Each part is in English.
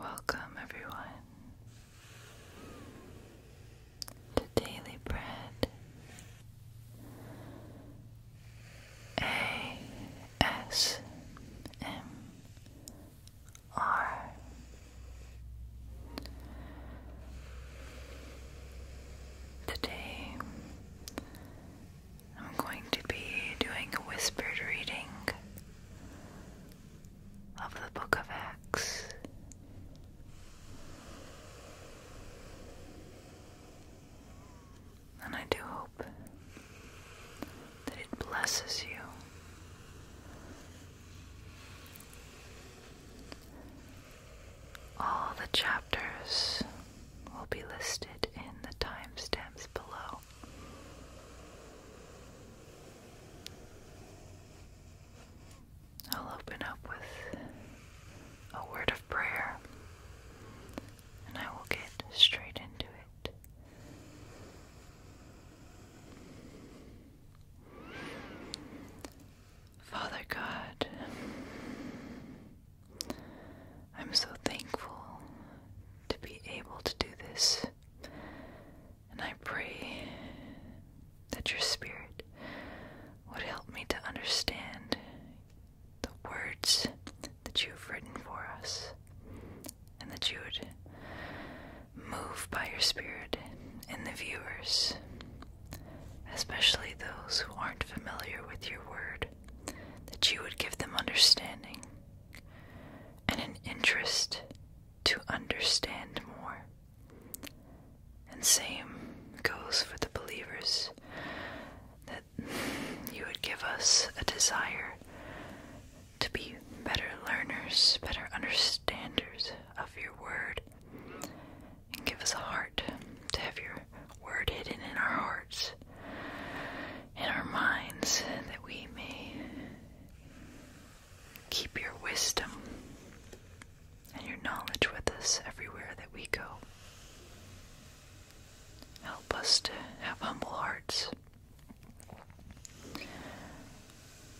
Welcome, everyone, to Daily Bread ASMR. Today, I'm going to be doing a whispered reading of the Book of Acts. And I do hope that it blesses you. All the chapters will be listed in the timestamps below. I'll open up with a word of prayer and I will get straight into it. Father God, I'm so thankful to be able to do this, and I pray that your spirit would help me to understand the words that you have written for us, and that you would move by your spirit in the viewers, especially those who aren't familiar with your word that you would give them understanding and an interest to understand more. And same goes for the believers, that you would give us a desire to be better learners, better understanders of your word, and give us a heart to have your word hidden in our hearts, in our minds, that we may keep your wisdom and your knowledge with us everywhere that we go. Help us to have humble hearts.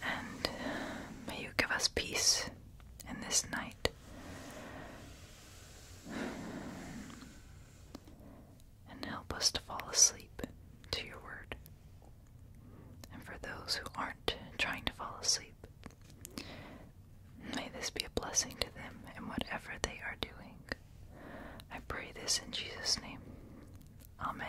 And may you give us peace in this night and help us to fall asleep to your word. And for those who aren't trying to fall asleep, may this be a blessing to them in whatever they are doing. I pray this in Jesus' name. Amen.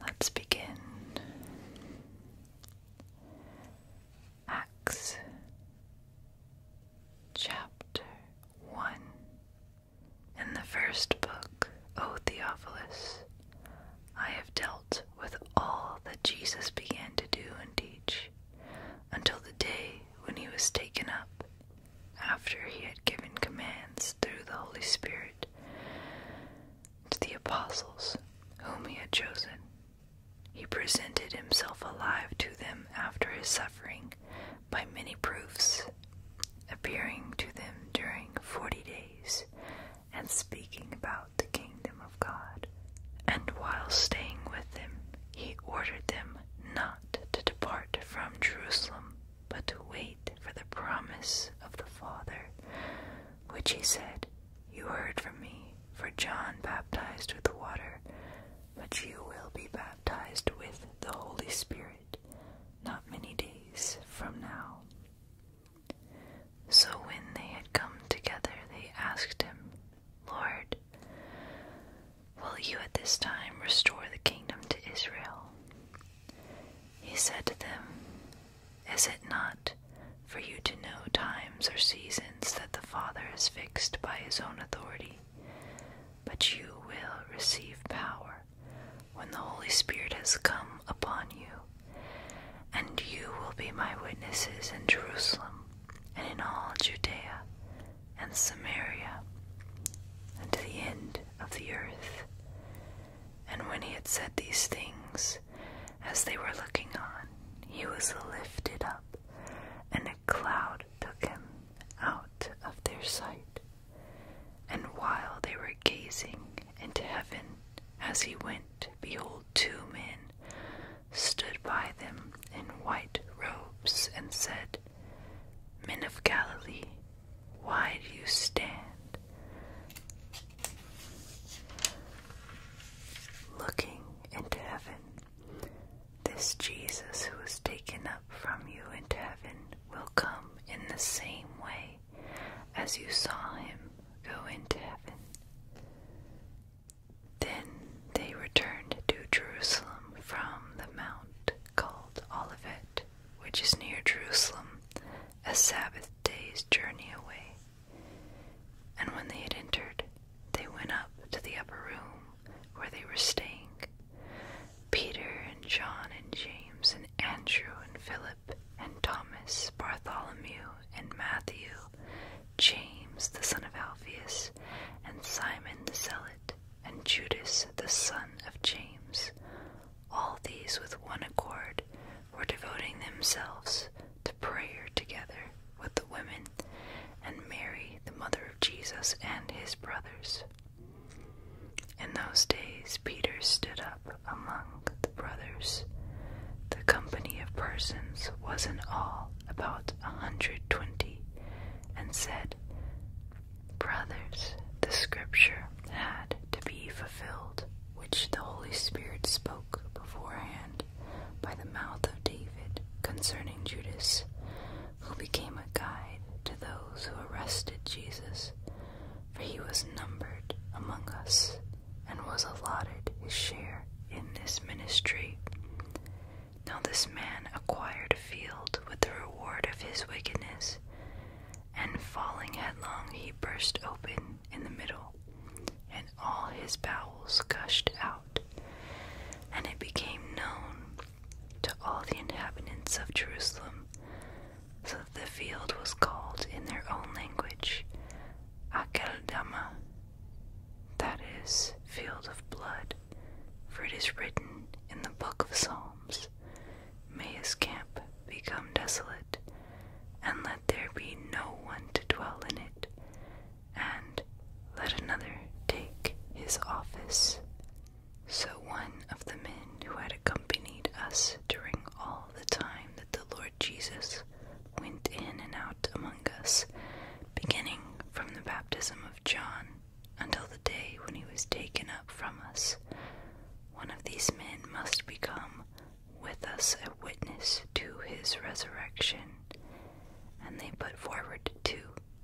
Let's begin. Acts chapter 1. In the first book, O Theophilus, I have dealt with all that Jesus began to do and teach until the day when he was taken up after he had given commands through the Holy Spirit to the apostles whom he had chosen, he presented himself alive to them after his suffering by many proofs, appearing to them during forty days and speaking about the kingdom of God. And while staying with them, he ordered them not to depart from Jerusalem but to wait for the promise of the Father, which he said, You heard from me, for John baptized with water, but you will be baptized with the Holy Spirit not many days from now. So when they had come together, they asked him, Lord, will you at this time restore the kingdom to Israel? He said to them, Is it not for you to know times or seasons that the Father has fixed by his own authority? But you will receive power when the Holy Spirit has come upon you, and you will be my witnesses in Jerusalem and in all Judea and Samaria and to the end of the earth. And when he had said these things, as they were looking on, he was lifted up, and a cloud took him out of their sight. And while they were gazing into heaven as he went, behold, two men stood by them in white robes and said, Men of Galilee, why do you stand? Looking into heaven, this Jesus who was taken up from you into heaven will come in the same way as you saw him go into heaven. Then they returned to Jerusalem from the mount called Olivet, which is near Jerusalem, a Sabbath day's journey away. And when they had entered, they went up to the upper room where they were staying. Peter and John and James and Andrew and Philip and Thomas, Bartholomew and Matthew, James the son of Alphaeus, and Simon the Zealot, and Judas the son of James, all these with one accord were devoting themselves to prayer together with the women and Mary, the mother of Jesus, and his brothers. In those days, Peter stood up among the brothers. The company of persons was in all about a hundred twenty, and said, Brothers, the scripture had to be fulfilled, which the Holy Spirit spoke beforehand by the mouth of David concerning Judas, who became a guide to those who arrested Jesus, for he was numbered among us and was allotted his share in this ministry. Now this man acquired a field with the reward of his wickedness, and falling headlong, he burst open in the middle, and all his bowels gushed out. And it became known to all the inhabitants of Jerusalem, so that the field was called in their own language Akeldama, that is, field of blood, for it is written in the book of Psalms. May his camp become desolate, and let there be no one to dwell in it, and let another take his office. So one of the men who had accompanied us during all the time that the Lord Jesus went in and out among us, beginning from the baptism of John until the day when he was taken up from us. One of these men must become with us a witness to his resurrection. And they put forward two,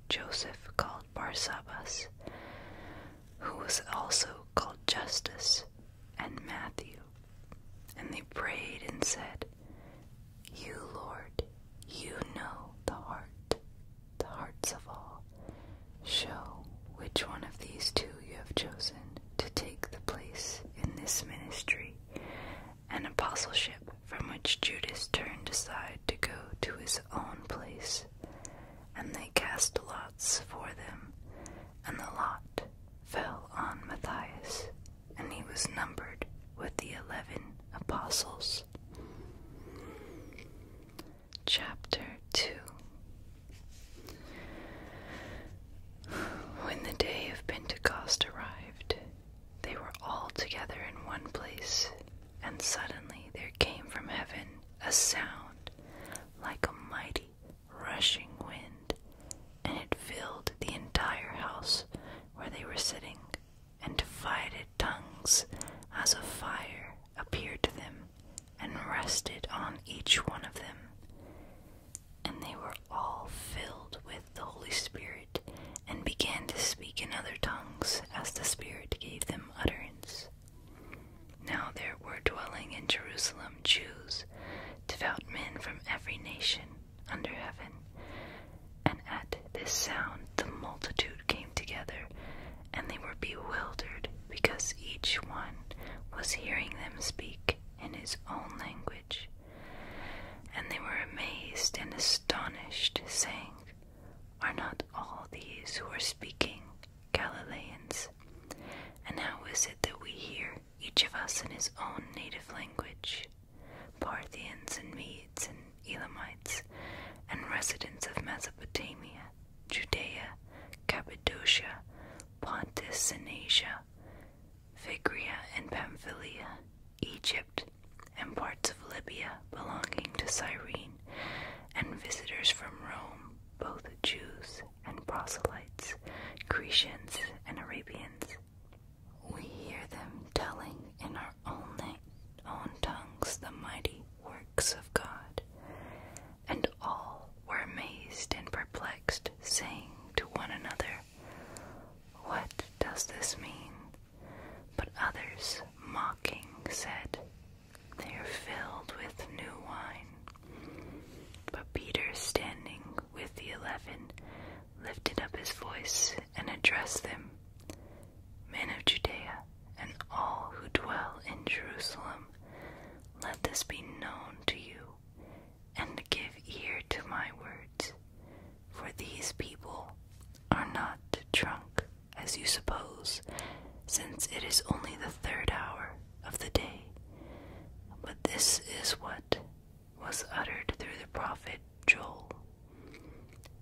Joseph called Barsabbas, who was also called Justus, and Matthew. And they prayed and said, You, Lord, you know the heart the hearts of all. Show which one of these two you have chosen to take the place in this ministry an apostleship from which Judas turned aside to go to his own place. And they cast lots for them, and the lot fell on Matthias, and he was numbered with the eleven apostles. Chapter 2 When the day of Pentecost arrived, they were all together in one place, and suddenly there came from heaven a sound like a mighty rushing wind, and it filled the entire house where they were sitting, and divided tongues as of fire appeared to them and rested on each one of them. And they were all filled with the Holy Spirit and began to speak in other tongues as the Spirit gave them utterance. Now there were dwelling in Jerusalem Jews, devout men from every nation under heaven. And at this sound the multitude came together and they were bewildered because each one was hearing them speak in his own language. And they were amazed and astonished, saying, Are not all these who are speaking Galileans? And how is it that we hear, each of us in his own native language, Parthians and Medes and Elamites, and residents of Mesopotamia, Judea, Cappadocia, Pontus and Phrygia and Pamphylia, Egypt, and parts of Libya belonging to Cyrene, and visitors from Rome, both Jews and proselytes, Cretians and Arabians. We hear them telling in our own, own tongues the mighty works of God and all were amazed and perplexed, saying to one another, What does this mean? But others, mocking, said, They are filled with new wine. But Peter, standing with the eleven, lifted up his voice and addressed them Men of Judea, and all who dwell in Jerusalem, let this be known to you, and give ear to my words. For these people are not drunk, as you suppose, since it is only the third hour of the day. But this is what was uttered through the prophet Joel.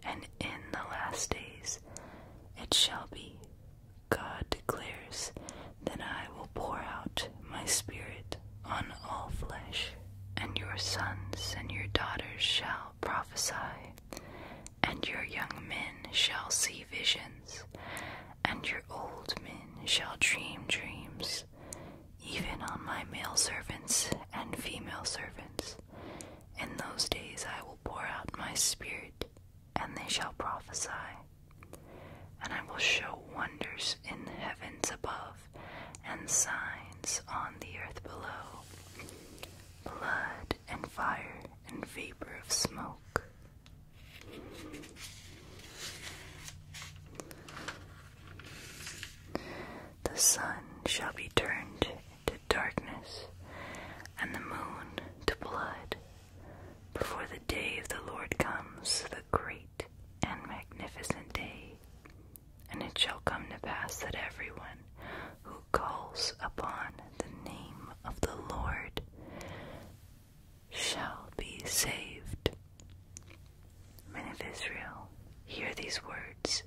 And in the last days it shall be God declares, that I will pour out my Spirit on all flesh, and your sons and your daughters shall prophesy, and your young men shall see visions, and your old men shall dream dreams, even on my male servants and female servants. In those days I will pour out my Spirit and they shall prophesy. And I will show wonders in the heavens above, and signs on the earth below blood and fire and vapor of smoke. The sun shall be turned into darkness, and the moon to blood before the day of the Lord comes, the great and magnificent day, and it shall come to pass that everyone who calls upon the name of the Lord shall be saved. Men of Israel, hear these words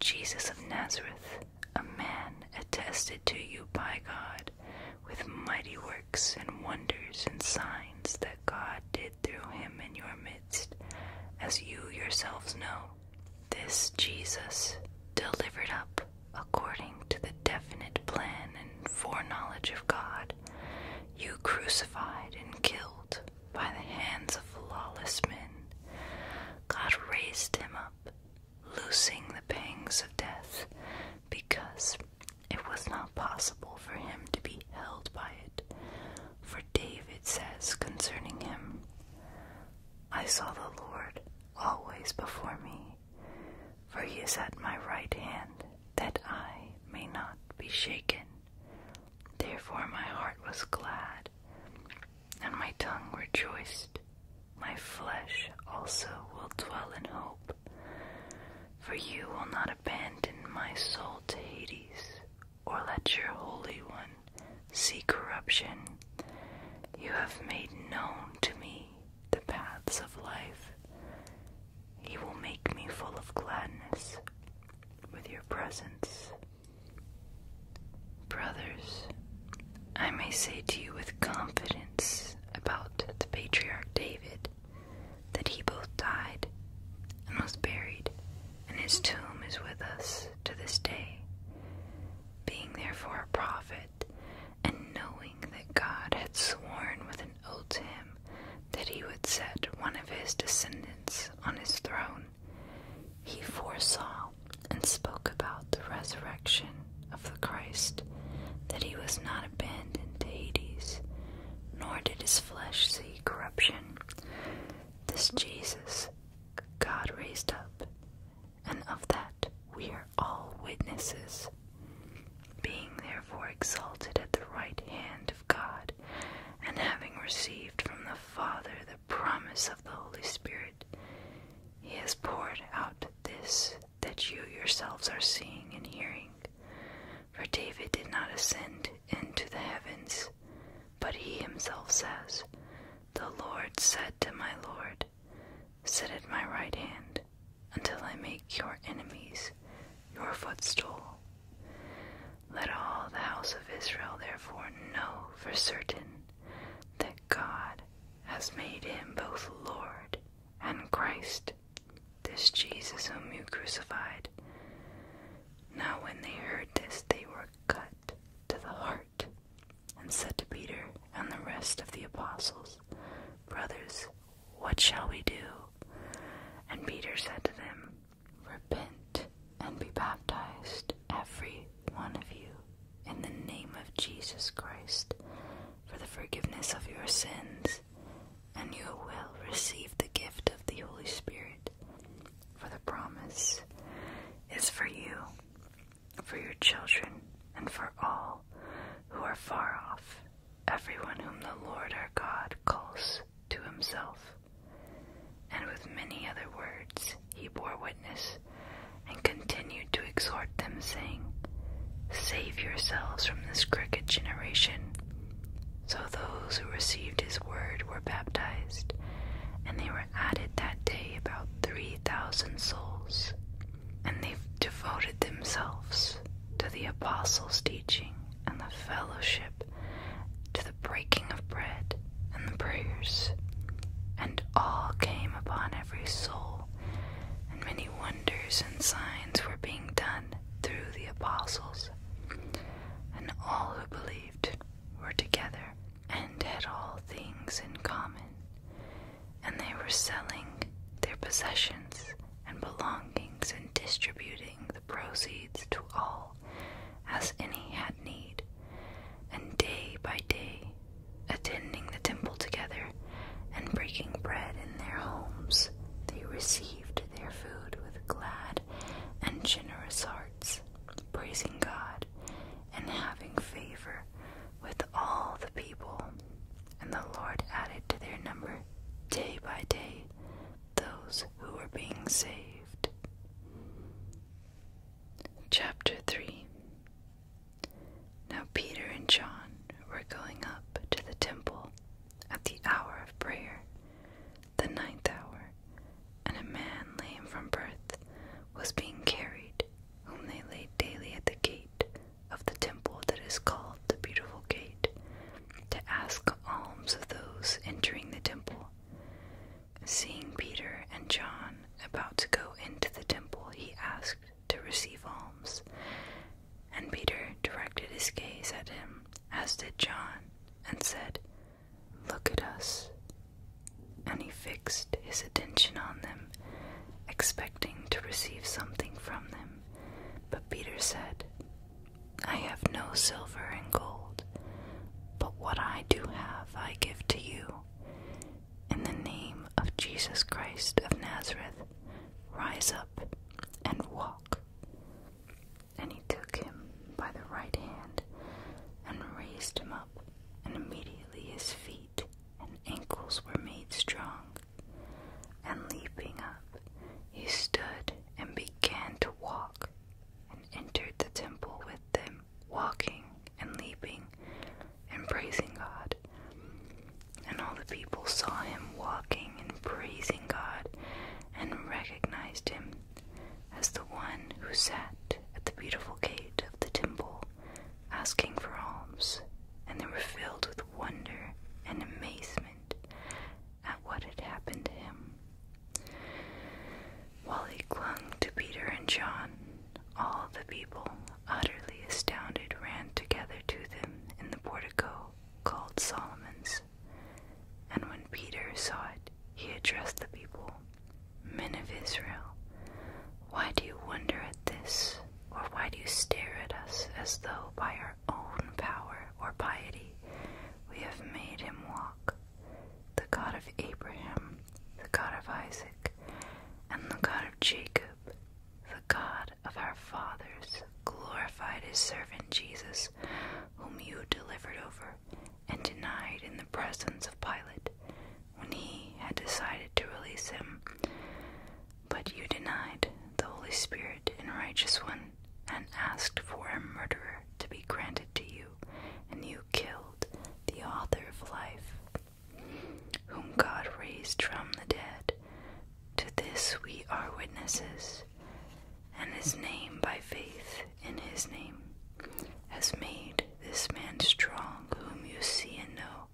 Jesus of Nazareth, a man attested to you by God with mighty works and wonders and signs that God did through him in your midst, as you yourselves know. This Jesus, delivered up according to the definite plan and foreknowledge of God, you crucified and killed by the hands of lawless men. God raised him up loosing the pangs of death, because it was not possible for him to be held by it. For David says concerning him, I saw the Lord always before me, for he is at my right hand, that I may not be shaken. Therefore my heart was glad, and my tongue rejoiced. My flesh also will dwell in hope, for you will not abandon my soul to Hades, or let your Holy One see corruption. You have made known to me the paths of life. You will make me full of gladness with your presence. Brothers, I may say to you with confidence about the patriarch David that he both died and was buried, and his tomb is with us to this day, being therefore a prophet, and knowing that God had sworn with an oath to him that he would set one of his descendants on his throne, he foresaw and spoke about the resurrection of the Christ that he was not abandoned to Hades, nor did his flesh see corruption. This Jesus God raised up, and of that we are all witnesses. Being therefore exalted at the right hand of God, and having received from the Father the promise of the Holy Spirit, he has poured out this that you yourselves are seeing and hearing. For David did not ascend into the heavens, but he himself says, The Lord said to my Lord, Sit at my right hand until I make your enemies your footstool. Let all the house of Israel therefore know for certain that God has made him both Lord and Christ, this Jesus whom you crucified. Now, when they heard this, they were cut to the heart and said to Peter and the rest of the apostles, Brothers, what shall we do? And Peter said to them, Repent and be baptized, every one of you, in the name of Jesus Christ for the forgiveness of your sins, and you will receive the gift of the Holy Spirit. For the promise is for you, for your children, and for all who are far off, everyone whom the Lord our God calls to himself. And with many other words he bore witness and continued to exhort them, saying, Save yourselves from this crooked generation. So those who received his word were baptized, and they were added that day about three thousand souls. And they devoted themselves to the apostles' teaching and the fellowship, to the breaking of bread and the prayers. And all came upon every soul, and many wonders and signs were being done through the apostles, and all who believed were together and had all things in common, and they were selling their possessions and belongings and distributing the proceeds to all as any had need. And day by day, attending the temple together and breaking bread in their homes, they received their food with glad and generous hearts, praising God and having favor with all the people. And the Lord added to their number day by day those who were being saved. Chapter 3 now Peter and John were going up to the temple at the hour of prayer, the ninth hour, and a man lame from birth was being carried, whom they laid daily at the gate of the temple that is called the Beautiful Gate, to ask alms of those entering the temple. Seeing Peter and John about to go into the temple, he asked, to receive alms. And Peter directed his gaze at him, as did John, and said, Look at us. And he fixed his attention on them, expecting to receive something from them. But Peter said, I have no silver and gold, but what I do have I give to you. In the name of Jesus Christ of Nazareth, rise up and walk. And he took him by the right hand and raised him up, and immediately his feet and ankles were made strong. And leaping up, he stood and began to walk, and entered the temple with them, walking and leaping and praising God. And all the people saw him walking and praising God and recognized him as the one who sat at the beautiful gate of the temple asking for alms, and they were filled with wonder and amazement at what had happened to him. While he clung to Peter and John, all the people, utterly astounded, ran together to them in the portico called Solomon's. And when Peter saw it, he addressed the people Men of Israel, why do you wonder at this, or why do you stare at us as though by our own power or piety we have made him walk? The God of Abraham, the God of Isaac, and the God of Jacob the God of our fathers glorified his servant Jesus, whom you delivered over and denied in the presence of Pilate when he had decided to release him. But you denied the Holy Spirit and righteous one and asked for a murderer to be granted to you, and you killed the author of life, whom God raised from the dead, to this we are witnesses, and his name by faith in his name has made this man strong, whom you see and know,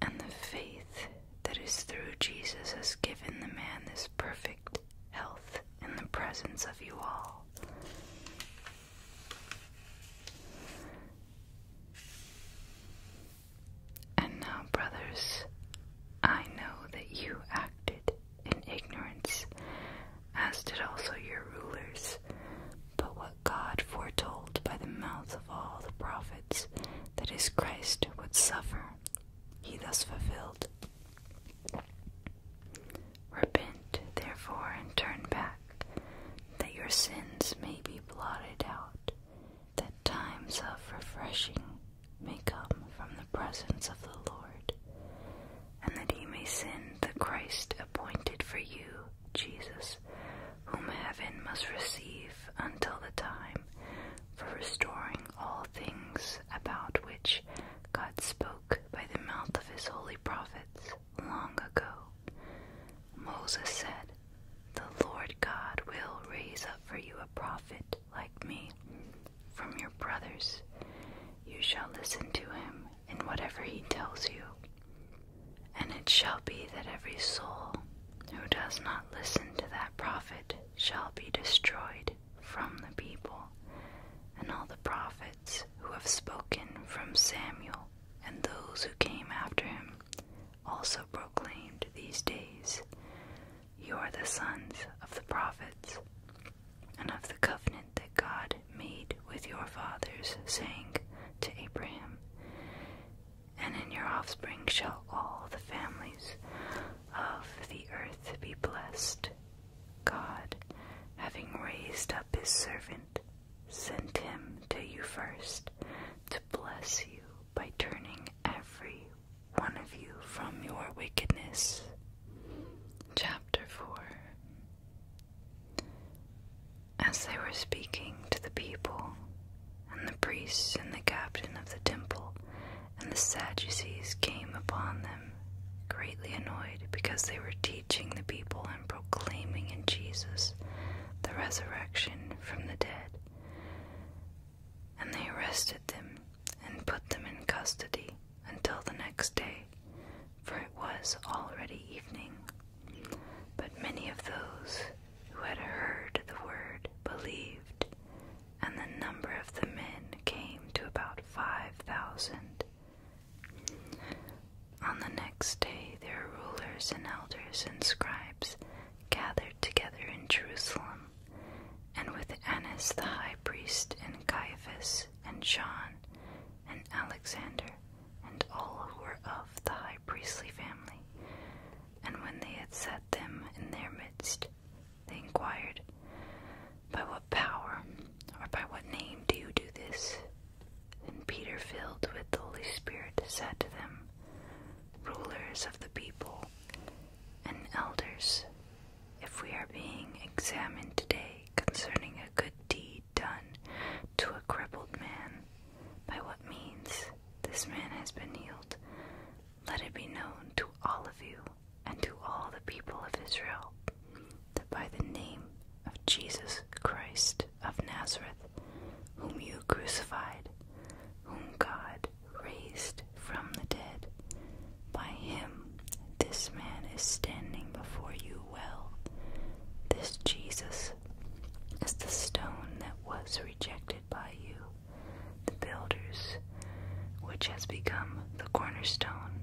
and the faith that is through Jesus has given the man this perfect health in the presence of you all. And now, brothers, I know that you acted in ignorance, as did also your rulers. But what God foretold by the mouth of all the prophets that his Christ would suffer, he thus fulfilled. Repent, therefore, and turn back, that your sins may be blotted out, that times of refreshing may come from the presence of the Lord, and that He may send the Christ appointed for you, Jesus, whom heaven must receive until the time for restoring all things about which God spoke by the mouth of his holy prophets long ago. Moses said, The Lord God will raise up for you a prophet like me from your brothers. You shall listen to him in whatever he tells you. And it shall be that every soul who does not listen to that prophet shall be destroyed from the people. And all the prophets who have spoken from Samuel and those who came after him also proclaimed these days. You are the sons of the prophets and of the covenant that God made with your fathers, saying to Abraham, And in your offspring shall all the families of the earth be blessed. God, having raised up his servant, sent him to you first to bless you by turning every one of you from your wickedness. Chapter 4 As they were speaking to the people, and the priests and the captain of the temple and the Sadducees came upon them, greatly annoyed because they were teaching the people and proclaiming in Jesus the resurrection from the dead and they arrested them and put them in custody until the next day, for it was already evening. But many of those who had heard the word believed, and the number of the men came to about five thousand. On the next day, their rulers and elders and scribes gathered together in Jerusalem and with Annas the high priest, and Caiaphas, and John, and Alexander, and all who were of the high priestly family. And when they had set them in their midst, they inquired, By what power or by what name do you do this? And Peter, filled with the Holy Spirit, said to them, rulers of the people, and elders, if we are being examined today concerning a good deed done to a crippled man, by what means this man has been healed, let it be known to all of you and to all the people of Israel that by the name of Jesus Christ of Nazareth, whom you crucified, whom God raised from the dead. By him, this man is standing before you well. This Jesus is the stone that was rejected by you, the builders, which has become the cornerstone.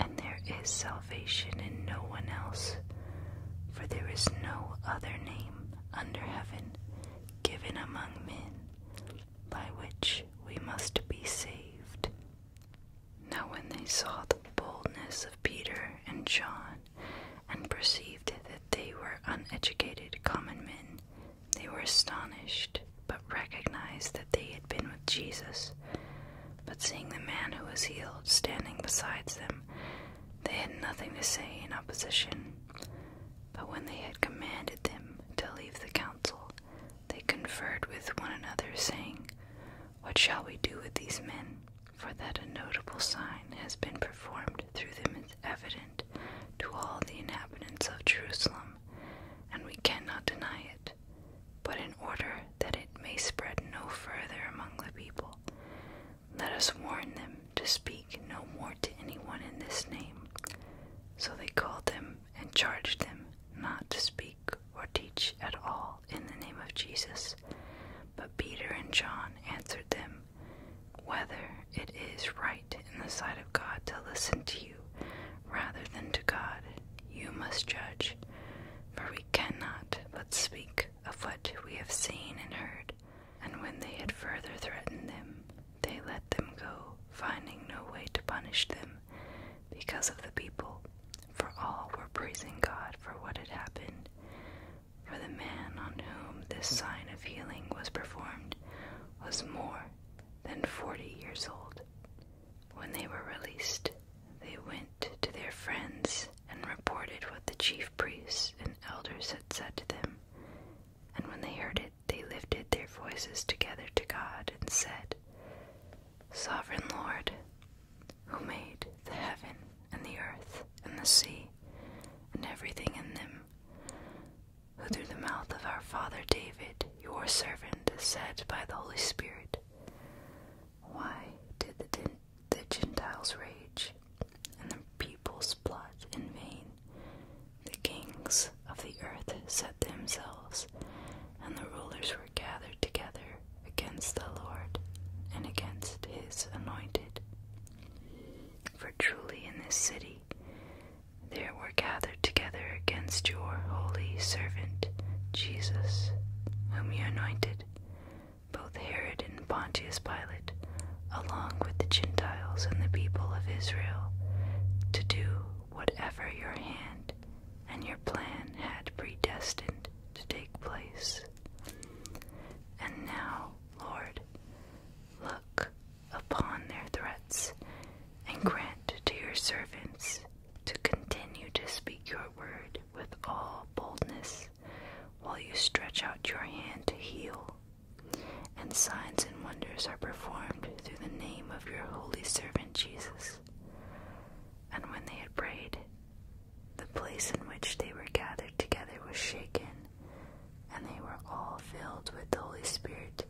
And there is salvation in no one else, for there is no other name under heaven given among men by which we must be saved. Now, when they saw the boldness of Peter and John, and perceived that they were uneducated common men, they were astonished, but recognized that they had been with Jesus. But seeing the man who was healed standing beside them, they had nothing to say in opposition. But when they had commanded them to leave the council, they conferred with one another, saying, What shall we do with these men? For that a notable sign has been performed through them is evident to all the inhabitants of Jerusalem, and we cannot deny it. But in order that it may spread no further among the people, let us warn them to speak no more to anyone in this name. So they called them and charged them not to speak or teach at all in the name of Jesus. But Peter and John answered them, Whether it is right in the sight of God to listen to you rather than to God, you must judge. For we cannot but speak of what we have seen and heard. And when they had further threatened them, they let them go, finding no way to punish them because of the people, for all were praising God for what had happened. For the man on whom this sign of healing was performed was more than forty years old. When they were released, they went to their friends and reported what the chief priests and elders had said to them, and when they heard it, they lifted their voices together to God and said, Sovereign Lord, who made the heaven and the earth and the sea and everything in them, who through the mouth of our father David, your servant, said by the Holy Spirit, Why did the, the Gentiles rage and the peoples plot in vain? The kings of the earth set themselves, and the rulers were gathered together against the Lord and against his anointed. For truly in this city there were gathered together against your holy servant Jesus, whom you anointed, both Herod and Pontius Pilate, along with the Gentiles and the people of Israel, to do whatever your hand and your plan had predestined to take place. And now, Lord, look upon their threats and grant to your servants to continue to speak your word with all boldness while you stretch out your hand to heal, and signs and wonders are performed through the name of your holy servant Jesus. And when they had prayed, the place in which they were gathered together was shaken, and they were all filled with the Holy Spirit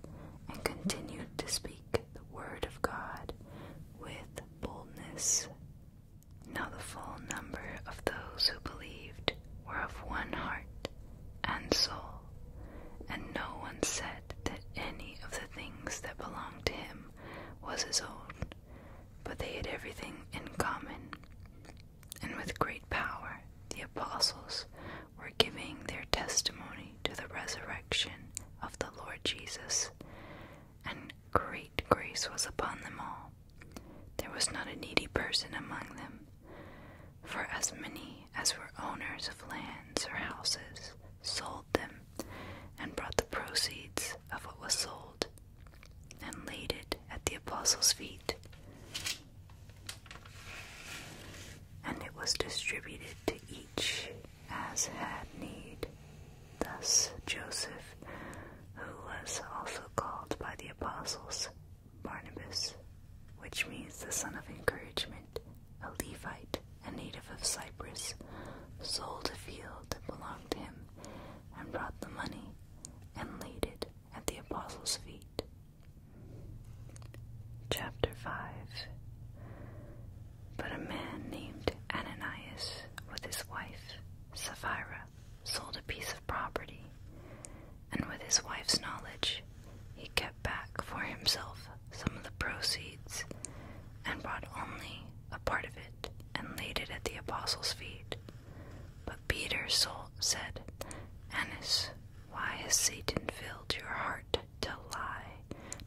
and continued to speak the word of God with boldness. Now the full number of those who believed were of one heart and soul, and no one said that any of the things that belonged to him was his own, but they had everything in common. And with great power, the apostles were giving their testimony to the resurrection of the Lord Jesus, and great grace was upon them all. There was not a needy person among them, for as many as were owners of lands or houses sold them and brought the proceeds of what was sold and laid it at the apostles' feet. And it was distributed to each as had need. Thus Joseph, who was also called by the apostles Barnabas, which means the son of encouragement, a Levite, a native of Cyprus, sold a field that belonged to him, and brought the money, and laid it at the apostles' feet. Chapter 5 But a man named Ananias, with his wife Sapphira, sold a piece of property, and with his wife's knowledge, he kept back for himself some of the proceeds and brought only a part of it and laid it at the apostles' feet. But Peter's soul said, Annas, why has Satan filled your heart to lie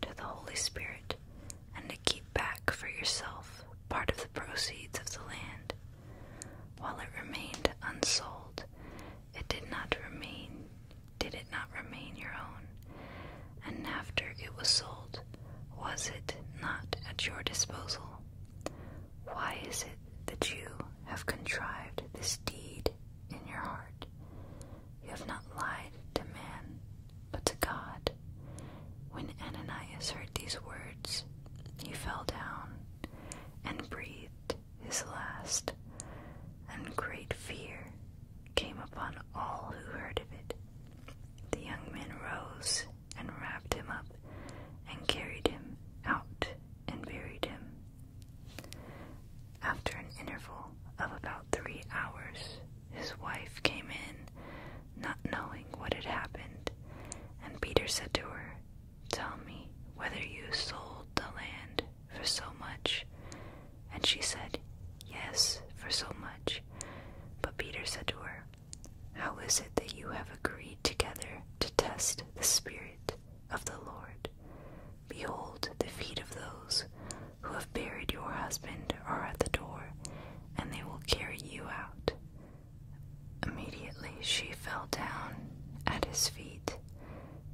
to the Holy Spirit and to keep back for yourself part of the proceeds of the land? While it remained unsold, it did not remain, did it not remain your own? And after it was sold, was it not at your disposal? Why is it that you have contrived this deed in your heart? You have not lied to man, but to God. When Ananias heard these words, he fell down and breathed his last, in great fear came upon all who heard of it. The young men rose and wrapped him up and carried him out and buried him. After an interval of about three hours, his wife came in, not knowing what had happened, and Peter said to her, Tell me whether you sold the land for so much? And she said, Yes, for so much. But Peter said to her, How is it that you have agreed together to test the Spirit of the Lord? Behold, the feet of those who have buried your husband are at the door, and they will carry you out. Immediately she fell down at his feet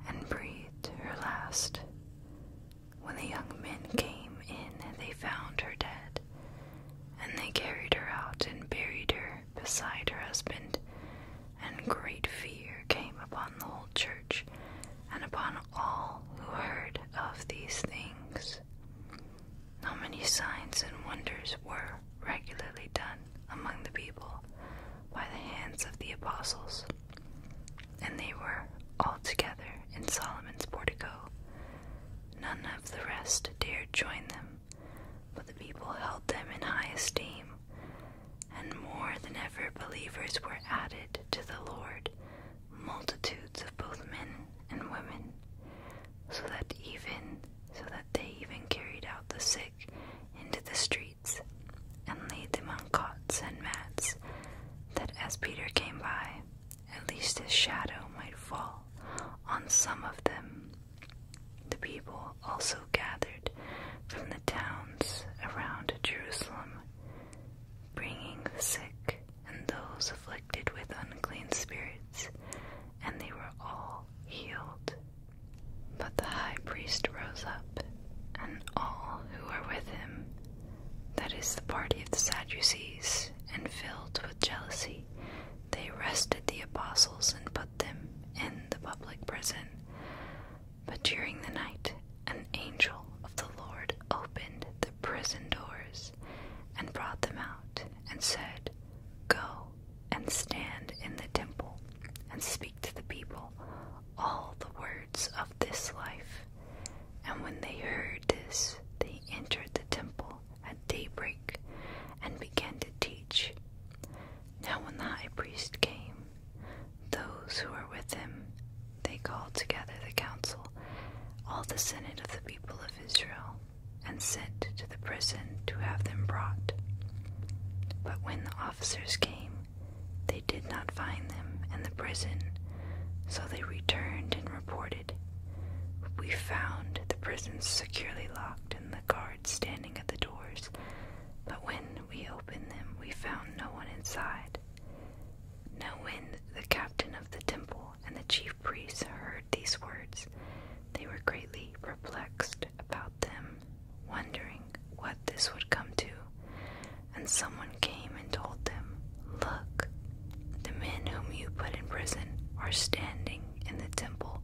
and breathed her last. When the young men came in, they found her dead, and they carried her out and buried her beside her husband. And great fear came upon the whole church and upon all who heard of these things. Now many signs and wonders were regularly done among the people by the hands of the apostles? and they were all together in Solomon's portico. None of the rest dared join them, but the people held them in high esteem, and more than ever believers were added to the Lord, multitudes of both men and women, so that even so that they even carried out the sick into the street and laid them on cots and mats, that as Peter came by, at least his shadow might fall on some of them. The people also gathered from the towns around Jerusalem, bringing the sick and those afflicted with unclean spirits, and they were all healed. But the high priest rose up, and all who were with him, that is the party of the Sadducees, and filled with jealousy, they arrested the apostles and put them in the public prison. But during the night, an angel of the Lord opened the prison doors and brought them out, and said, Go and stand in the temple and speak to the people all the words of this life. And when they heard this, they entered the temple at daybreak and began to teach. Now, when the high priest came, those who were with him, they called together the council, all the senate of the people of Israel, and sent to the prison to have them brought. But when the officers came they did not find them in the prison, so they returned and reported. We found the prisons securely locked and the guards standing at the doors, but when we opened them, we found no one inside. Now, when the captain of the temple and the chief priests heard these words, they were greatly perplexed about them, wondering what this would come to, and someone came and told them, Look, the men whom you put in prison are standing in the temple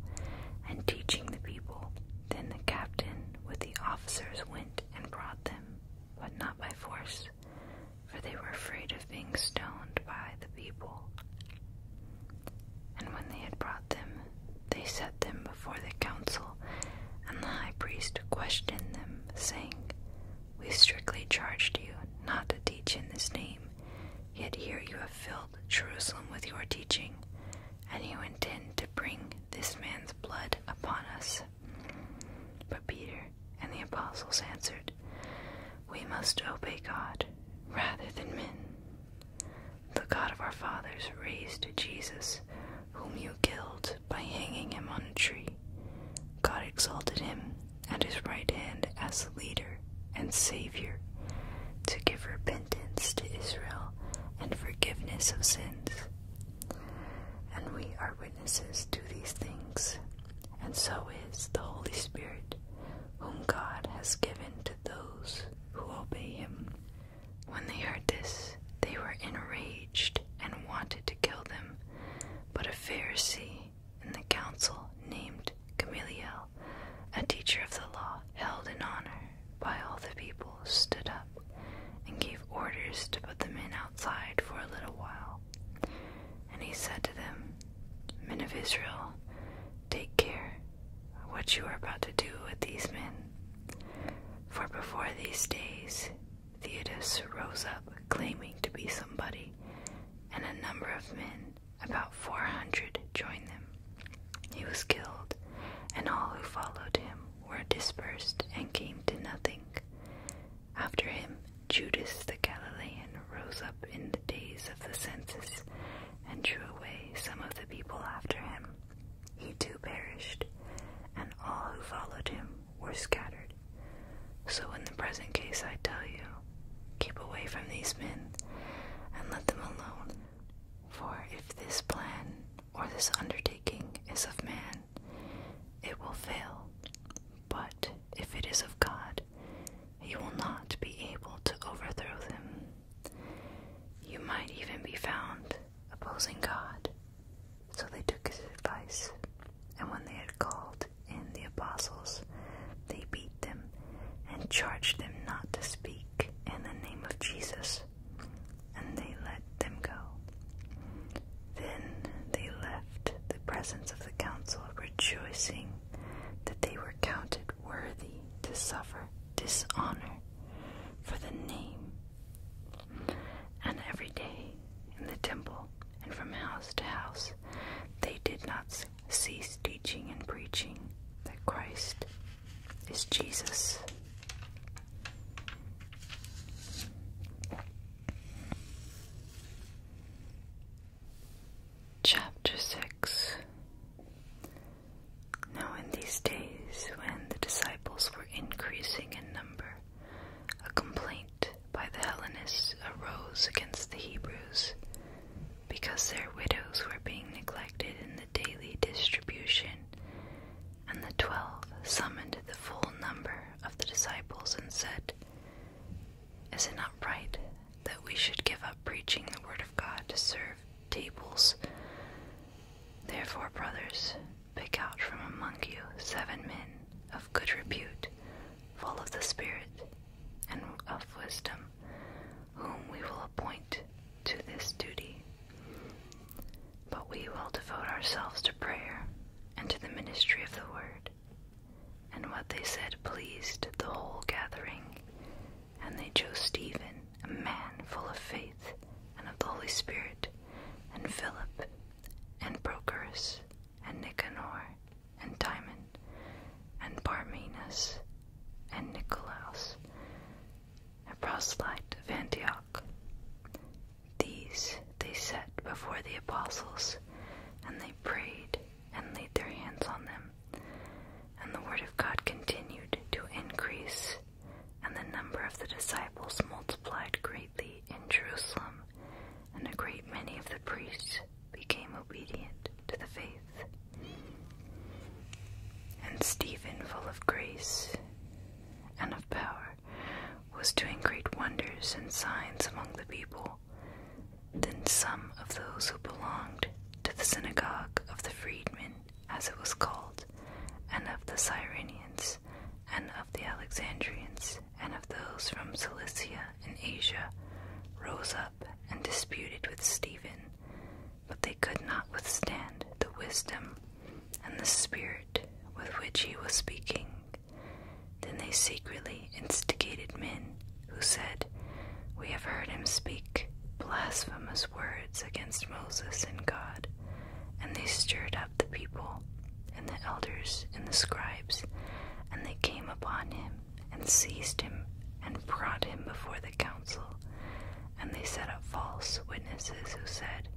and teaching the people. Then the captain with the officers went and brought them, but not by force, for they were afraid of being stoned by the people. And when they had brought them, they set them before the council, and the high priest questioned them, saying, we strictly charged you not to teach in this name, yet here you have filled Jerusalem with your teaching, and you intend to bring this man's blood upon us. But Peter and the apostles answered, We must obey God rather than men. The God of our fathers raised Jesus, whom you killed by hanging him on a tree. God exalted him at his right hand as leader and savior to give repentance to Israel and forgiveness of sins. And we are witnesses to these things, and so is the Holy Spirit, whom God has given to those who obey him. When they heard this, they were enraged and wanted to kill them, but a Pharisee in the council named Gamaliel, a teacher of the law held in honor by all the people, stood up and gave orders to put the men outside for a little while. And he said to them, Men of Israel, take care what you are about to do with these men. For before these days Theodos rose up, claiming to be somebody, and a number of men, about 400, joined them. He was killed, and all who followed him were dispersed and came to nothing. After him, Judas the Galilean rose up in the days of the census and drew away some of the people after him. He too perished, and all who followed him were scattered. So in the present case, I tell you, keep away from these men and let them alone. For if this plan or this undertaking is of man, it will fail. But if it is of God, you will not be able to overthrow them. You might even be found opposing God. So they took his advice and when they had called in the apostles, they beat them and charged them not to speak in the name of Jesus, and they let them go. Then they left the presence of the council, rejoicing that they were counted worthy to suffer dishonor for the name. And every day in the temple, and from house to house, they did not cease teaching and preaching that Christ is Jesus. Chapter 6 Now, in these days, when the disciples were increasing in number, a complaint by the Hellenists arose against the Hebrews because their widows were being neglected in the daily distribution. And the twelve summoned the full number of the disciples and said, Is it not right that we should give up preaching the word of God to serve tables? Therefore, brothers, Pick out from among you seven men of good repute, full of the Spirit and of wisdom, whom we will appoint to this duty. But we will devote ourselves to prayer and to the ministry of the word. And what they said pleased the whole gathering. And they chose Stephen, a man full of faith and of the Holy Spirit, and Philip, and Prochorus, and Nicanor, and Timon, and Parmenas, and Nicolaus, a proselyte of Antioch. These they set before the apostles, and they prayed and laid their hands on them. And the word of God continued to increase, and the number of the disciples multiplied greatly in Jerusalem and a great many of the priests became obedient to the faith. And Stephen, full of grace and of power, was doing great wonders and signs among the people. Then some of those who belonged to the synagogue of the freedmen, as it was called, and of the Cyrenians, and of the Alexandrians, and of those from Cilicia and Asia rose up and disputed with Stephen, but they could not withstand the wisdom and the spirit with which he was speaking. Then they secretly instigated men who said, We have heard him speak blasphemous words against Moses and God. And they stirred up the people and the elders and the scribes, and they came upon him and seized him and brought him before the council. And they set up false witnesses who said,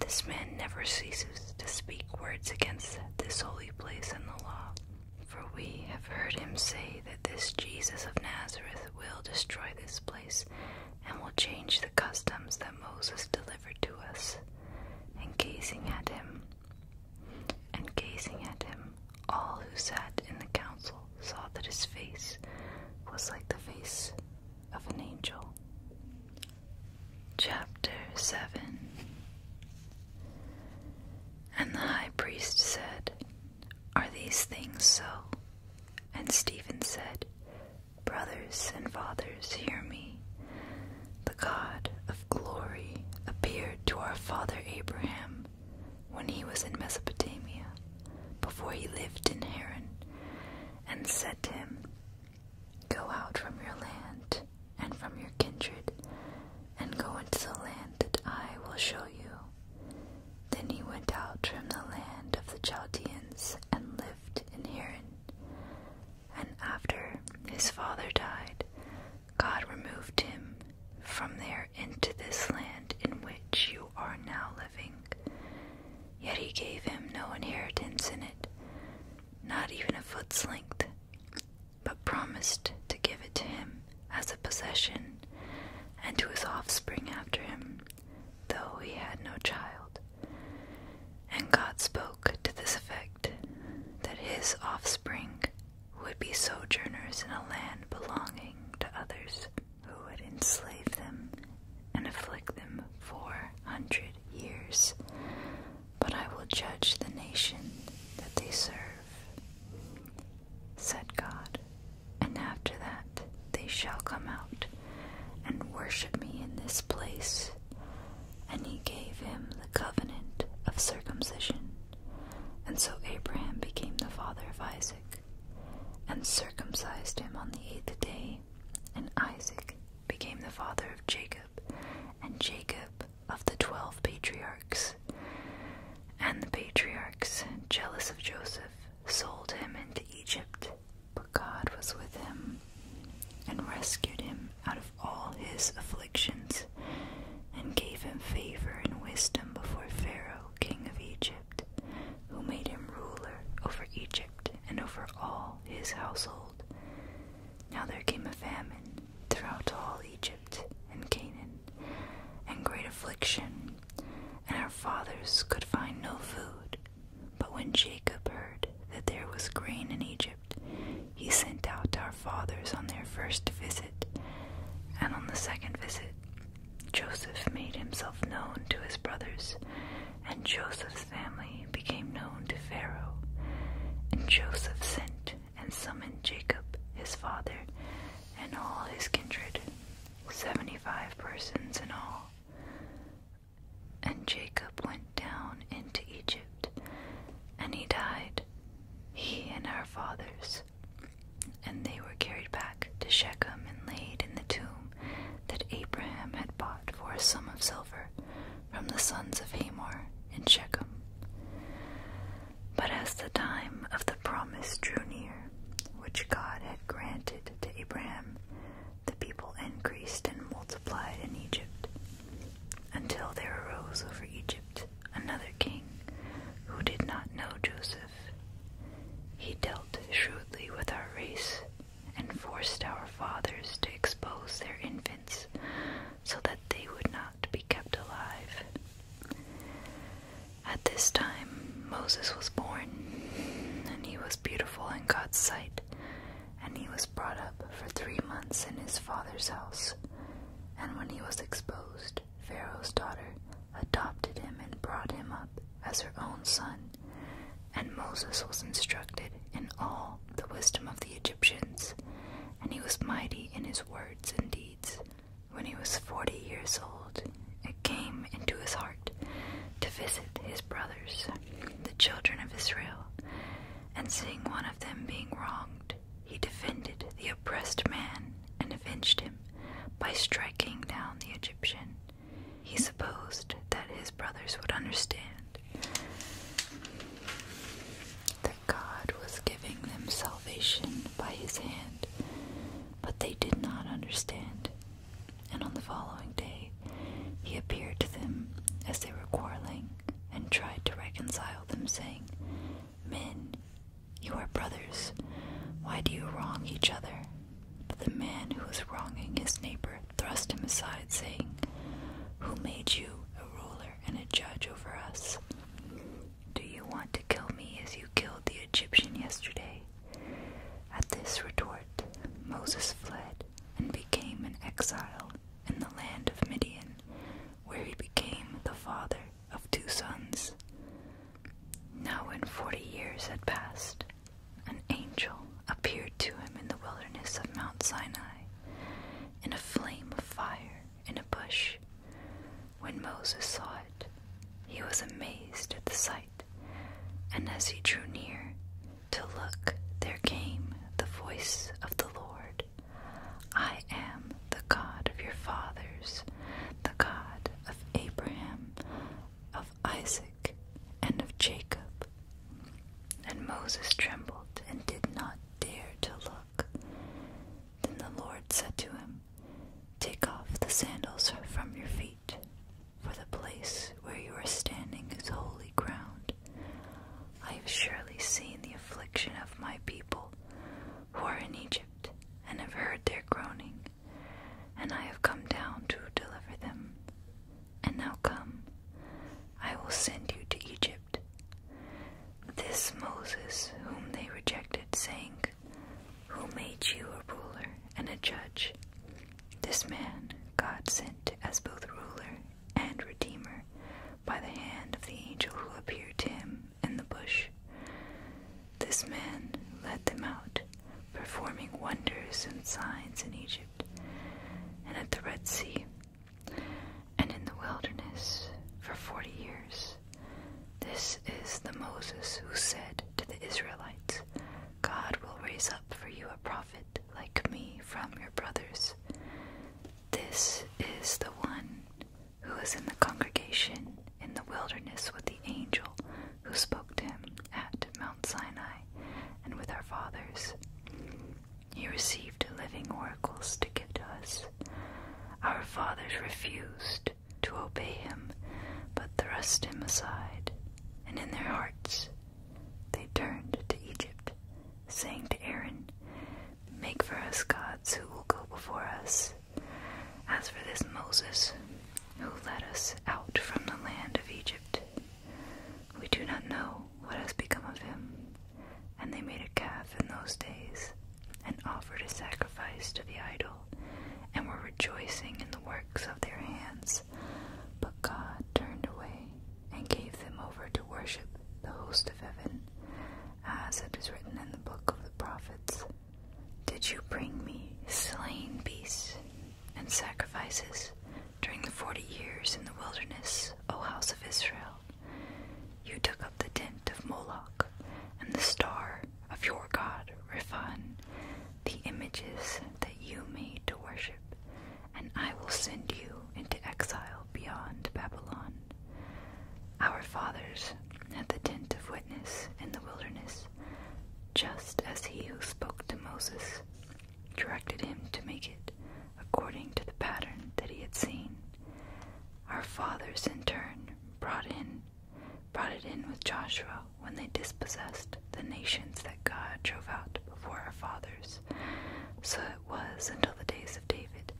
This man never ceases to speak words against this holy place and the law. For we have heard him say that this Jesus of Nazareth will destroy this place and will change the customs that Moses delivered to us. And gazing at him, and gazing at him, all who sat in the council saw that his face was like the face of an angel. Chapter 7 And the high priest said, Are these things so? And Stephen said, Brothers and fathers, hear me. The God of." glory appeared to our father Abraham when he was in Mesopotamia, before he lived in Haran, and said to him, Go out from your land and from your kindred, and go into the land that I will show you. Then he went out from the land of the Chaldeans and lived in Haran and after his father died, God removed him from there into this land in which you are now living. Yet he gave him no inheritance in it, not even a foot's length, but promised to give it to him as a possession and to his offspring after him, though he had no child. And God spoke to this effect that his offspring would be sojourners in a land belonging to others who would enslave them and afflict them for hundred years. But I will judge the nation that they serve, said God, and after that they shall come out and worship me in this place, and he gave him the covenant of circumcision. And so Abraham became the father of Isaac, and circumcised him on the eighth day, and Isaac became the father of Jacob, and Jacob of the twelve patriarchs. And the patriarchs, jealous of Joseph, sold him into Egypt, but God was with him and rescued him out of all his afflictions, and gave him favor and wisdom before Pharaoh, king of Egypt, who made him ruler over Egypt and over all his household. Now there came a famine throughout all Egypt and Canaan, and great affliction, and our fathers could find no food. But when Jacob heard that there was grain in Egypt, he sent out our fathers on their first visit, and on the second visit, Joseph made himself known to his brothers, and Joseph's family became known to Pharaoh. And Joseph sent and summoned Jacob, his father, and all his kindred, seventy five persons in all. And Jacob went down into Egypt and he died, he and our fathers. And they were carried back to Shechem and laid in the tomb that Abraham had bought for a sum of silver from the sons of Hamor in Shechem. But as the time of the promise drew near, which God had granted to Abraham, the people increased and multiplied in Egypt, until there arose over Egypt another king who did not know Joseph. He dealt shrewdly with our race and forced our fathers to expose their infants so that they would not be kept alive. At this time, Moses was born, and he was beautiful in God's sight, and he was brought up for three months in his father's house, and when he was exposed, Pharaoh's daughter adopted him and brought him up as her own son. And Moses was instructed in all the wisdom of the Egyptians, and he was mighty in his words and deeds. When he was forty years old, it came into his heart to visit his brothers, the children of Israel, and seeing one of them being wronged, he defended the oppressed man and avenged him by striking down the Egyptian. He supposed that his brothers would understand that God was giving them salvation by his hand, but they did not understand. And on the following day, he appeared to them as they were quarreling and tried to reconcile them, saying, Men, you are brothers. Why do you wrong each other? But the man who was wronging his neighbor thrust him aside, saying, Who made you a ruler and a judge over us? Do you want to kill me as you killed the Egyptian yesterday? At this retort, Moses fled and became an exile in the land of Midian, where he became the father of two sons. Now, when forty years had passed, an angel appeared to him in the wilderness of Mount Sinai, in a flame of fire in a bush. When Moses saw it, he was amazed at the sight, and as he drew near to look, there came the voice of the Lord I am the God of your fathers, the God of Abraham, of Isaac, and of Jacob. And Moses trembled and did not dare to look. Then the Lord said to him, Take off the sandals from your feet, for the place where you are standing is holy ground. I have surely seen the affliction of my people who are in Egypt, and have heard their groaning, and I have come down to deliver them. And now come, I will send you to Egypt. This Moses, whom they rejected, saying, Who made you a ruler and a judge? This man God sent as both ruler and redeemer by the hand of the angel who appeared to him in the bush. This man led them out, performing wonders and signs in Egypt, and at the Red Sea, and in the wilderness for forty years. This is the Moses who said to the Israelites, God will raise up for you a prophet like me from your brothers. This is the one who was in the congregation in the wilderness with the angel who spoke to him at Mount Sinai and with our fathers. He received living oracles to give to us. Our fathers refused to obey him, but thrust him aside, and in their hearts they turned to Egypt saying to Aaron, Make for us gods who will go before us. As for this Moses, who led us out from the land of Egypt, we do not know what has become of him. And they made a calf in those days, and offered a sacrifice to the idol, and were rejoicing in the works of their hands. But God turned away and gave them over to worship the host of heaven, as it is written in the book of the prophets. Did you bring me slain beasts and sacrifices during the forty years in the wilderness, O house of Israel? You took up the tent of Moloch and the star of your god Riphan, the images that you made to worship, and I will send you into exile beyond Babylon. Our fathers had the tent of witness in the wilderness, just as he who spoke to Moses directed him to make it according to the pattern that he had seen. Our fathers in turn brought in brought it in with Joshua when they dispossessed the nations that God drove out before our fathers. So it was until the days of David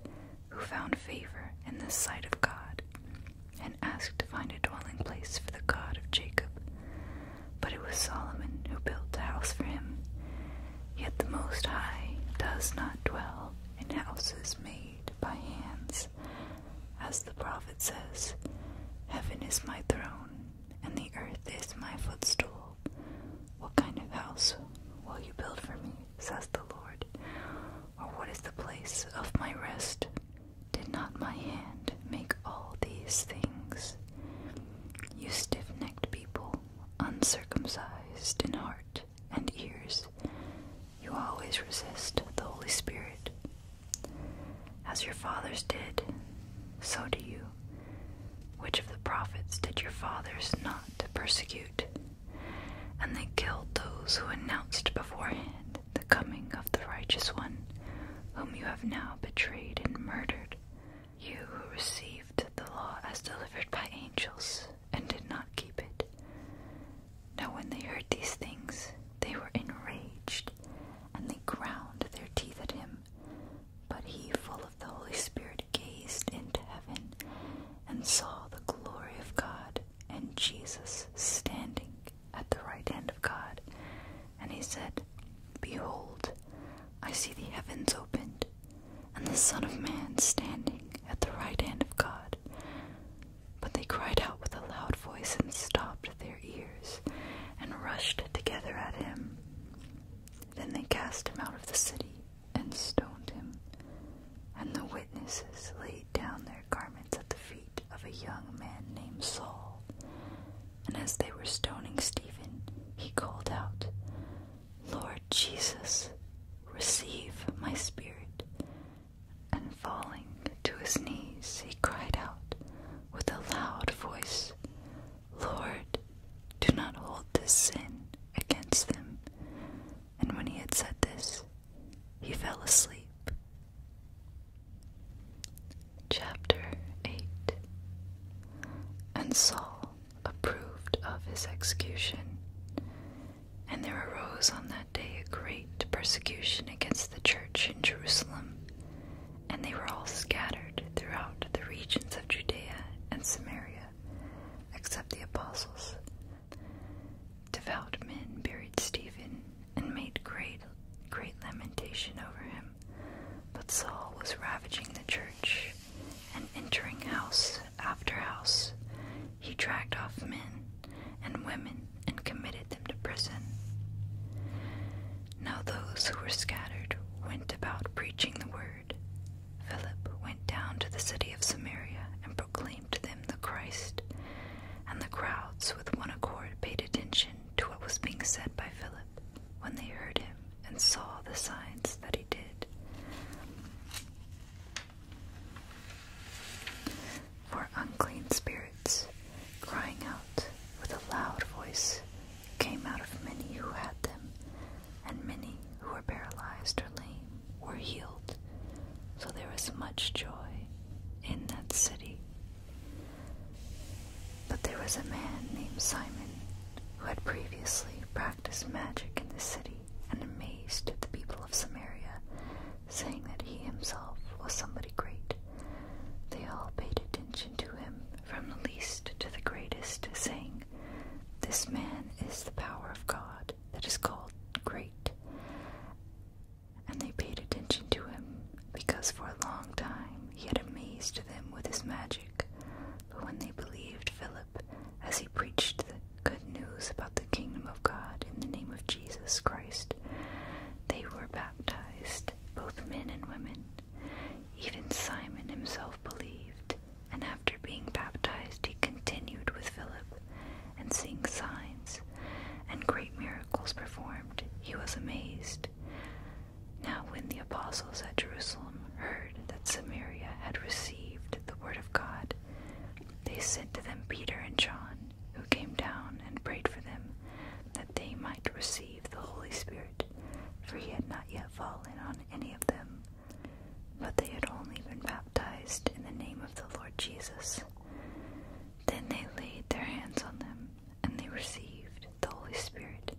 who found favor in the sight of God, and asked to find a dwelling place for the God of Jacob. But it was Solomon who built a house for him. Yet the Most High does not dwell in houses made by hands. As the prophet says, Heaven is my throne, and the earth is my footstool. What kind of house will you build for me, says the Lord? Or what is the place of my rest? Did not my hand make all these things? You stiff necked people, uncircumcised in heart and ears, you always resist the Holy Spirit. As your fathers did, so do you. Which of the prophets did your fathers not persecute? and they killed those who announced beforehand the coming of the righteous one, whom you have now betrayed and murdered. You who received the law as delivered by angels and did not keep it. Now, when they heard these things, they were enraged and they ground their teeth at him. But he, full of the Holy Spirit, gazed into heaven and saw the glory of God and Jesus standing at the right hand of God. And he said, Behold, I see the heavens opened, and the Son of Man standing at the right hand of God. But they cried out with a loud voice and stopped their ears, and rushed together at him. Then they cast him out of the city and stoned him. And the witnesses laid down their garments at the feet of a young man named Saul. And as they were stoning Stephen, he called out, Lord Jesus, receive my spirit. And falling to his knees, he cried out with a loud voice, Lord, do not hold this sin against them and when he had said this, he fell asleep. Chapter 8 And Saul approved of his execution, and there arose on that day a great persecution against the church in Jerusalem, and they were all scattered throughout the regions of Judea and Samaria, except the apostles. Devout men buried Stephen and made great, great lamentation over him. But Saul was ravaging the church and entering house after house. He dragged off men and women and committed them to prison. Now those who were scattered went about preaching the word. Philip went down to the city of Samaria and proclaimed proclaimed them the Christ, and the crowds with one accord paid attention to what was being said by Philip when they heard him and saw the signs that he did. For unclean spirits, crying out with a loud voice, came out of many who had them, and many who were paralyzed or lame were healed, so there was much joy in that city. But there was a man named Simon who had previously practiced magic in the city and amazed the people of Samaria, saying that he himself was somebody great. They all paid attention to him, from the least to the greatest, saying, This man is the power of God that is called great. And they paid attention to him because for a long time he had amazed them with his magic. But when they believed Philip as he preached the good news about the kingdom of God in the name of Jesus Christ, they were baptized, both men and women. Even Simon himself believed, and after being baptized, he continued with Philip and seeing signs and great miracles performed, he was amazed. Now, when the apostles at Jerusalem heard that Samaria had received the word of God, they sent to them Peter and John, who came down and prayed for them that they might receive the Holy Spirit, for he had not yet fallen on any of them but they had only been baptized in the name of the Lord Jesus. Then they laid their hands on them, and they received the Holy Spirit.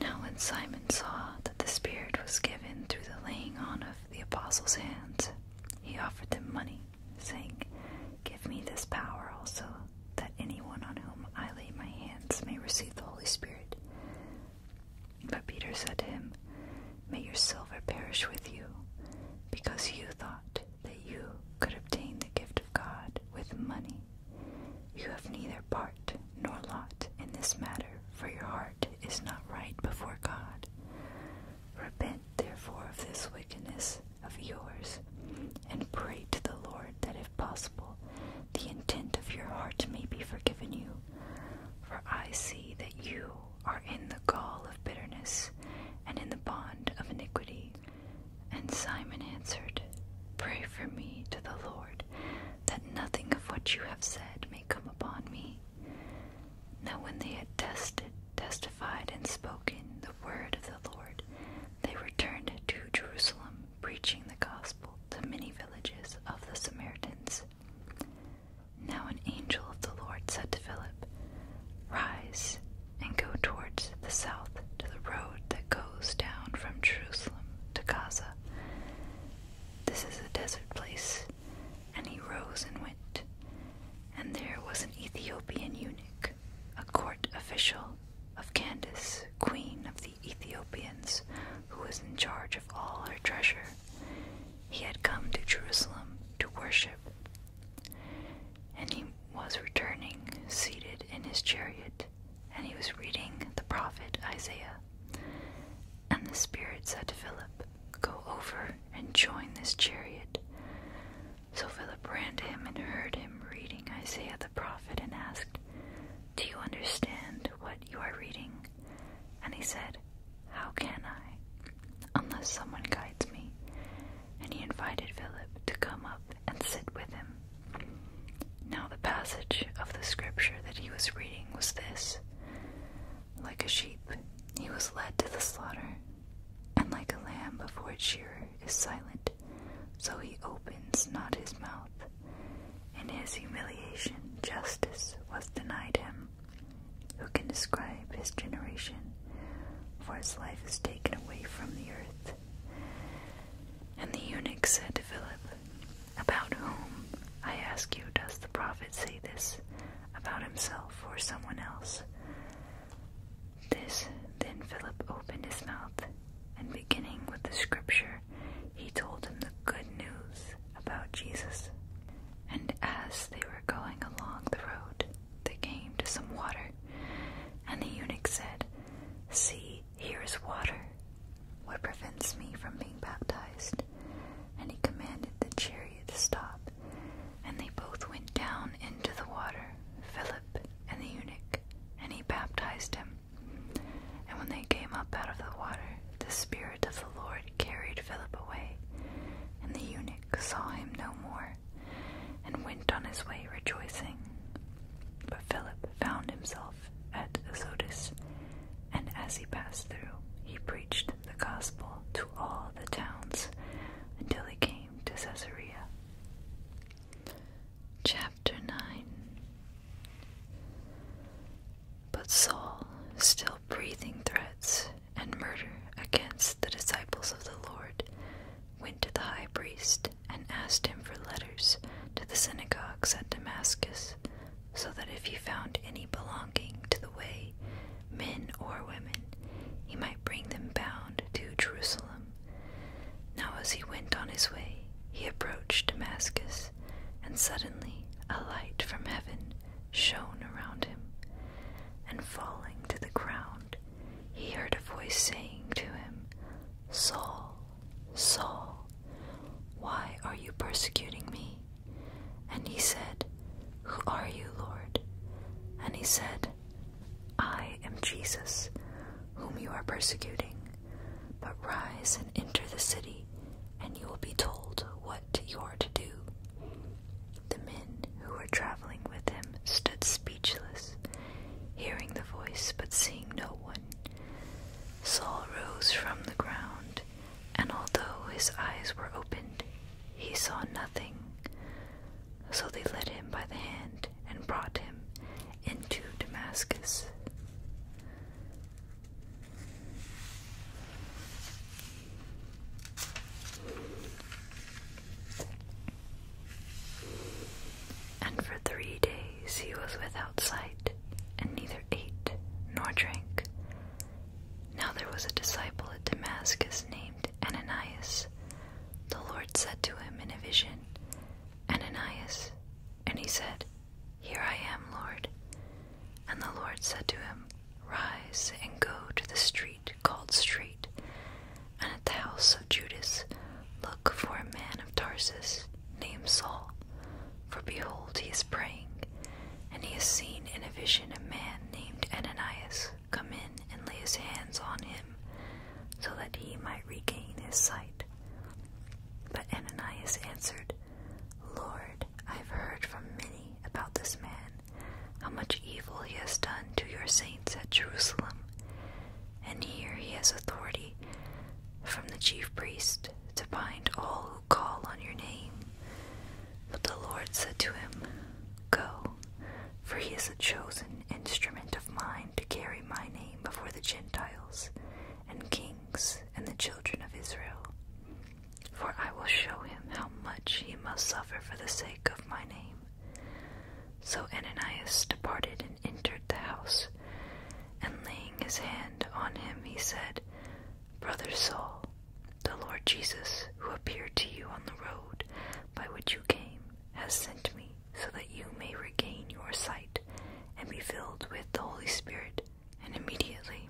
Now, when Simon saw that the Spirit was given through the laying on of the apostles' hands, he offered them money, saying, Give me this power also, that anyone on whom I lay my hands may receive the Holy Spirit. But Peter said to him, May your silver perish with you, because you thought that you could obtain the gift of God with money. You have neither part nor lot in this matter, for your heart is not right before God. Repent, therefore, of this wickedness of yours, and pray to the Lord that, if possible, the intent of your heart may be forgiven you. For I see that you are in the gall of bitterness and in the bond of iniquity. And Simon answered, Pray for me to the Lord, that nothing of what you have said may come upon me. Now when they had tested, testified, and spoken the word of the Lord, they returned to Jerusalem, preaching the gospel to many villages of the Samaritans. Now an angel of the Lord said to Philip, Rise and go towards the south to the road that goes down from Jerusalem to Gaza. This is a desert place. And he rose and went. And there was an Ethiopian eunuch, a court official of Candace, queen of the Ethiopians, who was in charge of all her treasure. He had come to Jerusalem to worship, and he was returning, seated in his chariot, and he was reading the prophet Isaiah. And the Spirit said to Philip, Go over and join this chariot. So Philip ran to him and heard him reading Isaiah the prophet and asked, Do you understand what you are reading? And he said, How can I, unless someone guides me? And he invited Philip to come up and sit with him. Now, the passage of the scripture that he was reading was this Like a sheep, he was led to the slaughter, and like a lamb before its shearer is silent, so he opens not his mouth. In his humiliation, justice was denied him. Who can describe his generation? For his life is taken away from the earth. And the eunuch said to Philip, About whom, I ask you, does the prophet say this? About himself or someone else? This then Philip opened his mouth, and beginning with the scripture, he told him the good news about Jesus and as they were going along the road, they came to some water, and the eunuch said, See, here is water. What prevents me from being baptized? And he commanded the chariot to stop, and they both went down into the water, Philip and the eunuch, and he baptized him. And when they came up out of the water, the Spirit Spirit the Lord carried Philip away, and the eunuch saw him no more, and went on his way rejoicing. But Philip found himself at Azotus, and as he passed through, he preached the gospel to all the towns until he came to Caesarea. Chapter 9 But Saul, still breathing threats, and murder against the disciples of the Lord, went to the high priest and asked him for letters to the synagogues at Damascus, so that if he found any belonging to the way, men or women, he might bring them bound to Jerusalem. Now, as he went on his way, he approached Damascus, and suddenly a light from heaven shone around him and falling to the ground, he heard a voice saying to him, Saul, Saul, why are you persecuting me? And he said, Who are you, Lord? And he said, I am Jesus, whom you are persecuting. But rise and enter the city, and you will be told what you are to do. The men who were traveling with him stood speechless, hearing the voice but seeing no one. Saul rose from the ground, and although his eyes were opened, he saw nothing. So they led him by the hand and brought him into Damascus. And for three days he was without sight, and neither ate nor drank. Now there was a disciple at Damascus named Ananias. The Lord said to him in a vision, Ananias. And he said, Here I am, Lord. And the Lord said to him, Rise and go to the street called Street, and at the house of Judas look for a man of Tarsus named Saul, for behold, he is praying, and he has seen in a vision a man named Ananias come in and lay his hands on him, so that he might regain his sight. But Ananias answered, Lord, I have heard from many about this man how much evil he has done to your saints at Jerusalem. And here he has authority from the chief priest to bind all who call on your name. But the Lord said to him, Go, for he is a chosen instrument of mine to carry my name before the Gentiles and kings and the children of Israel. For I will show him how much he must suffer for the sake of my name. So Ananias departed and entered the house, and laying his hand on him, he said, Brother Saul, the Lord Jesus, who appeared to you on the road by which you came, has sent me so that you may regain your sight and be filled with the Holy Spirit. And immediately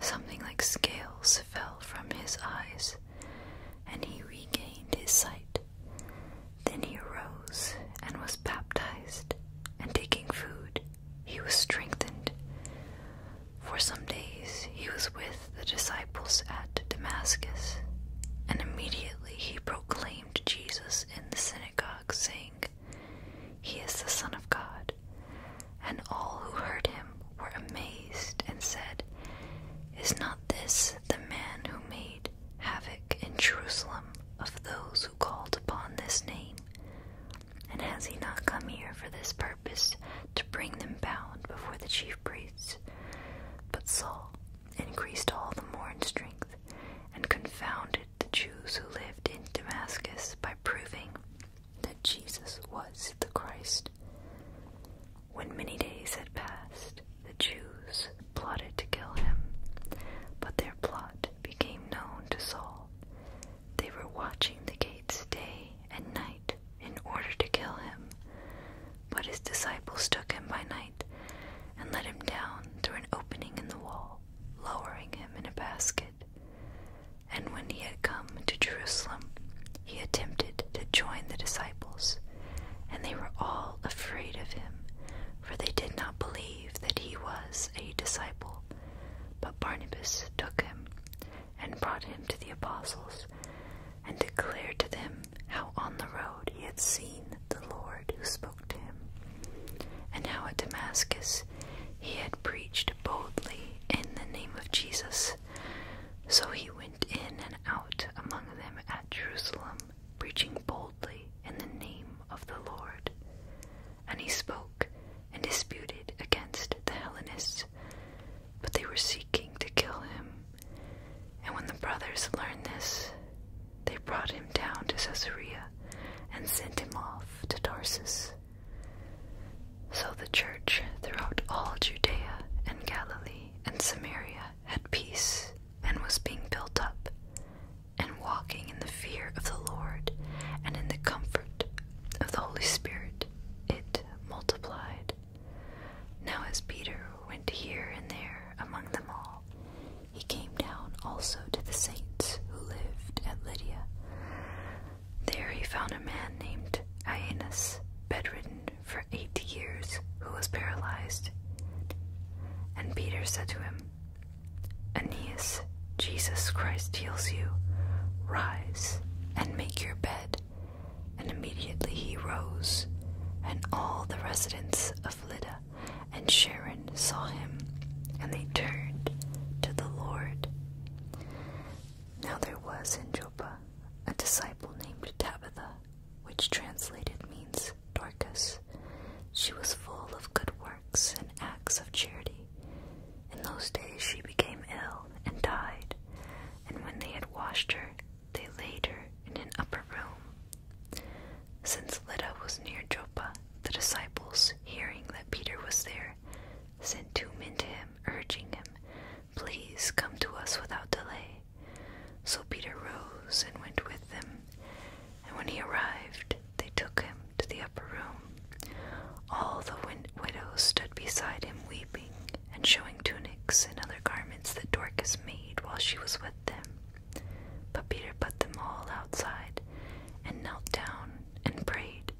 Something like scales fell from his eyes, and he regained his sight. Then he arose and was baptized, and taking food, he was strengthened. For some days he was with the disciples at Damascus, and immediately he proclaimed Jesus in the synagogue, saying, He is the Son of God and all who heard him were amazed and said, Is not this the man who made havoc in Jerusalem of those who called upon this name? And has he not come here for this purpose, to bring them bound before the chief priests? But Saul increased all the more in strength, and confounded the Jews who lived in Damascus by proving that Jesus was the Christ. When many days had passed, the Jews plotted to kill him, but their plot became known to Saul. They were watching the gates day and night in order to kill him, but his disciples took him by night and let him down through an opening in the wall, lowering him in a basket. And when he had come to Jerusalem, he attempted to join the disciples, and they were all afraid of him, for they did not believe that he was a disciple. But Barnabas took him and brought him to the apostles, and declared to them how on the road he had seen the Lord who spoke to him, and how at Damascus he had preached boldly in the name of Jesus. So he went in and out among them at Jerusalem, preaching boldly in the name of the Lord. And he spoke and disputed against the Hellenists, but they were seeking to kill him. And when the brothers learned this, they brought him down to Caesarea and sent him off to Tarsus. So the church throughout all Judea and Galilee and Samaria had peace and was being built up and walking in the fear of the Lord and in the comfort of the Holy Spirit. It multiplied. Now, as Peter went here and there among them all, he came down also to the saints who lived at Lydia. There he found a man named Aeneas, bedridden for eight years who was paralyzed. And Peter said to him, Aeneas, Jesus Christ heals you. Rise and make your bed. And immediately he rose, and all the residents of Lydda and Sharon saw him, and they turned to the Lord. Now there was in Joppa a disciple named Tabitha, which translated means Dorcas. She was full of good works and acts of charity. In those days she became ill and died, and when they had washed her, they laid her in an upper room. Since Lydda was near Joppa, the disciples, hearing that Peter was there, sent two men to him, urging him Please come to us without delay. So Peter rose and went with them, and when he arrived, they took him to the upper room. All the widows stood beside him, weeping and showing tunics and other garments that Dorcas made while she was with them. But Peter put them all outside and knelt down and prayed.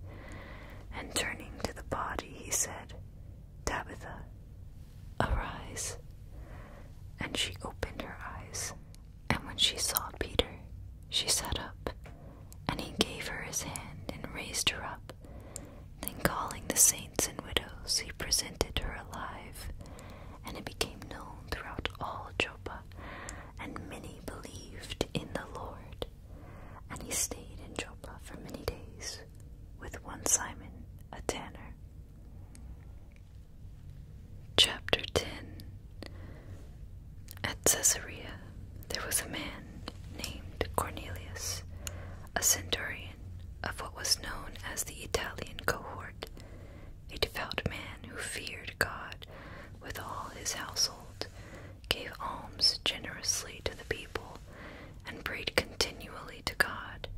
And turning to the body, he said, Tabitha, arise. And she opened her eyes, and when she saw Peter, she sat up, and he gave her his hand and raised her up. Then, calling the saints and widows, he presented her alive, and it became known throughout all Joppa, and many believed in the Lord. And he stayed in Joppa for many days with one Simon, a tanner. Chapter 10 At Caesarea there was a man named Cornelius, a centurion of what was known as the Italian cohort, a devout man who feared God with all his household, gave alms generously to the people, and prayed continually to God.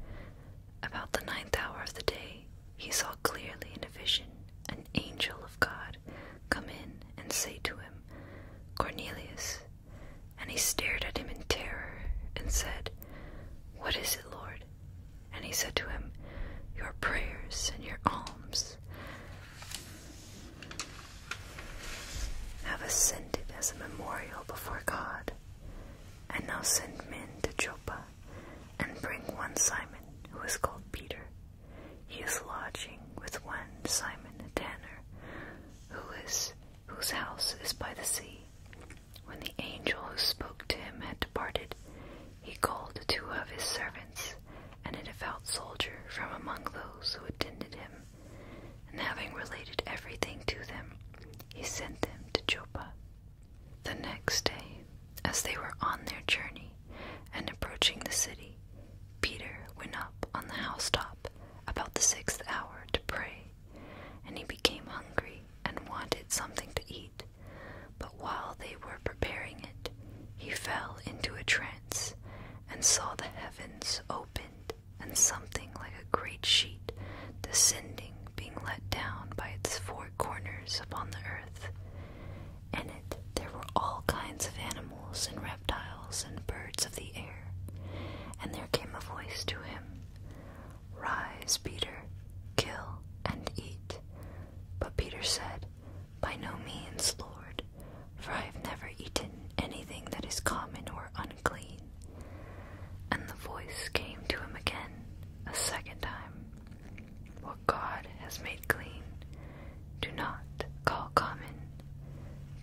About the ninth hour of the day, he saw clearly in a vision an angel of God come in and say to him, Cornelius. And he stared at him in terror and said, What is it, Lord? And he said to him, Your prayers and your alms have ascended as a memorial before God. And now send men to Joppa, and bring one Simon, who is called Peter. He is lodging with one Simon the tanner, who is whose house is by the sea. When the angel who spoke to him had departed, he called two of his servants and a devout soldier from among those who attended him, and having related everything to them, he sent them to Joppa. The next day, as they were on their journey and approaching the city, Peter went up on the housetop about the sixth hour to pray, and he became hungry and wanted something to eat. But while they were preparing it, he fell into a trance and saw the heavens opened and something like a great sheet descending, being let down by its four corners upon the earth. In it there were all kinds of animals and reptiles and birds of the air. And there came a voice to him Rise, Peter, kill and eat. But Peter said, By no means, Lord, for I have never eaten anything that is common or unclean. And the voice came to him again, a second time. What God has made clean, do not call common.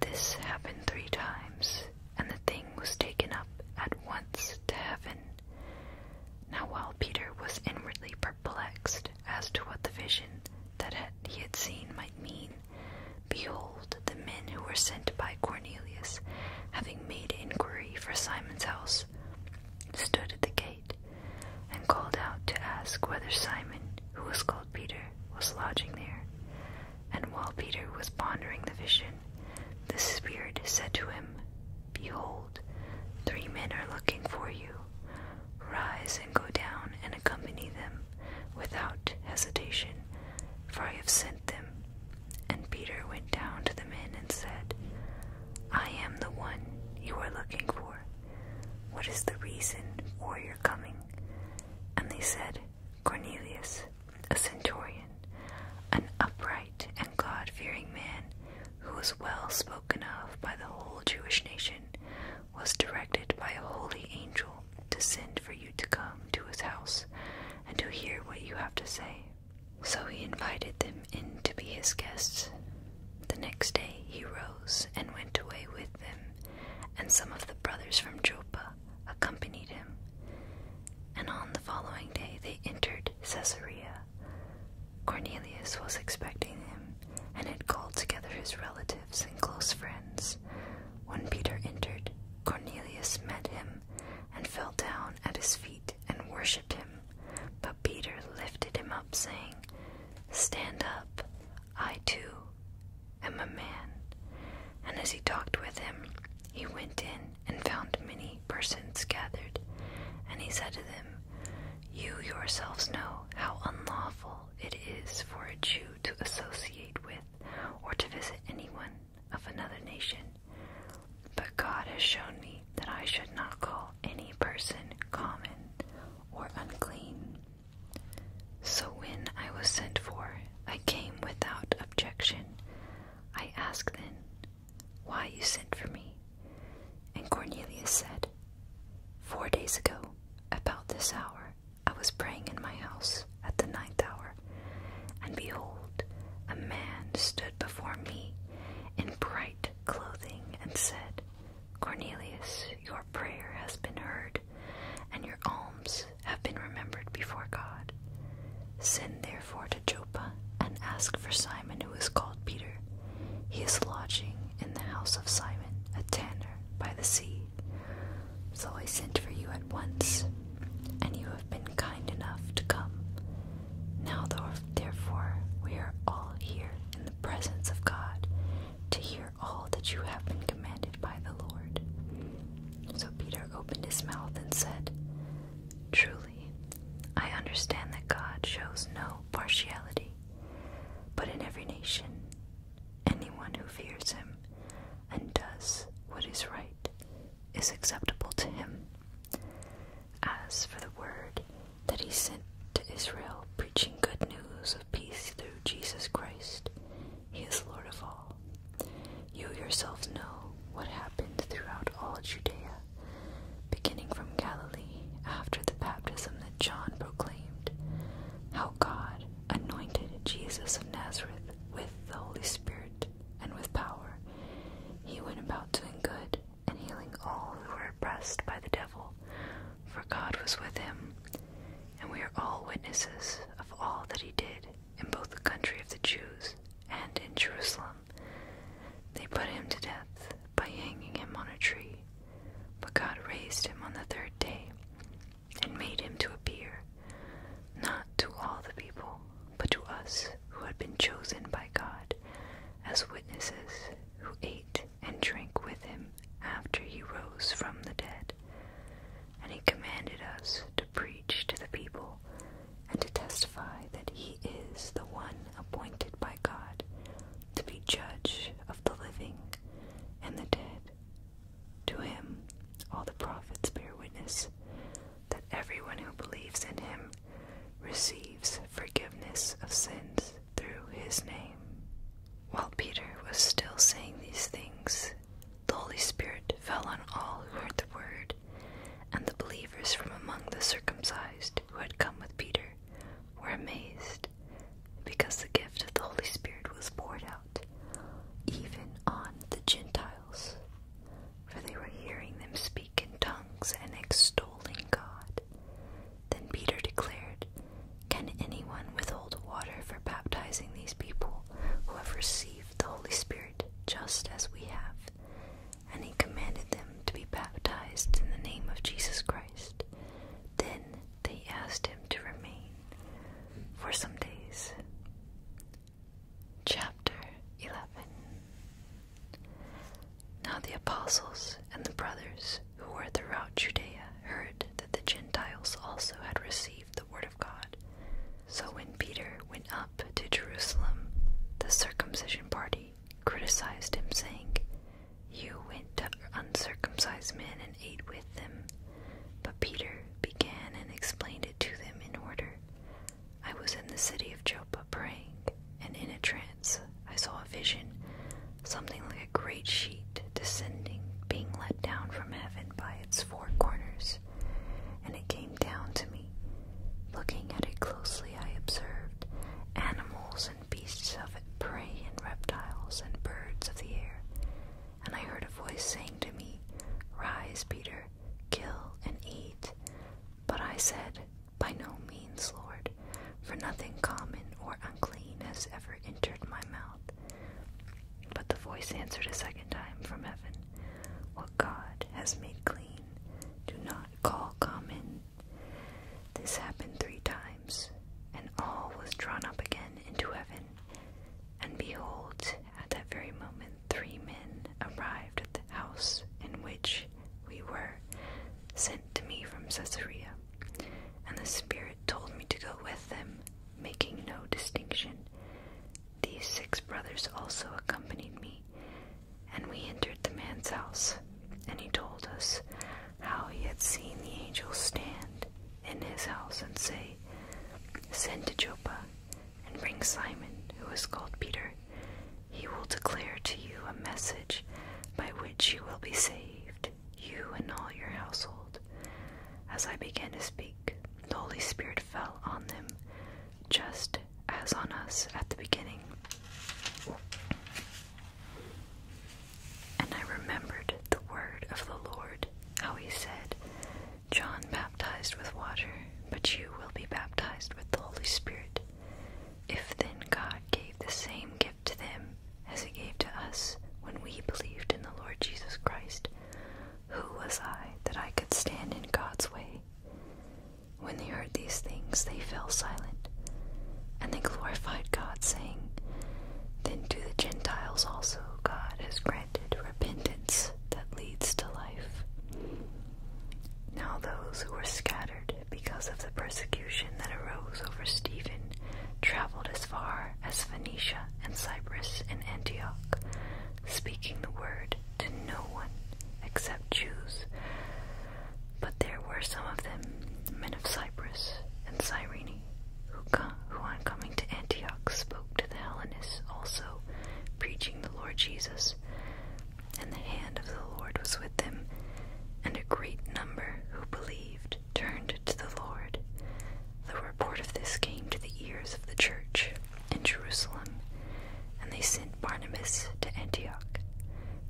This happened three times, and the thing was taken up at once to heaven. Now, while Peter was inwardly perplexed as to what the vision that he had seen might mean, Behold, the men who were sent by Cornelius, having made inquiry for Simon's house, stood at the gate, and called out to ask whether Simon, who was called Peter, was lodging there. And while Peter was pondering the vision, the Spirit said to him, Behold, three men are looking for you. Rise and go down and accompany them without hesitation, for I have sent them. And Peter went down to the men and said, I am the one you are looking for. What is the reason for your coming? And they said, Cornelius, a centurion, an upright and God fearing man, who was well spoken of by the whole Jewish nation, was directed by a holy angel to send for you to come to his house and to hear what you have to say. So he invited them in to be his guests. The next day he rose and went away with them, and some of the brothers from Joppa accompanied him. And on the following day they entered Caesarea. Cornelius was expecting him, and had called together his relatives and close friends. When Peter entered, Cornelius met him and fell down at his feet and worshipped him. But Peter lifted him up, saying, Stand up, I too am a man. And as he talked with him, he went in and found many persons gathered. And he said to them, You yourselves know how unlawful it is for a Jew to associate with or to visit anyone of another nation. But God has shown me that I should not call any person common or unclean. So when I was sent for, I came without objection. I asked then, Why you sent for me? And Cornelius said, Four days ago, about this hour, I was praying in my house at the ninth hour, and behold, a man stood before me in bright clothing and said, Cornelius, your prayer has been heard, and your alms have been remembered before God. Send therefore to Joppa and ask for Simon, who is called Peter. He is lodging in the house of Simon, a tanner by the sea. So I sent for you at once, and you have been kind enough to come. Now, therefore, we are all here in the presence of God to hear all that you have been commanded by the Lord. So Peter opened his mouth and said, Truly, I understand that God shows no partiality, but in every nation, anyone who fears him and does what is right is acceptable to him. As for the word that he sent to Israel, preaching good news of peace through Jesus Christ, he is Lord of all. You yourselves know what happened throughout all Judea, beginning from Galilee after the baptism that John proclaimed, how God anointed Jesus of Nazareth with the Holy Spirit and with power, he went about doing good and healing all who were oppressed by the devil, for God was with him. And we are all witnesses of all that he did in both the country of the Jews and in Jerusalem. They put him to death by hanging him on a tree, but God raised him on the third day and made him to appear not to all the people, but to us who had been chosen by God as witnesses, who ate and drank with him after he rose from the dead. And he commanded us to preach to the people and to testify that he is the one appointed by God to be judge of the living and the dead. To him all the prophets bear witness that everyone who believes in him receives forgiveness of sins through his name. While Peter was still saying these things, the Holy Spirit fell on all who heard the word, and the believers from among the circumcised who had come with Peter were amazed, because the gift of the Holy Spirit was poured out even on the Gentiles for they were hearing them speak in tongues and extolling God. Then Peter declared, Can anyone withhold water for baptizing these people who have received the Holy Spirit just as we have? And he commanded them to be baptized in the name of Jesus Christ. Then they asked him to remain for some days. Chapter 11 Now the apostles and the brothers who were throughout Judea heard that the Gentiles also had received the word of God. So when Peter went up to Jerusalem, the circumcision party criticized him, saying, You went to uncircumcised men and ate with them. But Peter began and explained it to them in order. I was in the city of Joppa praying, and in a trance I saw a vision, something like a great sheet descending, being let down from heaven by its four corners. And it came down to me. Looking at it closely, I observed animals and beasts of it, prey and reptiles and birds of the air. And I heard a voice saying to me, Rise, Peter, kill and eat. But I said, By no means, Lord, for nothing common or unclean has ever entered my mouth. But the voice answered a second time from heaven, What God has made clean, do not call common. This happened three times, and all was drawn up again into heaven. And behold, at that very moment, three men arrived at the house in which we were sent to me from Caesarea, and the Spirit told me to go with them, making no distinction. These six brothers also accompanied me, and we entered the man's house, and he told us how he had seen the angel stand in his house and say, Send to Joppa and bring Simon, who is called Peter. He will declare to you a message by which you will be saved, you and all your household. As I began to speak, the Holy Spirit fell on them, just as on us at the beginning. And I remembered the word of the Lord, how he said, John baptized with water, but you will be baptized with the Holy Spirit. If then God gave the same gift to them as He gave to us when we believed in the Lord Jesus Christ, who was I that I could stand in God's way? When they heard these things, they fell silent, and they glorified God, saying, Then to the Gentiles also God has granted repentance that leads to life. Now those who were scattered because of the persecution that arose over Stephen traveled as far as Phoenicia and Cyprus and Antioch, speaking the word to no one except Jews. But there were some of them, men of Cyprus and Cyrene, who, on coming to Antioch spoke to the Hellenists also, preaching the Lord Jesus and the hand of the Lord was with them, and a great number who believed turned to the Lord. The report of this came to the ears of the church in Jerusalem, and they sent Barnabas to Antioch.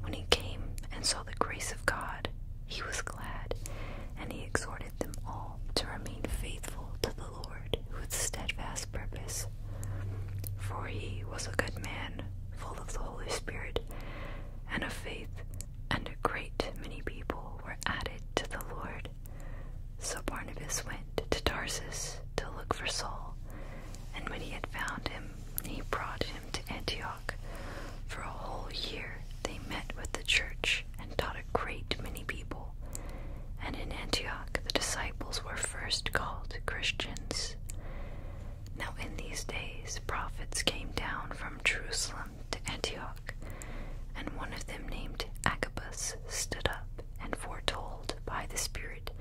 When he came and saw the grace of God, he was glad, and he exhorted them all to remain faithful to the Lord. Lord with steadfast purpose. For he was a good man, full of the Holy Spirit and of faith, and a great many people were added to the Lord. So Barnabas went to Tarsus to look for Saul, and when he had found him, he brought him to Antioch. For a whole year they met with the church and taught a great many people. And in Antioch the disciples were first called Christians. Now, in these days, prophets came down from Jerusalem to Antioch, and one of them, named Agabus, stood up and foretold by the Spirit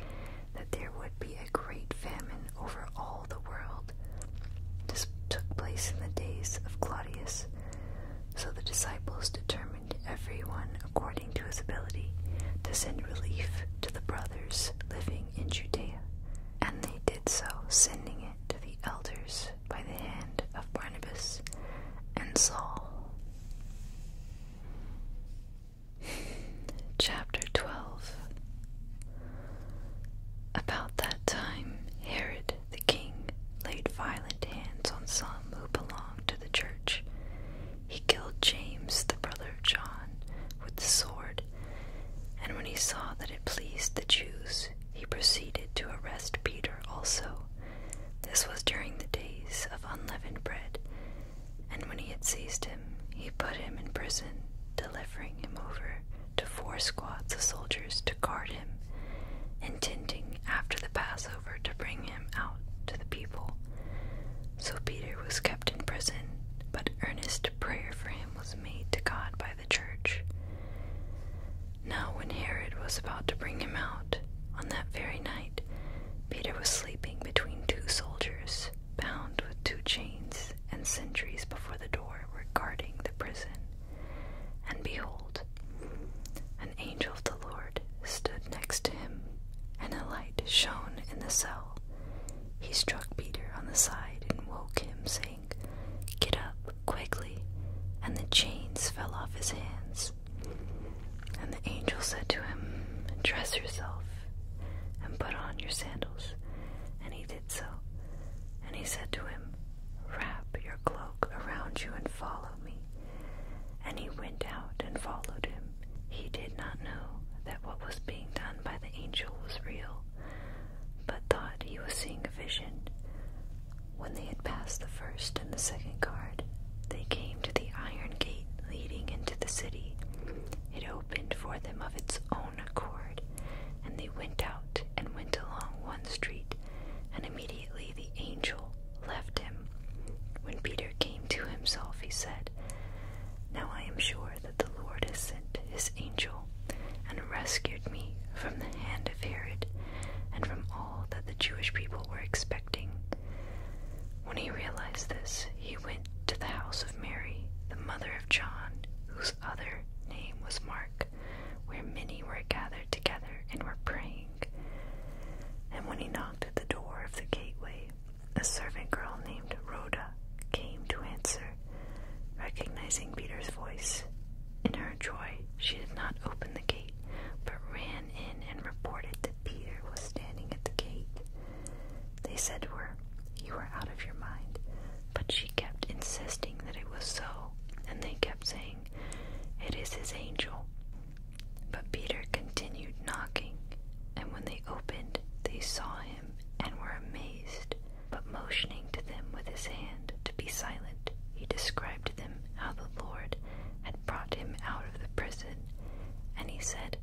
that there would be a great famine over all the world. This took place in the days of Claudius. So the disciples determined everyone according to his ability, to send relief to the brothers living in Judea. And they did so, sending it to the elders by the hand of Barnabas and Saul. Chapter 12 About that time, Herod the king laid violent hands on some who belonged to the church he killed James, the brother of John, with the sword, and when he saw that it pleased the Jews, he proceeded to arrest Peter also. This was during the days of unleavened bread, and when he had seized him, he put him in prison, delivering him over to four squads of soldiers to guard him, intending after the Passover to bring him out to the people. So Peter was kept in prison, but earnest prayer for him was made to God by the church. Now, when Herod was about to bring him out, on that very night, Peter was sleeping between two soldiers, bound with two chains, and sentries before the door were guarding the prison. And behold, an angel of the Lord stood next to him, and a light shone in the cell. He struck Peter on the side and woke him, saying, Get up quickly. And the chains fell off his hands. And the angel said to him, Dress yourself and put on your sandals. And he did so. And he said to him, Wrap your cloak around you and follow me. And he went out and followed him. He did not know that what was being done by the angel was real, but thought he was seeing a vision. When they had passed the first and the second guard, they came to the iron gate leading into the city. It opened for them of its own accord, and they went out and went along one street, and immediately the angel left him. When Peter came to himself, he said, now I am sure that the Lord has sent his angel and rescued me from the hand of Herod and from all that the Jewish people were expecting. When he realized this, he went to the house of Mary, the mother of John, whose other name was Mark, where many were gathered together and were praying. And when he knocked at the door of the gateway, a servant girl named Rhoda came to answer, recognizing Peter's voice. In her joy, she did not open the gate, but ran in and reported that Peter was standing at the gate. They said to her, You are out of your mind, but she kept insisting that it was so, and they kept saying, It is his angel. But Peter continued knocking, and when they they opened, they saw him and were amazed. But motioning to them with his hand to be silent, he described to them how the Lord had brought him out of the prison. And he said,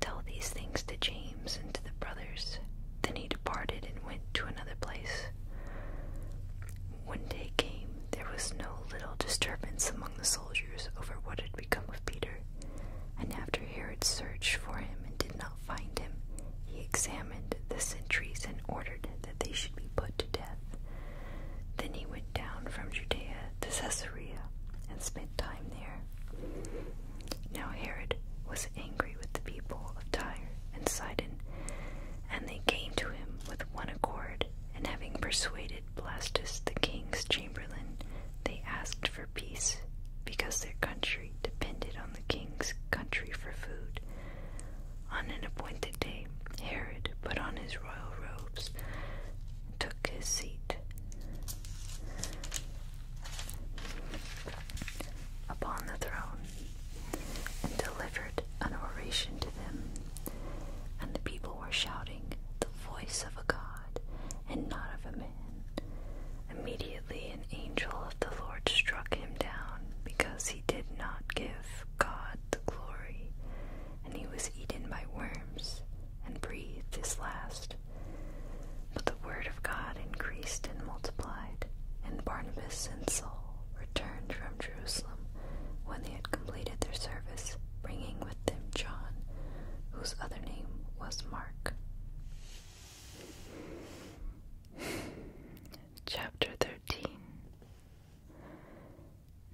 Tell these things to James and to the brothers. Then he departed and went to another place. When day came, there was no little disturbance among the soldiers over what had had of Peter. And after Herod searched for him and did not find him, he examined the sentries and ordered that they should be put to death. Then he went down from Judea to Caesarea and spent time there. Now Herod was angry with the people of Tyre and Sidon, and they came to him with one accord, and having persuaded Blastus the king's chamberlain, they asked for peace because their country depended on the king's country for food. On an appointed day, Herod put on his royal robes took his seat. Upon the throne, and delivered an oration to them. And the people were shouting, The voice of a god, and not of a man, Immediately an angel of the Lord struck him down because he did not give God the glory, and he was eaten by worms and breathed his last. But the word of God increased and multiplied, and Barnabas and Saul returned from Jerusalem when they had completed their service, bringing with them John, whose other name was Mark. Chapter 13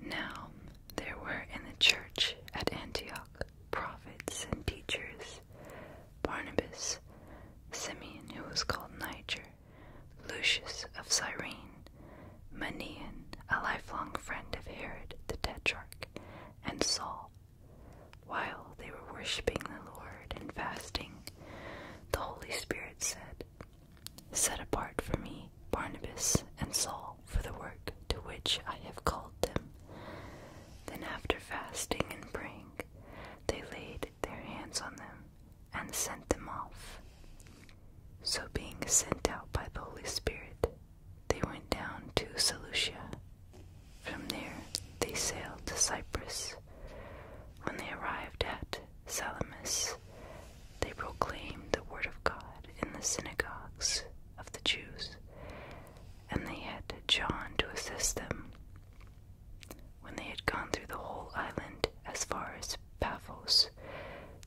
Now there were in the church at Antioch prophets and teachers Barnabas, Simeon, who was called Niger, Lucius of Cyrene, Manian, a lifelong friend of Herod the Tetrarch, and Saul. While they were worshipping the Lord and fasting, the Holy Spirit said, Set apart for me Barnabas and Saul for the work to which I have called them. Then, after fasting and praying, they laid their hands on them and sent them off. So, being sent out by the Holy Spirit, they went down to Seleucia. From there, they sailed to Cyprus. When they arrived at Salamis, they proclaimed the word of God in the synagogues of the Jews, and they had John to assist them. When they had gone through the whole island as far as Paphos,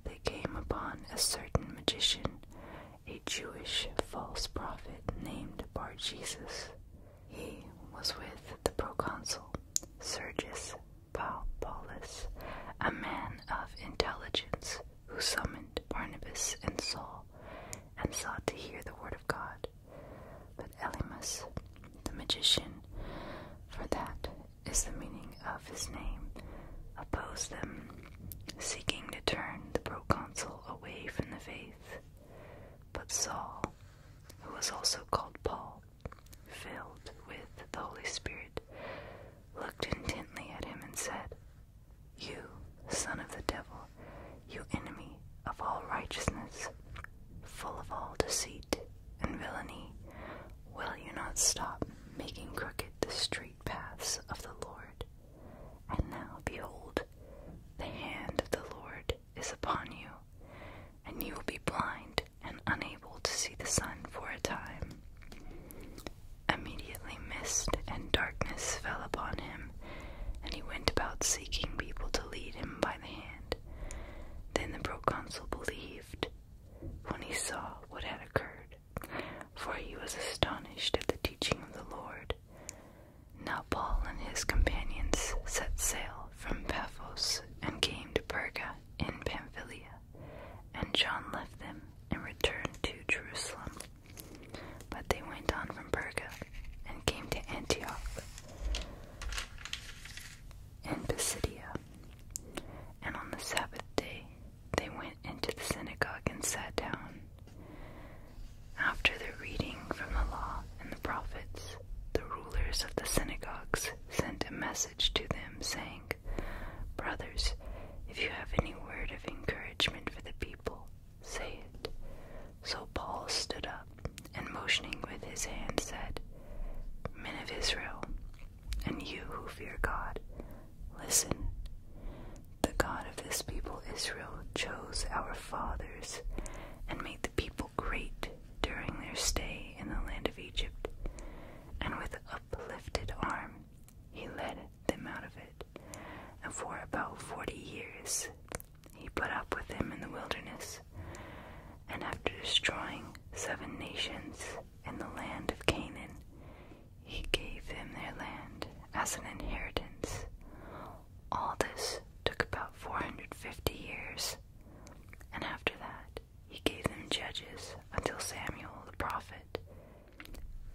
they came upon a certain magician a Jewish false prophet named Bar Jesus. He was with the proconsul Sergius Paulus, a man of intelligence who summoned Barnabas and Saul and sought to hear the word of God. But Elymas, the magician, for that is the meaning of his name, opposed them, seeking to turn the proconsul away from the faith. But Saul, who was also called Paul, filled with the Holy Spirit, looked intently at him and said, You, son of the devil, you enemy of all righteousness, full of all deceit and villainy, will you not stop making crooked the straight paths of the Lord? And now, behold, the hand of the Lord is upon you, and you will be blind and unable to see the sun for a time. Immediately, mist and darkness fell upon him, and he went about seeking people to lead him by the hand. Then the proconsul believed when he saw what had occurred, for he was astonished at the teaching of the Lord, now Paul and his companions set sail from Paphos and came to Perga in Pamphylia, and John left them and returned to Jerusalem. But they went on from Perga and came to Antioch and Pisidia. And on the Sabbath day they went into the synagogue and sat down, after the reading from the law and the prophets, the rulers of the synagogues sent a message to them, saying, Brothers, if you have any word of encouragement for the people, say it. So Paul stood up and motioning with his hand said, Men of Israel, and you who fear God, listen. The God of this people Israel chose our fathers and made the people great during their stay in the land of Egypt, and with uplifted arm he led them out of it. And for about forty years he put up with them in the wilderness. And after destroying seven nations in the land of Canaan, he gave them their land as an inheritance, all this took about 450 years, and after that he gave them judges until Samuel the prophet.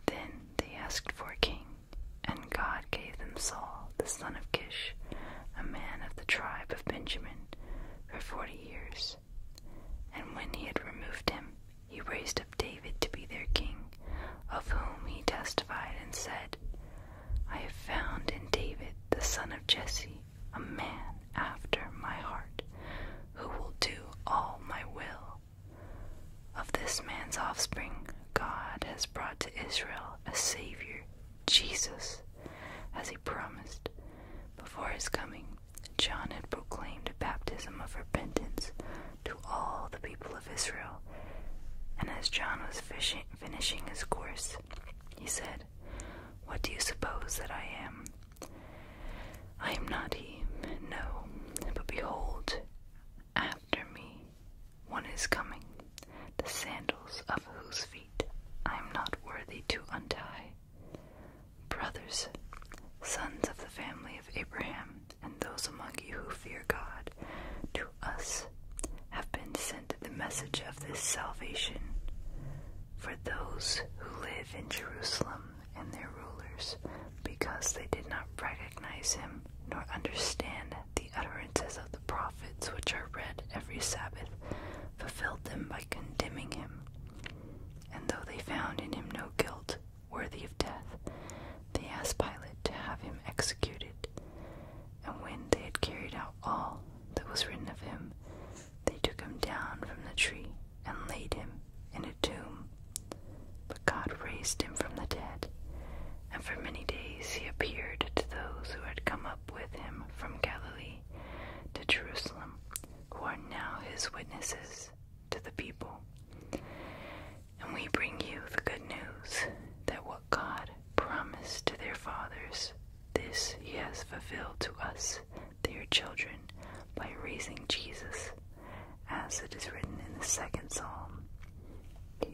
Then they asked for a king, and God gave them Saul, the son of Kish, a man of the tribe of Benjamin, for forty years. And when he had removed him, he raised up David to be their king, of whom he testified and said, I have found in David the son of Jesse a man after my heart, who will do all my will. Of this man's offspring, God has brought to Israel a Savior, Jesus, as he promised. Before his coming, John had proclaimed a baptism of repentance to all the people of Israel. And as John was finishing his course, he said, What do you suppose that I am? I am not he, no, but behold, after me one is coming, the sandals of whose feet I am not worthy to untie. Brothers, sons of the family of Abraham, and those among you who fear God, to us have been sent the message of this salvation. For those who live in Jerusalem and their rulers, because they did not recognize him nor understand the utterances of the prophets which are read every Sabbath, fulfilled them by condemning him. And though they found in him no guilt worthy of death, they asked Pilate to have him executed, and when they had carried out all that was written of him, they took him down from the tree and laid him in a tomb. But God raised him from the dead, and for many days he appeared to those who had come up with him from Galilee to Jerusalem, who are now his witnesses to the people. And we bring you the good news that what God promised to their fathers, this He has fulfilled to us, their children, by raising Jesus, as it is written in the second psalm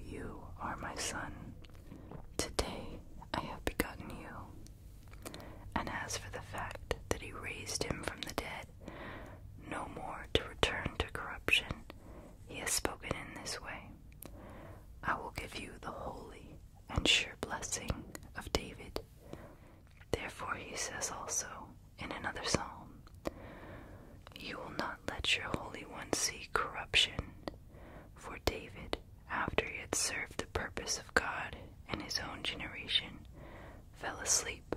You are my Son. Today I have begotten you. And as for the fact that He raised Him from the dead, no more to return to corruption, He has spoken in this way. I will give you the holy and sure blessing of David. Therefore, he says also in another psalm, You will not let your Holy One see corruption. For David, after he had served the purpose of God in his own generation, fell asleep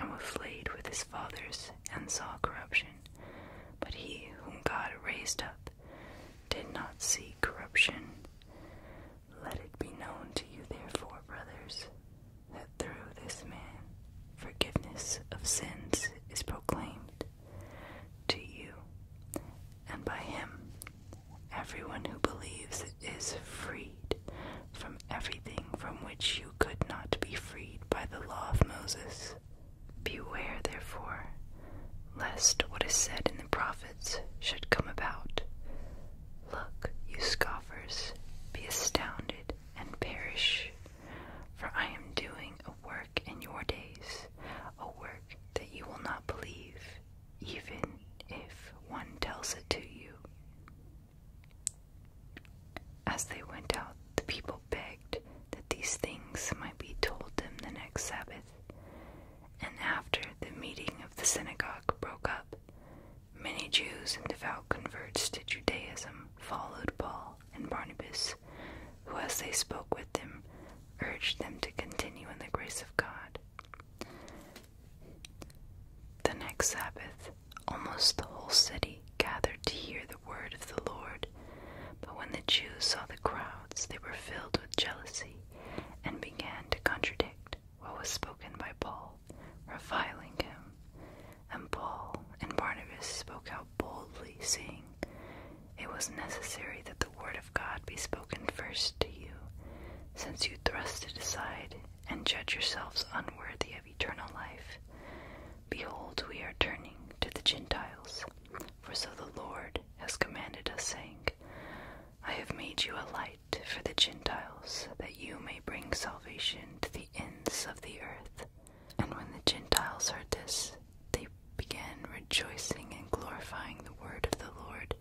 and was laid with his fathers and saw corruption. But he whom God raised up did not see corruption. Let it be known to you, therefore, brothers, that through this man forgiveness of sins is proclaimed to you, and by him everyone who believes is freed from everything from which you could not be freed by the law of Moses. Beware, therefore, lest what is said in the prophets should come about. Look, you scoffers, be astounded and perish, for I am doing a work in your days, a work that you will not believe, even if one tells it to you. As they went out, the people begged that these things might be told them the next Sabbath. And after the meeting of the synagogue broke up, many Jews and devout converts to Judaism followed Paul and Barnabas, who, as they spoke with them, urged them to continue in the grace of God. The next Sabbath, almost the whole city gathered to hear the word of the Lord. But when the Jews saw the crowds, they were filled with jealousy and began to contradict what was spoken by Paul, reviling him. And Paul and Barnabas spoke out boldly, saying, It was necessary that the word of God be spoken first to you, since you thrust it aside and judge yourselves unworthy of eternal life. Behold, we are turning to the Gentiles. For so the Lord has commanded us, saying, I have made you a light for the Gentiles, that you may bring salvation to the ends of the earth. And when the Gentiles heard this, they began rejoicing and glorifying the word of the Lord.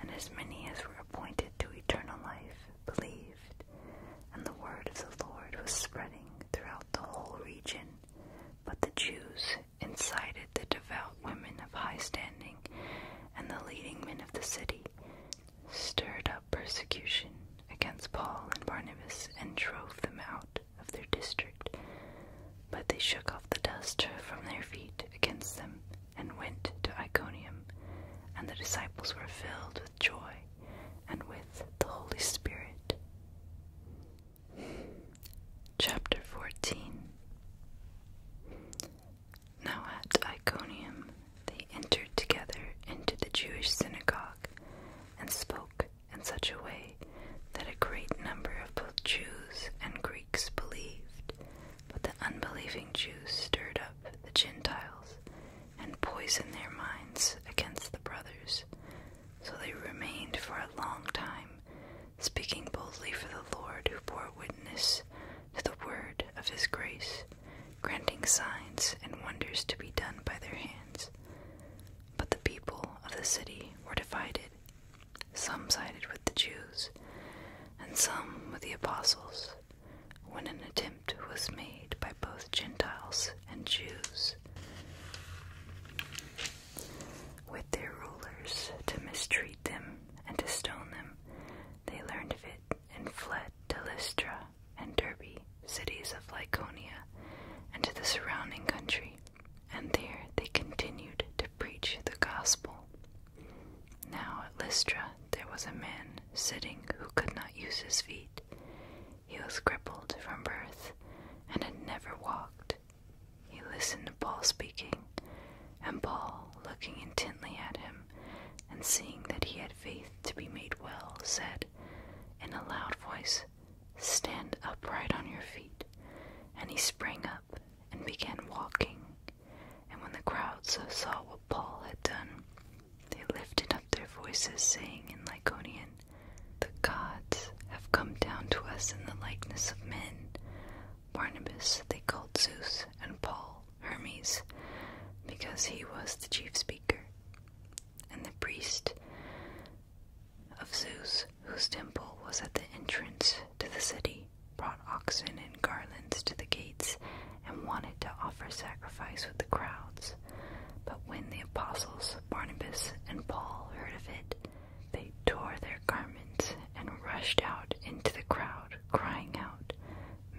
And as many as were appointed to eternal life believed, and the word of the Lord was spreading throughout the whole region. But the Jews incited the devout women of high standing and the leading men of the city, stirred up persecution against Paul and Barnabas, and drove them out of their district. But they shook off the dust from their feet against them and went to Iconium, and the disciples were filled with joy and with the Holy Spirit. Chapter 14 Now at Iconium they entered together into the Jewish synagogue and spoke in such a way that a great number of both Jews and Greeks believed, but the unbelieving Jews stirred up the Gentiles and poisoned their minds against the brothers so they remained for a long time, speaking boldly for the Lord, who bore witness to the word of his grace, granting signs and wonders to be done by their hands. But the people of the city were divided. Some sided with the Jews, and some with the apostles, when an attempt was made by both Gentiles and Jews with their rulers to mistreat them and to stone them, they learned of it and fled to Lystra and Derbe, cities of Lycaonia, and to the surrounding country, and there they continued to preach the gospel. Now at Lystra there was a man sitting who could not use his feet. He was crippled from birth and had never walked. He listened to Paul speaking, and Paul, looking intently at him and seeing that he had faith to be made well, said in a loud voice, Stand upright on your feet. And he sprang up and began walking. And when the crowds saw what Paul had done, they lifted up their voices, saying in Lyconian, the gods have come down to us in the likeness of men. Barnabas they called Zeus, and Paul Hermes, because he was the chief speaker. And the priest of Zeus, whose temple was at the entrance to the city, brought oxen and garlands to the gates and wanted to offer sacrifice with the crowds. But when the apostles Barnabas and Paul heard of it, they tore their garments and rushed out into the crowd, crying out,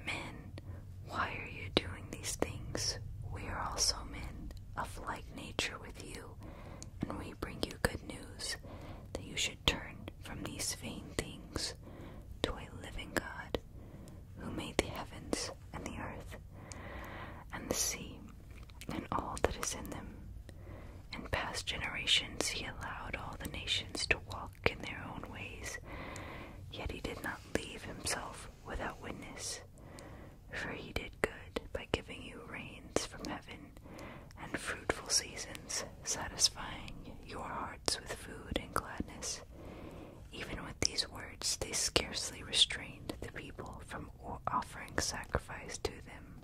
Men, why are you doing these things? We are also men of like nature with you, and we bring you good news that you should turn from these vain things to a living God who made the heavens and the earth and the sea and all that is in them. In past generations, he allowed all the nations to walk in their own ways, yet he did not leave himself without witness. For he did good by giving you rains from heaven and fruitful seasons, satisfying your hearts with food and gladness. Even with these words, they scarcely restrained the people from or offering sacrifice to them.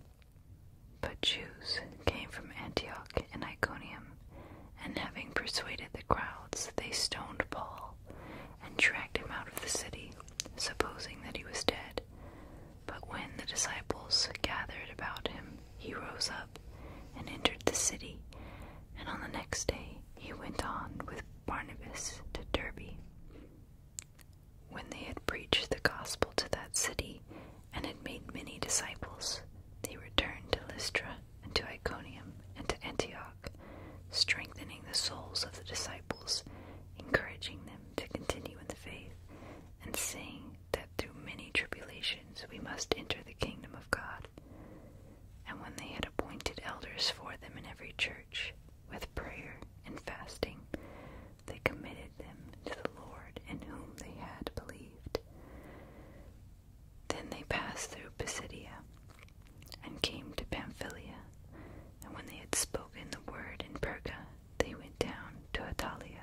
But Jews came from Antioch and Iconium, and having persuaded the crowds, they stoned Paul and dragged him out of the city, supposing that he was dead. But when the disciples gathered about him, he rose up and entered the city, and on the next day he went on with Barnabas to Derbe. When they had preached the gospel to that city and had made many disciples, they returned to Lystra and to Iconium and to Antioch, strengthening the souls of the disciples, encouraging them to continue in the faith, and saying that through many tribulations we must enter the kingdom of God. And when they had appointed elders for them in every church, with prayer and fasting, they committed them to the Lord in whom they had believed. Then they passed through Pisidia and came to Pamphylia, and when they had spoken the word in Perga, they went down to Italia,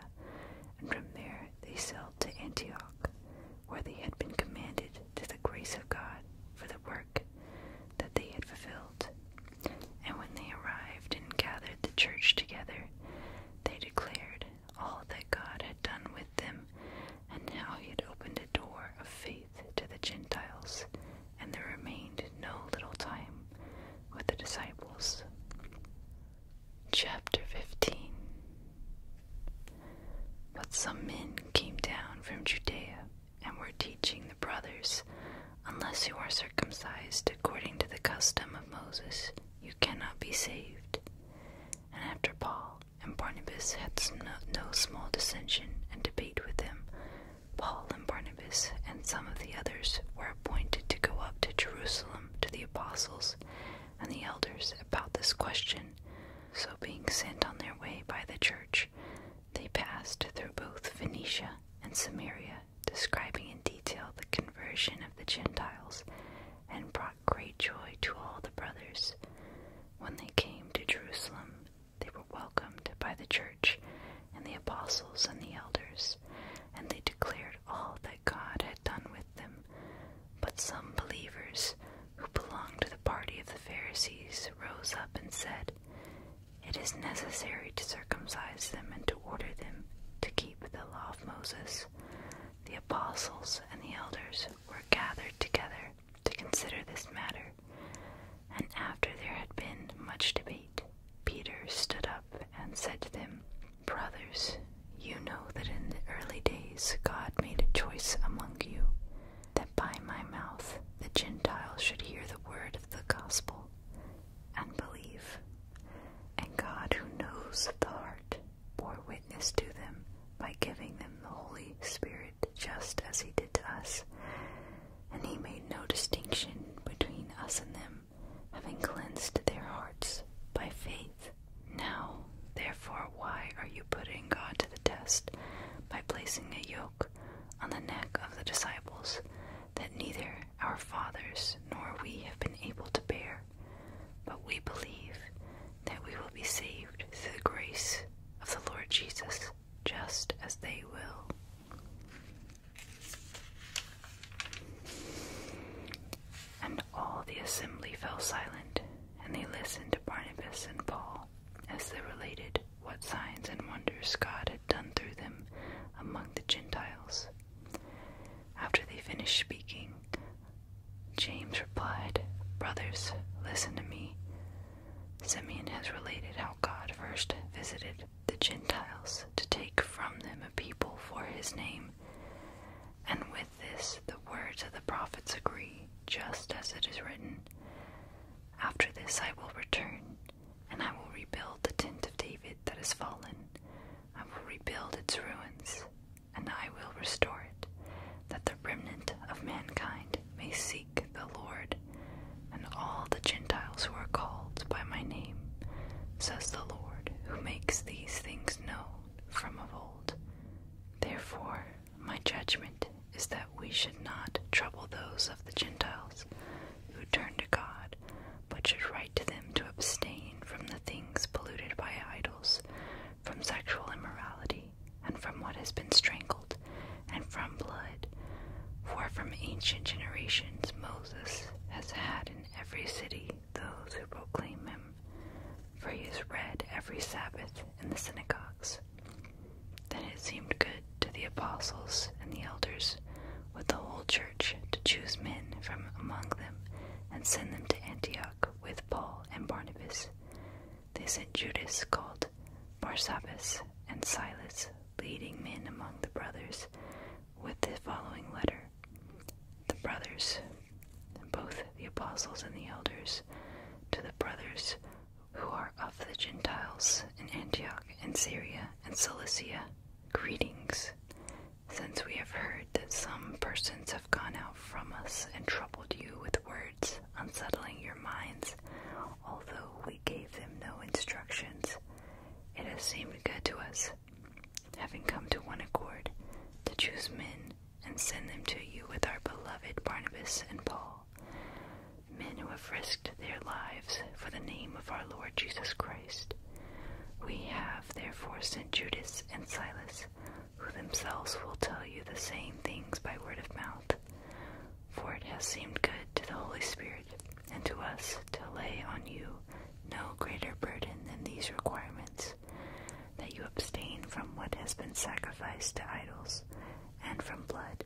and from there they sailed to Antioch, where they had been commanded to the grace of God for the work that they had fulfilled. And when they arrived and gathered the church together, they declared all that God had done with them and how he had opened a door of faith to the Gentiles. And there remained no little time with the disciples. Chapter 15 But some men came down from Judea and were teaching the brothers Unless you are circumcised according to the custom of Moses, you cannot be saved. And after Paul and Barnabas had some no, small dissension and debate with them, Paul and Barnabas and some of the others were appointed to go up to Jerusalem to the apostles and the elders about this question. So, being sent on their way by the church, they passed through both Phoenicia and Samaria describing in detail the conversion of the Gentiles, and brought great joy to all the brothers. When they came to Jerusalem, they were welcomed by the church and the apostles and the elders, and they declared all that God had done with them. But some believers who belonged to the party of the Pharisees rose up and said, it is necessary to circumcise them and to order them to keep the law of Moses. The apostles and the elders were gathered together to consider this matter, and after there had been much debate, Peter stood up and said to them, Brothers, you know that in the early days God made a choice among you, that by my mouth the Gentiles should hear the word of the gospel and believe. And God, who knows the heart, bore witness to them by giving them the Holy Spirit just as He did to us. And He made no distinction between us and them, having cleansed their hearts by faith. Now, therefore, why are you putting God to the test by placing a yoke on the neck of the disciples that neither our fathers nor we have been able to bear, but we believe that we will be saved through the grace of the Lord Jesus, just as they will. And all the assembly fell silent, and they listened to Barnabas and Paul as they related what signs and wonders God had done through them among the Gentiles. After they finished speaking, James replied, Brothers, listen to me. Simeon has related how God first visited the Gentiles to take from them a people for his name. And with this, the words of the prophets agree, just as it is written After this I will return, and I will rebuild the tent of David that has fallen. I will rebuild its ruins, and I will restore it, that the remnant of mankind may seek the Lord, and all the Gentiles who are called by my name, says the Lord, who makes these things known from of old. Therefore, my judgment is that we should not trouble those of the Gentiles who turn to God but should write to them to abstain from the things polluted by idols, from sexual immorality, and from what has been strangled, and from blood. For from ancient generations Moses has had in every city those who proclaim him, for he is read every Sabbath in the synagogues. Then it seemed good to the apostles and the elders with the whole church to choose men from among them and send them to Antioch with Paul and Barnabas. They sent Judas, called Barsabbas, and Silas, leading men among the brothers, with the following letter The brothers, both the apostles and the elders, to the brothers who are of the Gentiles in Antioch and Syria and Cilicia Greetings, since we have heard that some persons have gone out from us and troubled you with words, unsettling your minds, although we gave them no instructions, it has seemed good to us, having come to one accord, to choose men and send them to you with our beloved Barnabas and Paul, men who have risked their lives for the name of our Lord Jesus Christ. We have therefore sent Judas and Silas, who themselves will tell you the same things by word of mouth. For it has seemed good to the Holy Spirit and to us to lay on you no greater burden than these requirements that you abstain from what has been sacrificed to idols, and from blood,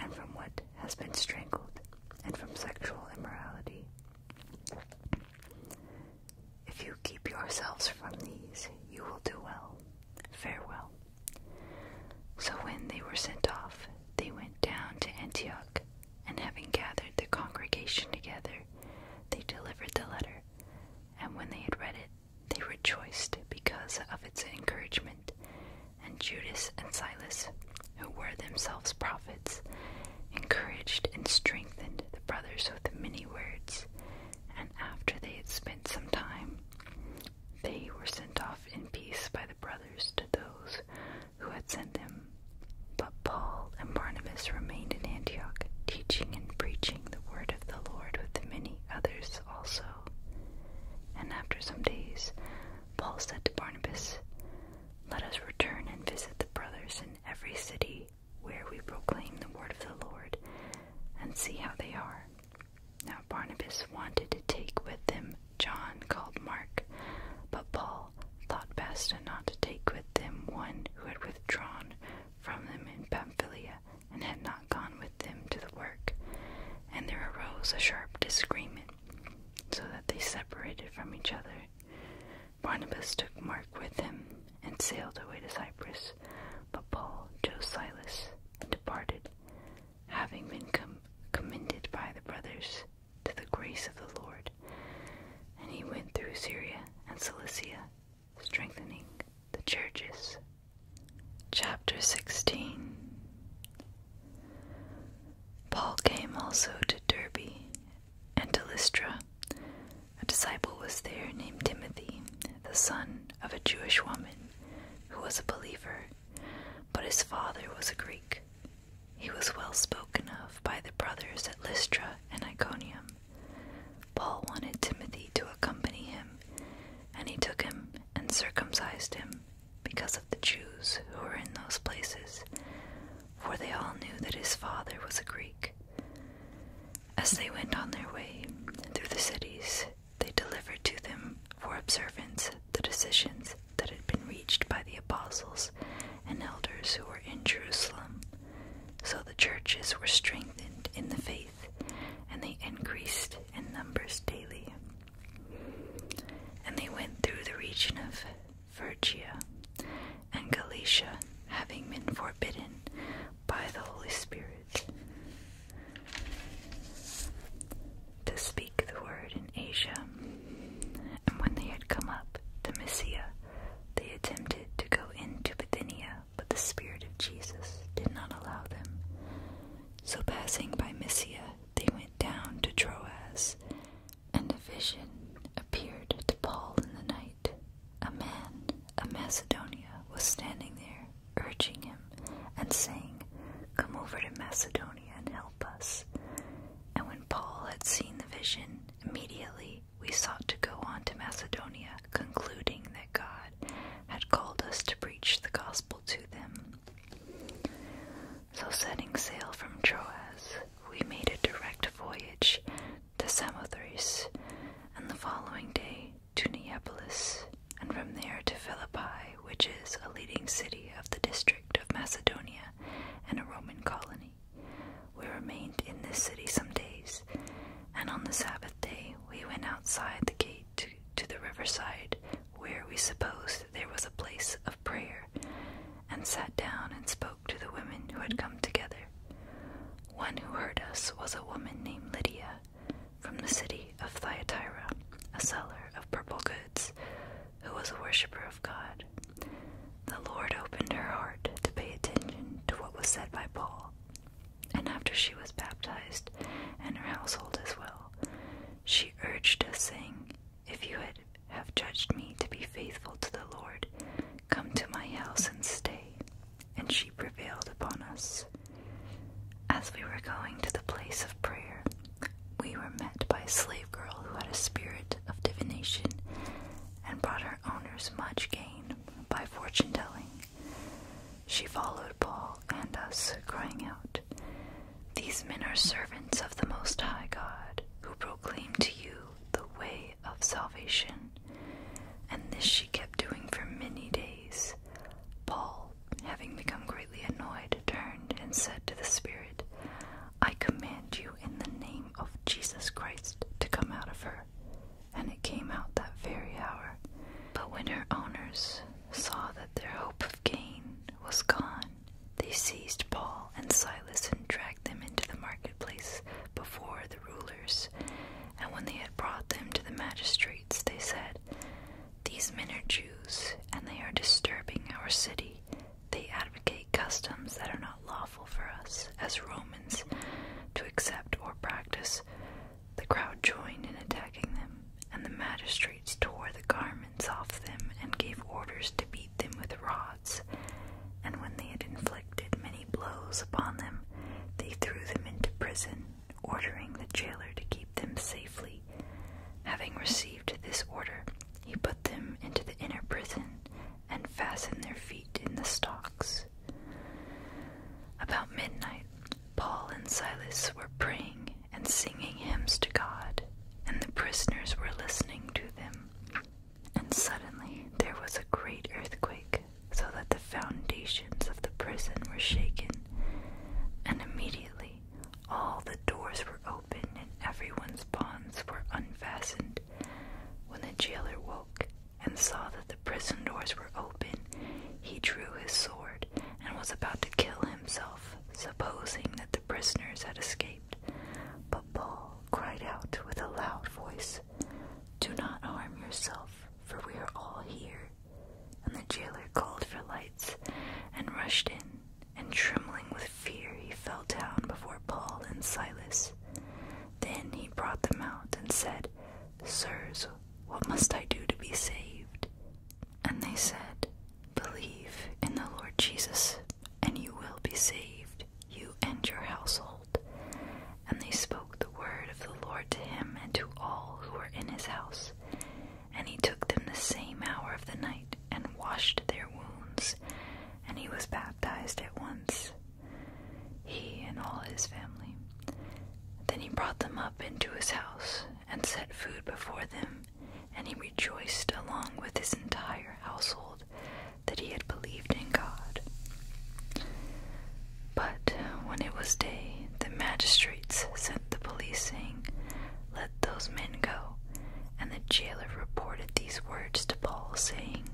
and from what has been strangled, and from sexual immorality. If you keep yourselves from these, you will do well. Farewell. So when they were sent off, they went down to Antioch, and having gathered the congregation together, they delivered the letter. And when they had read it, they rejoiced because of its encouragement. And Judas and Silas, who were themselves prophets, encouraged and strengthened the brothers with many words. And after they had spent some time, they were sent off in peace by the brothers to those who had sent them. But Paul and Barnabas remained in Antioch, teaching and preaching the word of the Lord with many others also. And after some days, Paul said to Barnabas, let us return and visit the brothers in every city where we proclaim the word of the Lord and see how they are. Now Barnabas wanted to take with him John called Mark, but Paul thought best not to take with them one who had withdrawn from them in Pamphylia and had not gone with them to the work. And there arose a sharp disagreement, so that they separated from each other Barnabas took Mark with him and sailed away to Cyprus, but Paul chose Silas departed, having been commended by the brothers to the grace of the Lord. And he went through Syria and Cilicia, strengthening the churches. Chapter 16 Paul came also to Derby and to Lystra. A disciple was there named Timothy, the son of a Jewish woman who was a believer, but his father was a Greek. He was well spoken of by the brothers at Lystra and Iconium. Paul wanted Timothy to accompany him, and he took him and circumcised him because of the Jews who were in those places, for they all knew that his father was a Greek. As they went on their way through the cities, they delivered to them for observance the decisions that had been reached by the apostles and elders who were in Jerusalem. So the churches were strengthened in the faith, and they increased in numbers daily. And they went through the region of Phrygia, and Galatia, having been forbidden by the Holy Spirit to speak the word in Asia. And when they had come up to Mysia, they attempted to go into Bithynia, but the Spirit of Jesus did not allow them. So passing by Mysia, they went down to Troas, and a vision appeared to Paul in the night. A man of Macedonia was standing there, urging him and saying, Come over to Macedonia and help us. And when Paul had seen the vision, immediately we sought to go on to Macedonia, concluding that God had called us to preach the gospel to them. So, setting sail from Troas, we made a direct voyage to Samothrace, and the following day to Neapolis, and from there to Philippi, which is a leading city of the district of Macedonia and a Roman colony. We remained in this city some days, and on the Sabbath day we went outside the gate to the riverside, where we supposed there was a place of prayer, and sat down and spoke to the women who had come together. One who heard us was a woman named Lydia from the city of Thyatira, a seller of purple goods, who was a worshiper of God. The Lord opened her heart to pay attention to what was said by Paul, and after she was baptized, and her household as well, she urged us, saying, if you had have judged me to be faithful to the Lord, come to my house and stay. And she prevailed upon us. As we were going to the place of prayer, we were met by a slave girl who had a spirit of divination and brought her owners much gain by fortune telling. She followed Paul and us, crying out, These men are servants of the Most High God, who proclaim to you the way of salvation. And this she kept doing for many days. Paul, having become greatly annoyed, turned and said to the Spirit, I command you in the name of Jesus Christ to come out of her. And it came out that very hour. But when her owners saw that their hope of gain was gone, they seized Paul and Silas and dragged them into the marketplace before the rulers. And when they had brought them to the magistrates, they said, These men are Jews, and they are disturbing our city. They advocate customs that are not lawful for us, as Romans, to accept or practice. The crowd joined in attacking them, and the magistrates tore the garments off them and gave orders to beat them with rods, and when they had inflicted many blows upon them, they threw them into prison, ordering the jailer to keep them safely. Having received this order, he put them into the inner prison and fastened their feet in the stocks. About midnight, Paul and Silas were praying and singing hymns to God, and the prisoners were listening to them. And suddenly there was a great earthquake, so that the foundations of the prison were shaken, and immediately all the doors were open and everyone's bonds were unfastened. When the jailer woke and saw that the prison doors were open, he drew his sword and was about to kill himself, supposing that the prisoners had escaped. But Paul cried out with a loud voice, Do not harm yourself, for we are all here. And the jailer called for lights and rushed in, and trembling with fear, he fell down before Paul and Silas. Then he brought them out and said, Sirs, what must I do to be saved? And they said, Believe in the Lord Jesus, and you will be saved, you and your household. And they spoke the word of the Lord to him and to all who were in his house. And he took them the same hour of the night and washed their wounds, and he was baptized at once, he and all his family. Then he brought them up into his house and set food before them, and he rejoiced along with his entire household that he had believed in God. But when it was day, the magistrates sent the policing, Let those men go. And the jailer reported these words to Paul, saying,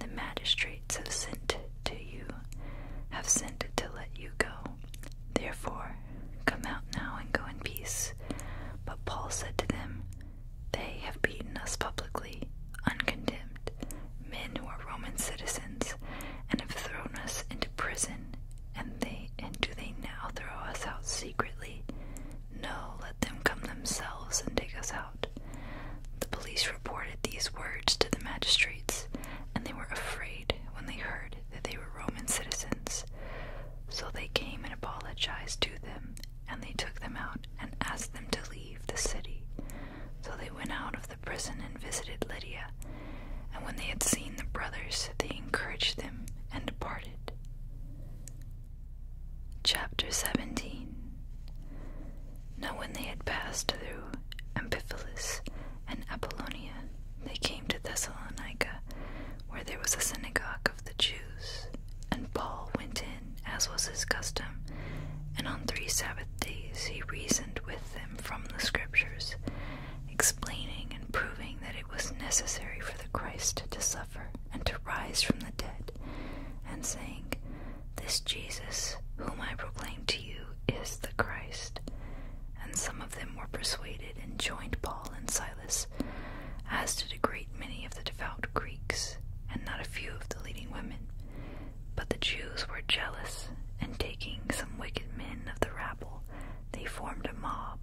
The magistrates have sent to you, have sent to let you go. Therefore, come out now and go in peace. But Paul said to them, they have beaten us publicly, uncondemned, men who are Roman citizens, and have thrown us into prison, and they and do they now throw us out secretly? No, let them come themselves and take us out. The police reported these words to the magistrates, and they were afraid when they heard that they were Roman citizens. So they came and apologized to them and they took them out and asked them to leave the city. So they went out of the prison and visited Lydia. And when they had seen the brothers, they encouraged them and departed. Chapter 17 Now, when they had passed through Amphipolis and Apollonia, they came to Thessalonica, where there was a synagogue of the Jews, and Paul went in as was his custom, and on three Sabbath days he reasoned with them from the Scriptures, explaining and proving that it was necessary for the Christ to suffer and to rise from the dead, and saying, This Jesus, whom I proclaim to you, is the Christ. And some of them were persuaded and joined Paul and Silas, as did a great many of the the Greeks and not a few of the leading women, but the Jews were jealous, and taking some wicked men of the rabble, they formed a mob,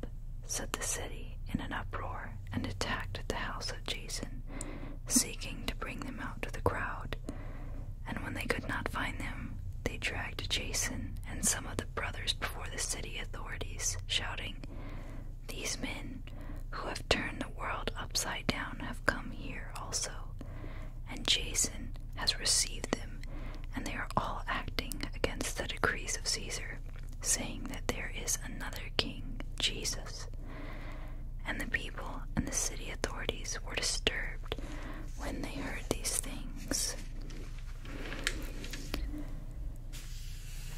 set the city in an uproar, and attacked the house of Jason, seeking to bring them out to the crowd. And when they could not find them, they dragged Jason and some of the brothers before the city authorities, shouting, these men who have turned the world upside down have come here also, and Jason has received them, and they are all acting against the decrees of Caesar, saying that there is another king, Jesus. And the people and the city authorities were disturbed when they heard these things.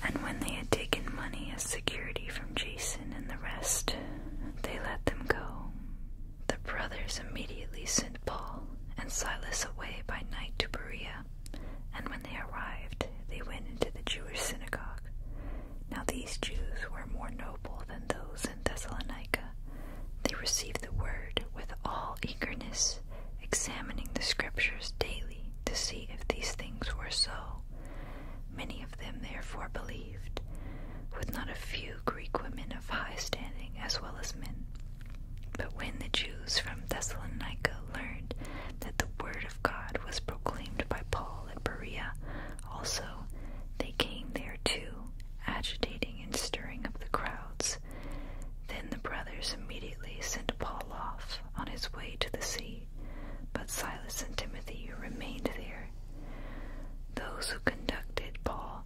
And when they had taken money as security from Jason and the rest, they let them go. The brothers immediately sent Paul and Silas away by night to Berea, and when they arrived, they went into the Jewish synagogue. Now these Jews were more noble than those in Thessalonica. They received the word with all eagerness, examining the scriptures daily to see if these things were so. Many of them therefore believed, with not a few Greek women of high standing as well as men. But when the Jews from Thessalonica learned that the word of God was proclaimed by Paul at Berea, also they came there too, agitating and stirring up the crowds. Then the brothers immediately sent Paul off on his way to the sea, but Silas and Timothy remained there those who conducted Paul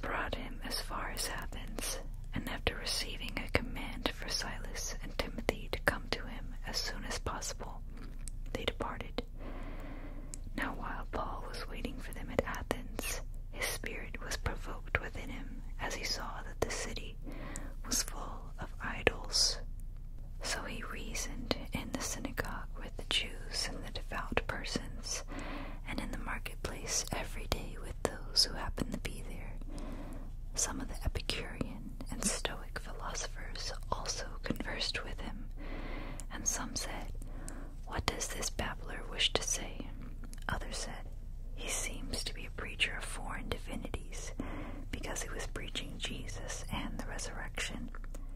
brought him as far as Athens, and after receiving a command for Silas and Timothy to come to him as soon as possible, they departed. Now, while Paul was waiting for them at Athens, his spirit was provoked within him as he saw that the city was full of idols, so he reasoned in the synagogue with the Jews and the devout persons, and in the marketplace every day with those who happened to be there. Some of the Epicurean and Stoic philosophers also conversed with him, and some said, What does this babbler wish to say? Others said, He seems to be a preacher of foreign divinities, because he was preaching Jesus and the resurrection.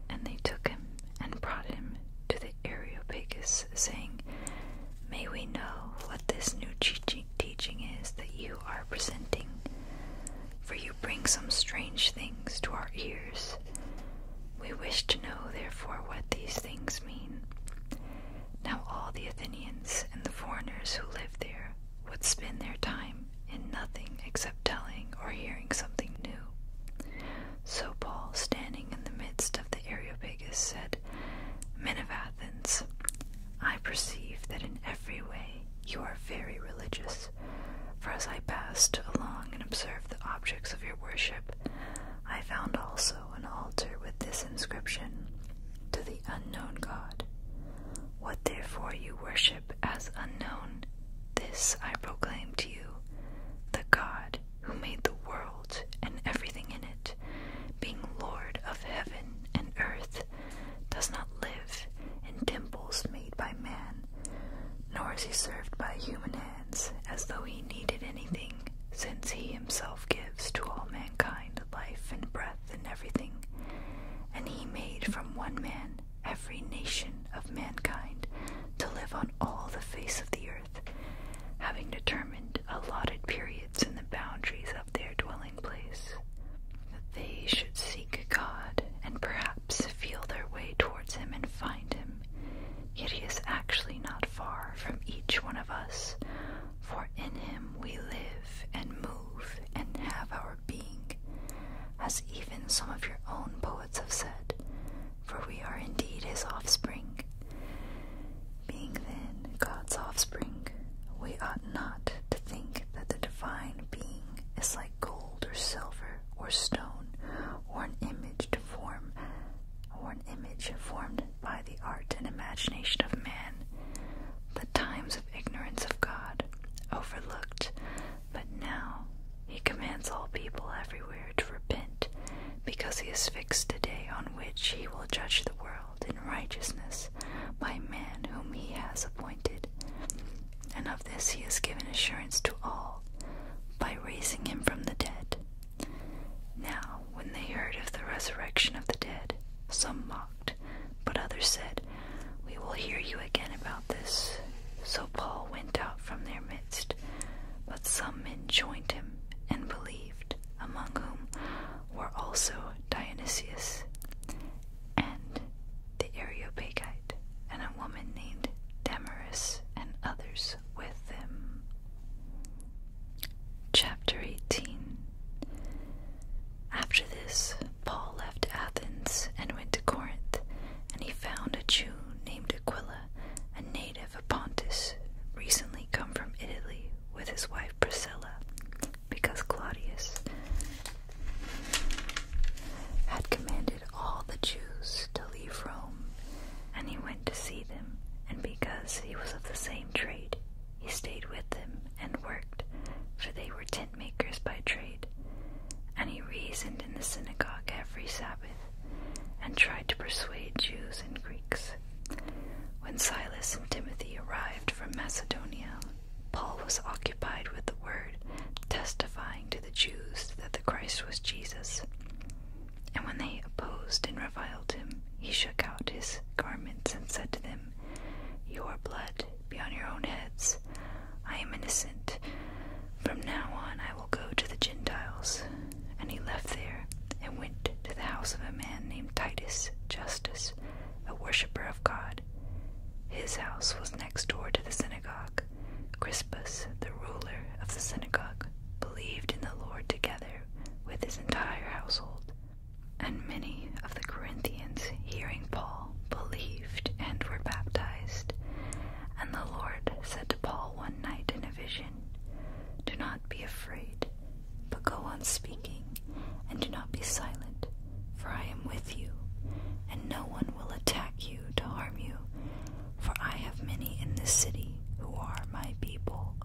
And they took him and brought him to the Areopagus, saying, May we know what this new teaching is that you are presenting, for you bring some strange things to our ears. We wish to know, therefore, what these things mean. Now, all the Athenians and the foreigners who lived there would spend their time him in nothing except telling or hearing something new. So Paul, standing in the midst of the Areopagus, said, Men of Athens, I perceive that in every way you are very religious, for as I passed along and observed the objects of your worship, I found also an altar with this inscription To the unknown God. What therefore you worship, as unknown, this I proclaim to you the God who made the world and everything in it, being Lord of heaven and earth, does not live in temples made by man, nor is he served by human hands as though he needed anything, since he himself gives to all mankind life and breath and everything. And he made from one man every nation of mankind, to live on all the face of the earth, having determined allotted periods in the boundaries of their dwelling place, that they should seek God and perhaps feel their way towards Him and find Him. Yet He is actually not far from each one of us, for in Him we live and move and have our being, as even some of your own poets have said, for we are indeed his offspring. Being then God's offspring, we ought not to think that the divine being is like gold or silver or stone or an image to form or an image formed by the art and imagination of man. The times of ignorance of God overlooked but now he commands all people everywhere to repent, because he has fixed a day on which he will judge the world in righteousness by man whom he has appointed. And of this he has given assurance to all by raising him from the dead. Now, when they heard of the resurrection of the dead, some mocked, but others said, We will hear you again about this. So Paul went out from their midst. But some men joined him and believed, among whom were also Dionysius and the Areopagite, and a woman named Damaris, and others with them. Chapter 18 After this, Paul left Athens and went to Corinth, and he found a Jew named Aquila, a native of Pontus, recently come from Italy with his wife Priscilla, because Claudius had commanded all the Jews to leave Rome, and he went to see them, and because he was of the same trade, he stayed with them and worked, for they were tent makers by trade. And he reasoned in the synagogue every Sabbath and tried to persuade Jews and Greeks. When Silas and Timothy arrived from Macedonia, Paul was occupied with the word, testifying to the Jews that the Christ was Jesus. And when they opposed and reviled him, he shook out his garments and said to them, Your blood be on your own heads. I am innocent. From now on I will go to the Gentiles. And he left there and went to the house of a man named Titus Justus, a worshipper of God. His house was next door to the synagogue. Crispus, the ruler of the synagogue, believed in the Lord together with his entire household. And many of the Corinthians, hearing Paul, believed and were baptized. And the Lord said to Paul one night in a vision, Do not be afraid, but go on speaking, and do not be silent, for I am with you, and no one will attack you to harm you, for I have many in this city who are my people.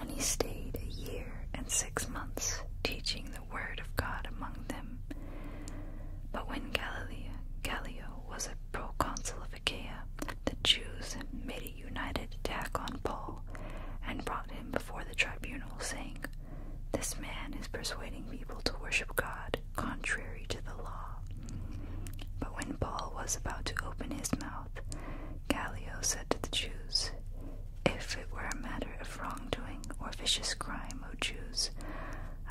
And he stayed a year and six months, teaching the word of God among them. But when Galileo, Galileo was a proconsul of Achaia, the Jews made a united attack on Paul and brought him before the tribunal, saying, This man is persuading people to worship God contrary to the law. But when Paul was about to open his mouth, Gallio said to the Jews, If it were a matter of wrongdoing or vicious crime, Mochus,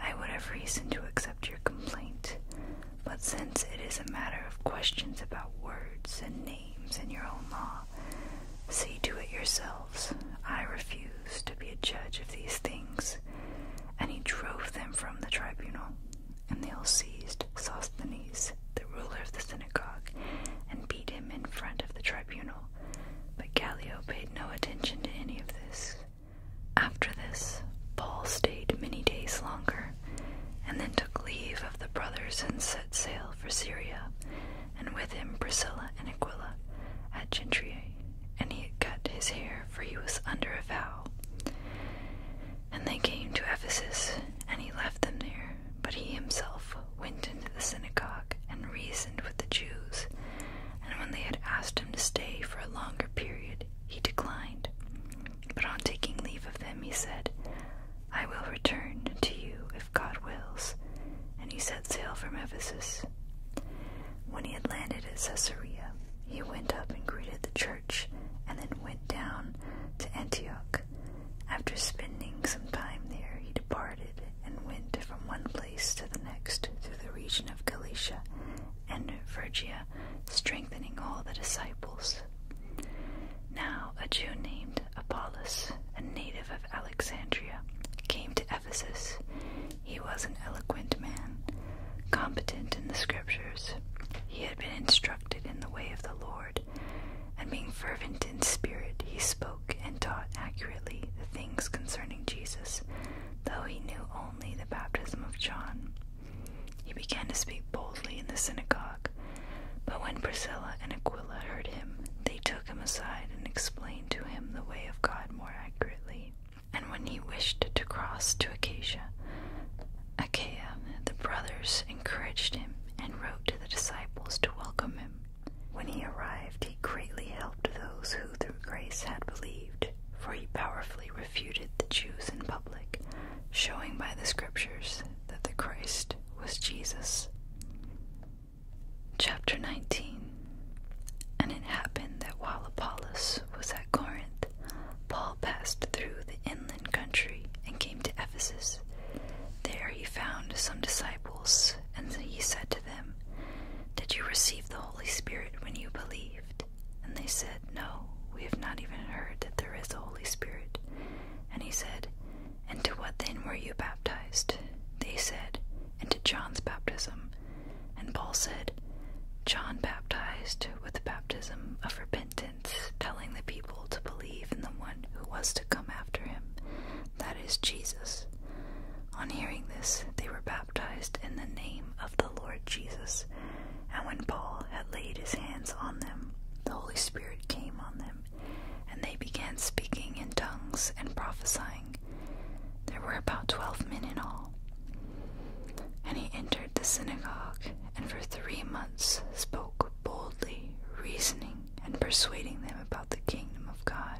I would have reason to accept your complaint. But since it is a matter of questions about words and names in your own law, see to it yourselves. I refuse to be a judge of these things. And he drove them from the tribunal. And they all seized Sosthenes, the ruler of the synagogue, and beat him in front of the tribunal. But Gallio paid no attention to any of this, after this, Paul stayed many days longer, and then took leave of the brothers and set sail for Syria, and with him Priscilla and Aquila at Gentry, and he had cut his hair, for he was under a vow. And they came to Ephesus, and he left them there, but he himself went into the synagogue and reasoned with the Jews, and when they had asked him to stay for a longer period, he declined. But on taking leave of them, he said, I will return to you if God wills. And he set sail from Ephesus. When he had landed at Caesarea, he went up and greeted the church, and then went down to Antioch. After spending some time there, he departed and went from one place to the next through the region of Galatia and Phrygia, strengthening all the disciples. Now a Jew named Apollos, a native of Alexandria, came to Ephesus. He was an eloquent man, competent in the scriptures. He had been instructed in the way of the Lord, and being fervent in spirit, he spoke and taught accurately the things concerning Jesus, though he knew only the baptism of John. He began to speak boldly in the synagogue. But when Priscilla and Aquila heard him, they took him aside and explained to him the way of God more accurately. And when he wished to cross to Acacia, Achaia, the brothers encouraged him and wrote to the disciples to welcome him. When he arrived, he greatly helped those who through grace had believed, for he powerfully refuted the Jews in public, showing by the scriptures that the Christ was Jesus. Chapter 19 And it happened that while Apollos was at Corinth, Paul passed through the inland country and came to Ephesus. There he found some disciples, and he said to them, Did you receive the Holy Spirit when you believed? And they said, No, we have not even heard that there is a Holy Spirit. And he said, And to what then were you baptized? They said, Into John's baptism. And Paul said, John baptized with the baptism of repentance, telling the people to believe in the one who was to come after him, that is Jesus. On hearing this, they were baptized baptized in the name of the Lord Jesus. And when Paul had laid his hands on them, the Holy Spirit came on them, and they began speaking in tongues and prophesying. There were about twelve men in all. And he entered the synagogue, and for three months spoke boldly, reasoning and persuading them about the kingdom of God.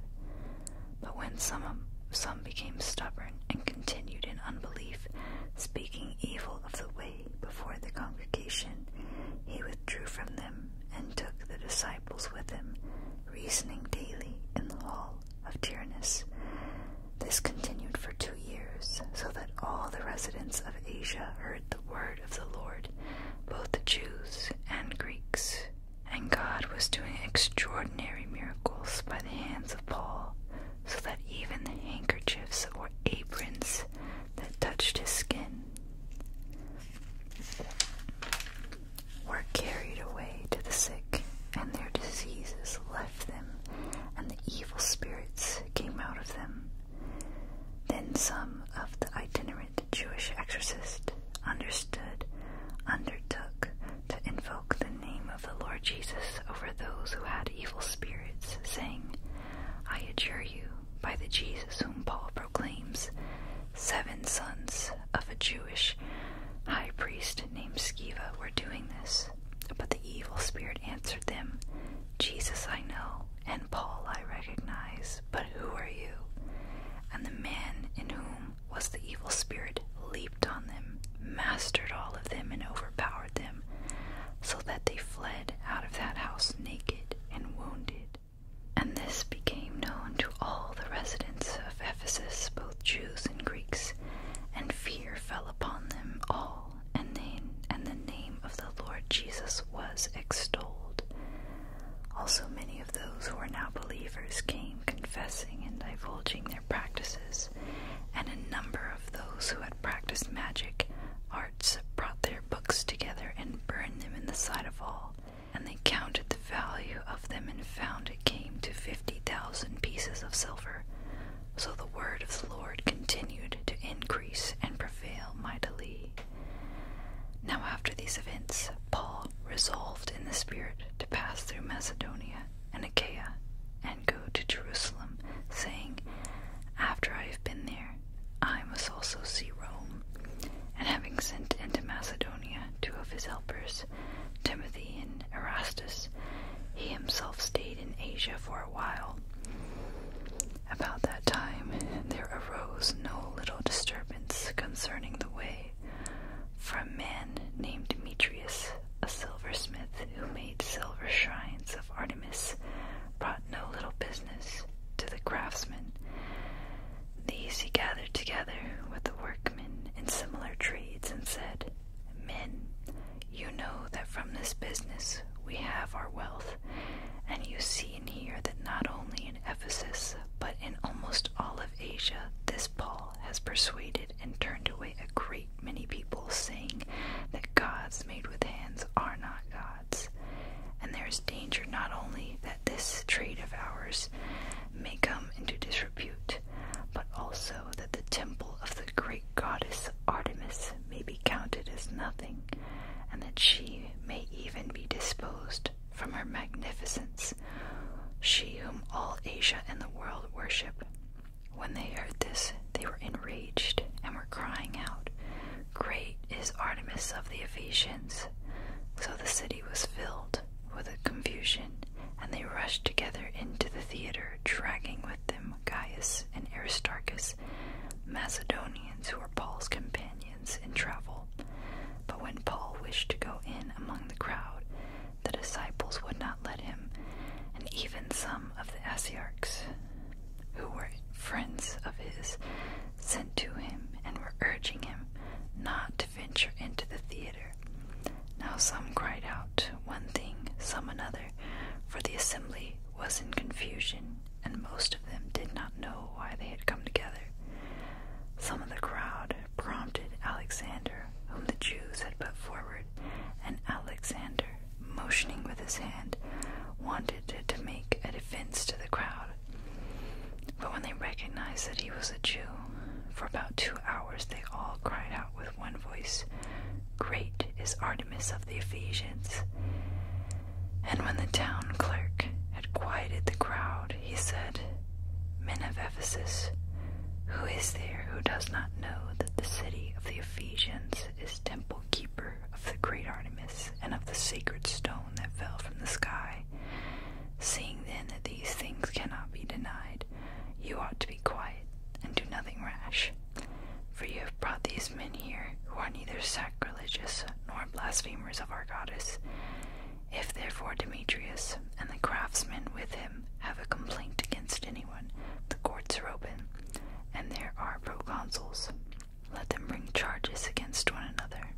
But when some some became stubborn and continued in unbelief, speaking evil of the way before the congregation. He withdrew from them and took the disciples with him, reasoning daily in the hall of Tyrannus. This continued for two years, so that all the residents of Asia heard the word of the Lord, both Jews and Greeks. And God was doing extraordinary miracles by the hands of Paul, so that even the handkerchiefs or aprons that touched his skin were carried away to the sick, and their diseases left them, and the evil spirits came out of them. Then some of the itinerant Jewish exorcists understood, undertook to invoke the name of the Lord Jesus over those who had evil spirits, saying, I adjure you, by the Jesus whom Paul proclaims, seven sons of a Jewish high priest named Sceva were doing this. But the evil spirit answered them, Jesus I know, and Paul I recognize, but who are you? And the man in whom was the evil spirit leaped on them, mastered all of them, and overpowered them, so that they fled out of that house naked and wounded. And this became known to all the residents of Ephesus, both Jews and Greeks, and fear fell upon them all, and, they, and the name of the Lord Jesus was extolled. Also, many of those who are now believers came confessing and divulging their practices, and a number of those who had practiced magic arts brought their books together and burned them in the sight of all, and they counted the value of them and found it came to fifty thousand pieces of silver. So the word of the Lord continued to increase and prevail mightily. Now, after these events, Paul resolved in the Spirit to pass through Macedonia and Achaia and go to Jerusalem, saying, After I have been there, I must also see Rome. And having sent into Macedonia two of his helpers, Timothy and Erastus, he himself stayed in Asia for a while. About that time there arose no little disturbance concerning the way, from a man named Demetrius, a silversmith who made silver shrines of Artemis, brought no little business to the craftsmen. These he gathered together with the workmen in similar trades and said, Men, you know that from this business we have our wealth, and you see and hear that not only in Ephesus, but in almost all of Asia, this Paul has persuaded and turned away a great many people, saying that gods made with hands are not gods. And there is danger not only that this trade of ours may come into disrepute, but also that the temple of the great goddess Artemis may be counted as nothing, and that she may even be disposed from her magnificence, she whom all Asia and the world worship, when they heard this, they were enraged and were crying out, Great is Artemis of the Ephesians! So the city was filled with confusion, and they rushed together into the theater, dragging with them Gaius and Aristarchus, Macedonians who were Paul's companions in travel. But when Paul wished to go in among the crowd, the disciples would not let him, and even some of the Asiarchs, who were friends of his, sent to him and were urging him not to venture into the theater. Now some cried out one thing, some another, for the assembly was in confusion, and most of them did not know why they had come together. Some of the crowd prompted Alexander, whom the Jews had put forward, and Alexander motioning with his hand, wanted to, make a defense to the crowd. But when they recognized that he was a Jew, for about two hours they all cried out with one voice, Great is Artemis of the Ephesians. And when the town clerk had quieted the crowd, he said, Men of Ephesus, who is there who does not know that the city of the Ephesians? is temple keeper of the great Artemis and of the sacred stone that fell from the sky. Seeing then that these things cannot be denied, you ought to be quiet and do nothing rash. For you have brought these men here, who are neither sacrilegious nor blasphemers of our goddess. If therefore Demetrius and the craftsmen with him have a complaint against any the courts are open, and there are proconsuls. Let them bring charges against one another.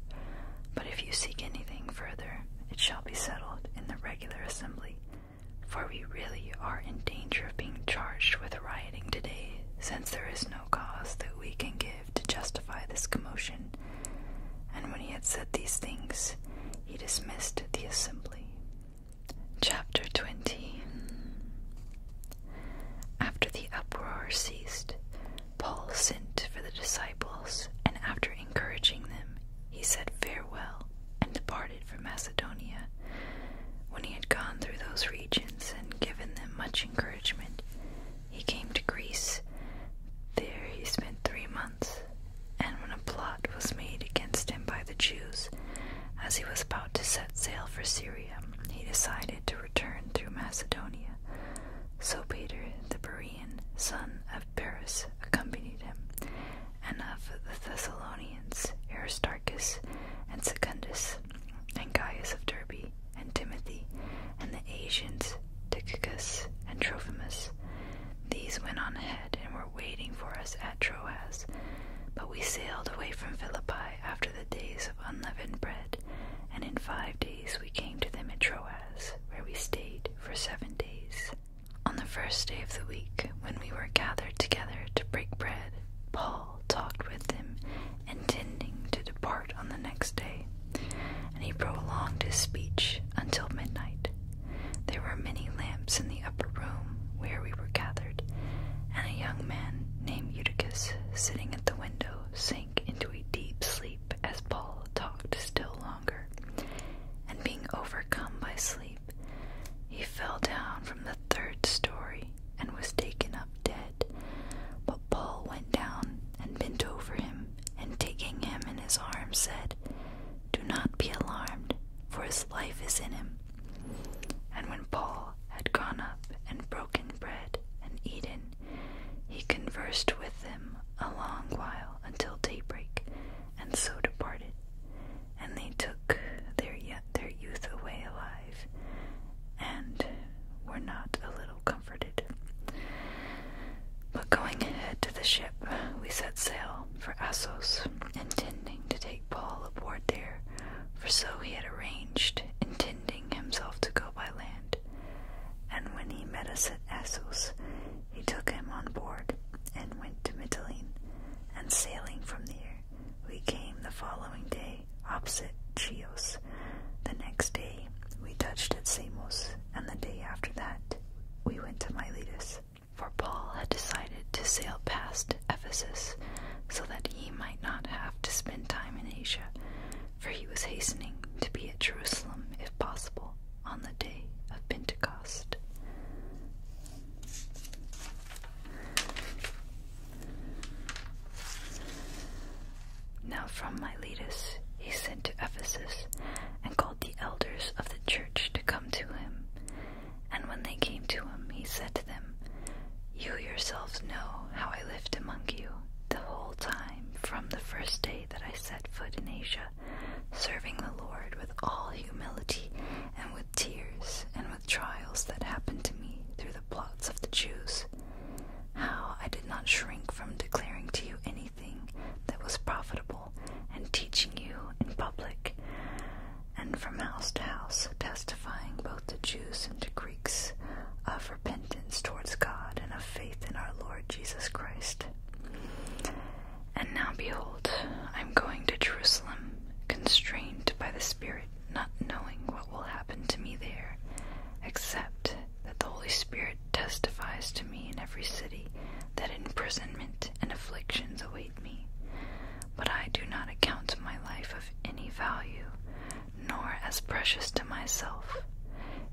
But if you seek anything further, it shall be settled in the regular assembly. For we really are in danger of being charged with rioting today, since there is no cause that we can give to justify this commotion. And when he had said these things, he dismissed the assembly. Chapter 20 After the uproar ceased, Paul sent for the disciples, and after encouraging them, he said farewell and departed for Macedonia. When he had gone through those regions and given them much encouragement, he came to Greece. There he spent three months, and when a plot was made against him by the Jews, as he was about to set sail for Syria, he decided to return through Macedonia. So Peter, the Berean, son of Paris, accompanied him, and of the Thessalonians, Aristarchus and Secundus, and Gaius of Derbe, and Timothy, and the Asians, Tychicus and Trophimus. These went on ahead and were waiting for us at Troas. But we sailed away from Philippi after the days of unleavened bread, and in five days we came to them at Troas, where we stayed for seven days. On the first day of the week, when we were gathered together to break bread, Paul talked with them, intending to depart on the next day, and he prolonged his speech until midnight. There were many lamps in the the upper room where we were gathered, and a young man named Eutychus, sitting at the window, sank into a deep sleep as Paul talked still longer. And being overcome by sleep, he fell down from the third story and was taken up dead. But Paul went down and bent over him, and taking him in his arms, said, Do not be alarmed, for his life is in him. And when Paul had gone up and broken bread and eaten, he conversed with them a long while until daybreak, and so departed. And they took their, their youth away alive, and were not a little comforted. But going ahead to the ship, we set sail for Assos, intending to take Paul aboard there, for so he had arranged, intending himself to go by land. And when he met us at Assos, he took him on board, and went to Mytilene, and sailing from there, we came the following day opposite Chios. The next day we touched at Samos, and the day after that we went to Miletus. For Paul had decided to sail past Ephesus, so that he might not have to spend time in Asia, for he was hastening to be at Jerusalem, if possible, on the day of Pentecost. Now from Miletus he sent to Ephesus, and called the elders of the church to come to him. And when they came to him, he said to them, You yourselves know how I lived among you the whole time from the first day that I set foot in Asia, serving the Lord with all humility and with tears and with trials that happened to me through the plots of the Jews. How I did not shrink from declaring to you anything that was profitable and teaching you in public and from house to house, testifying both to Jews and to Greeks of repentance towards God and of faith in our Lord Jesus Christ. And now behold, I am going to Jerusalem, constrained by the Spirit, not knowing what will happen to me there, except that the Holy Spirit testifies to me in every city that imprisonment and afflictions await me but I do not account my life of any value, nor as precious to myself,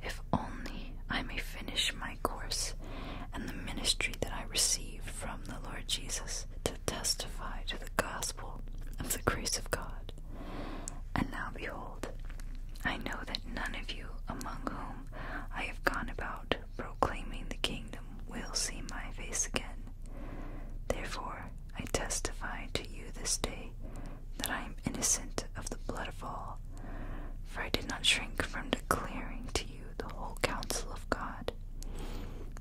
if only I may finish my course and the ministry that I received from the Lord Jesus to testify to the gospel of the grace of God. And now behold, I know that none of you among whom I have gone about proclaiming the kingdom will see my face again. Therefore, I testify to you this day that I am innocent of the blood of all, for I did not shrink from declaring to you the whole counsel of God.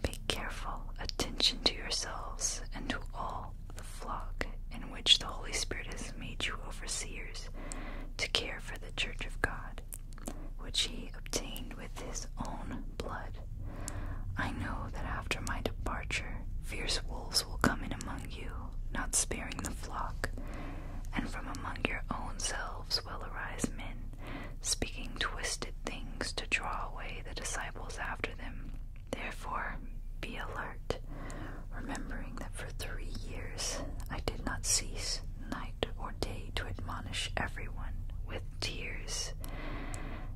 Be careful attention to yourselves and to all the flock in which the Holy Spirit has made you overseers to care for the church of God, which he obtained with his own blood. I know that after my departure, fierce wolves will come in among you, not sparing the flock, and from among your own selves will arise men, speaking twisted things to draw away the disciples after them. Therefore, be alert, remembering that for three years I did not cease night or day to admonish everyone with tears.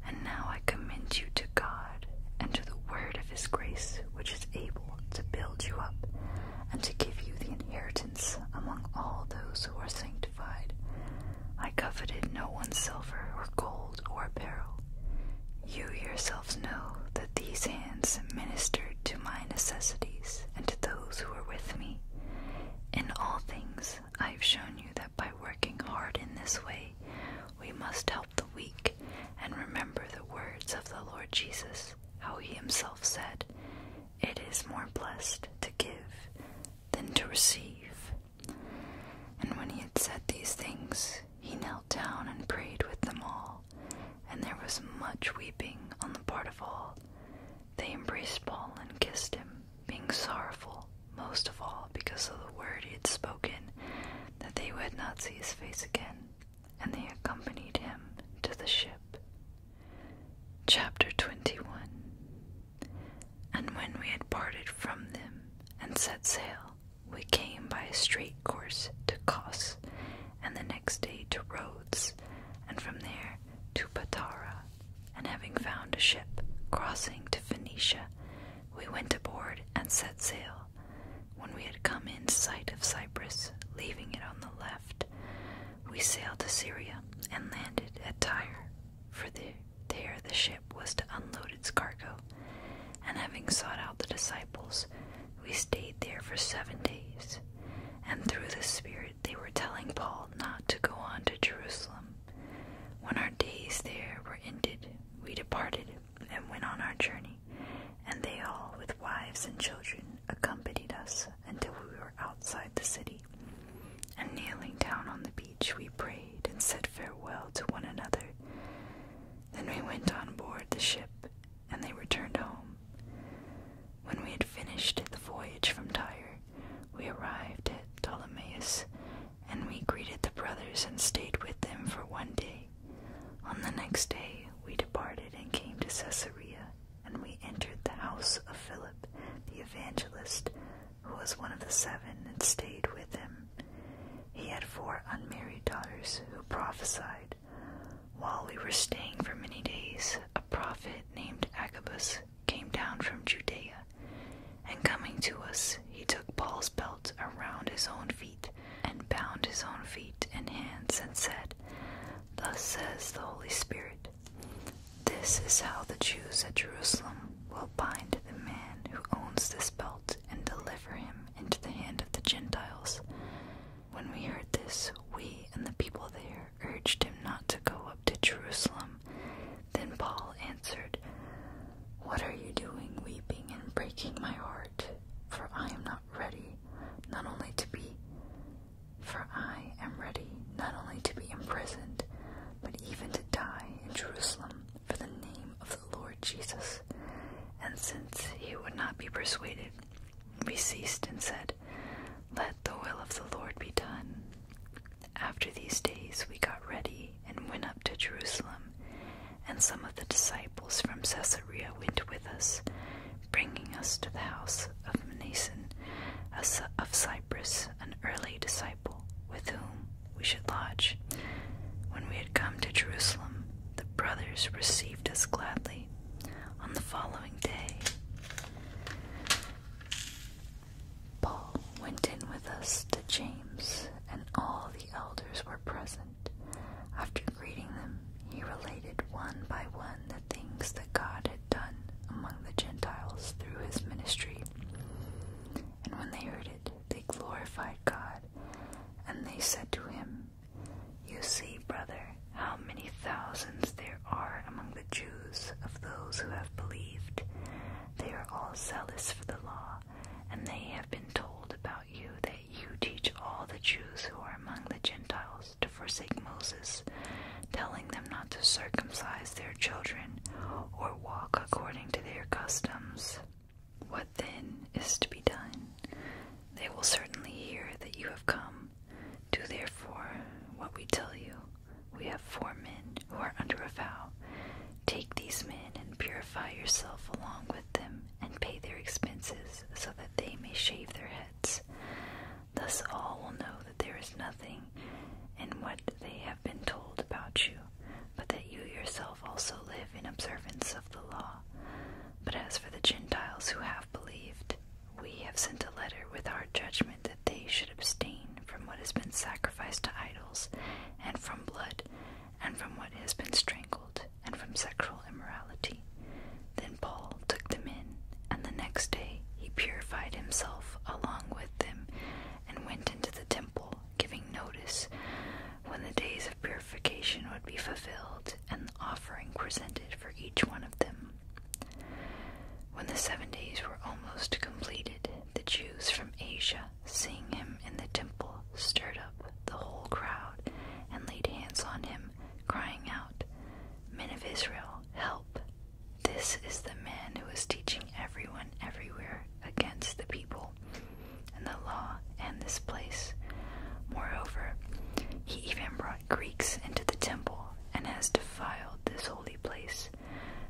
And now I commend you to God and to the word of his grace, which is able to build you up and to give you the inheritance among all those who are sanctified. I coveted no one's silver or gold or apparel. You yourselves know that these hands ministered to my necessities and to those who were with me. In all things I have shown you that by working hard in this way, we must help the weak and remember the words of the Lord Jesus, how he himself said, It is more blessed to give than to receive. And when he had said these things, he knelt down and prayed with them all, and there was much weeping on the part of all. They embraced Paul and kissed him, being sorrowful most of all because of the word he had spoken that they would not see his face again, and they accompanied him to the ship. Chapter 21 And when we had parted from them and set sail, we came by a straight course to Cos, and the next day to Rhodes, and from there to Patara, and having found a ship crossing to Phoenicia, we went aboard and set sail. When we had come in sight of Cyprus, leaving it on the left, we sailed to Syria and landed at Tyre, for there the ship was to unload its cargo. And having sought out the disciples, we stayed there for seven days. And through the Spirit, they were telling Paul not to go on to Jerusalem, when our days there were ended, we departed and went on our journey, and they all, with wives and children, accompanied us until we were outside the city. And kneeling down on the beach, we prayed and said farewell to one another. Then we went on board the ship, and they returned home. When we had finished the voyage from Tyre, we arrived at Ptolemais and we greeted the brothers and stayed with them for one day. On the next day we departed and came to Caesarea, and we entered the house of Philip the evangelist, who was one of the seven, and stayed with him. He had four unmarried daughters who prophesied. While we were staying for many days, a prophet named Agabus came down from Judea and coming to us, he took Paul's belt around his own feet, and bound his own feet and hands, and said, Thus says the Holy Spirit, This is how the Jews at Jerusalem will bind the man who owns this belt and deliver him into the hand of the Gentiles. When we heard this, we and the people there urged him not to go up to Jerusalem, then Paul answered, What are you doing, weeping and breaking my heart? For I am not ready, not only to be, for I am ready, not only to be imprisoned, but even to die in Jerusalem for the name of the Lord Jesus. And since he would not be persuaded, he ceased and said, Let the will of the Lord be done. After these days, we got ready and went up to Jerusalem, and some of the disciples from Caesarea went with us, bringing us to the house of Mnason of Cyprus, an early disciple, with whom we should lodge. When we had come to Jerusalem, the brothers received us gladly. On the following day, Paul went in with us to James, and all the elders were present. After greeting them, he related one by one the things that God had done among the Gentiles through his ministry. And when they heard it, they glorified God, and they said to him, You see, brother, how many thousands there are among the Jews of those who have believed. They are all zealous for the law and they have been told about you that you teach all the Jews who are among the Gentiles to forsake Moses, telling them not to circumcise their children or walk according to their customs. What then is to be done? They will certainly hear that you have come. Do therefore what we tell you. We have four men who are under a vow. Take these men and purify yourself along with them, and pay their expenses, so that they may shave their heads. Thus all will know that there is nothing in what they have been told about you, but that you yourself also live in observance of the law. But as for the Gentiles who have believed, we have sent a letter with our judgment that they should abstain from what has been sacrificed to idols, and from blood, and from what has been strangled, and from sexual immorality. Then Paul took them in, and the next day he purified himself along with them, and went into the temple, giving notice when the days of purification would be fulfilled, and the offering presented for each one of them. When the seven days were almost completed, the Jews from Asia seeing him in the temple, stirred up the whole crowd and laid hands on him, crying out, Men of Israel, help! This is the man who is teaching everyone everywhere against the people and the law and this place. Moreover, he even brought Greeks into the temple and has defiled this holy place,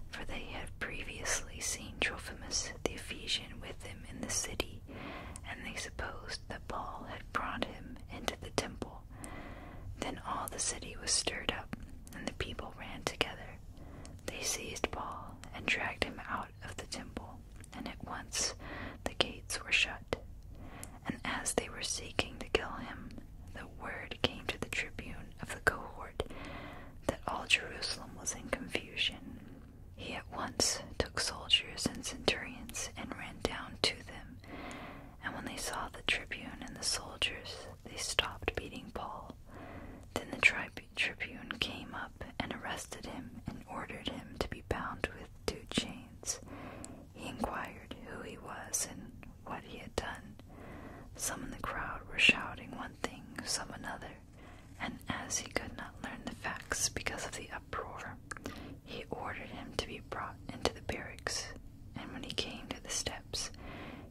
for they had previously seen Trophimus the Ephesian with him in the city, and they supposed that Paul had brought him into the temple. Then all the city was stirred up, and the people ran together. They seized Paul and dragged him out of the temple, and at once the gates were shut. And as they were seeking to kill him, the word came to the tribune of the cohort that all Jerusalem was in confusion, he at once took soldiers and centurions and ran down to them. And when they saw the tribune and the soldiers, they stopped beating Paul. Then the tribune came up and arrested him and ordered him to be bound with two chains. He inquired who he was and what he had done. Some in the crowd were shouting one thing, some another and as he could not learn the facts because of the uproar, he ordered him to be brought into the barracks, and when he came to the steps,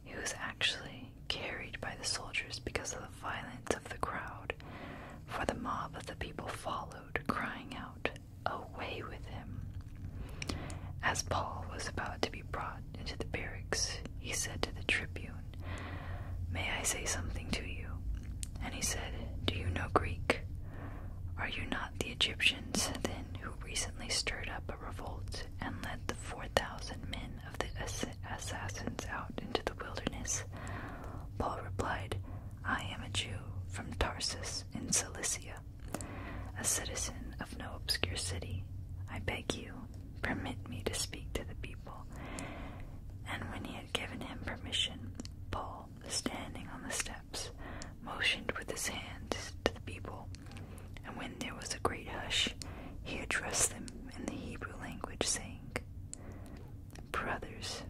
he was actually carried by the soldiers because of the violence of the crowd, for the mob of the people followed, crying out, Away with him! As Paul was about to be brought into the barracks, he said to the tribune, May I say something to you? And he said, Do you know Greek? Are you not the Egyptians, then, who recently stirred up a revolt and led the four thousand men of the assassins out into the wilderness? Paul replied, I am a Jew from Tarsus in Cilicia, a citizen of no obscure city. I beg you, Permit me to speak to the people. And when he had given him permission, Paul, standing on the steps, motioned with his hand to the people. And when there was a great hush, he addressed them in the Hebrew language, saying, Brothers,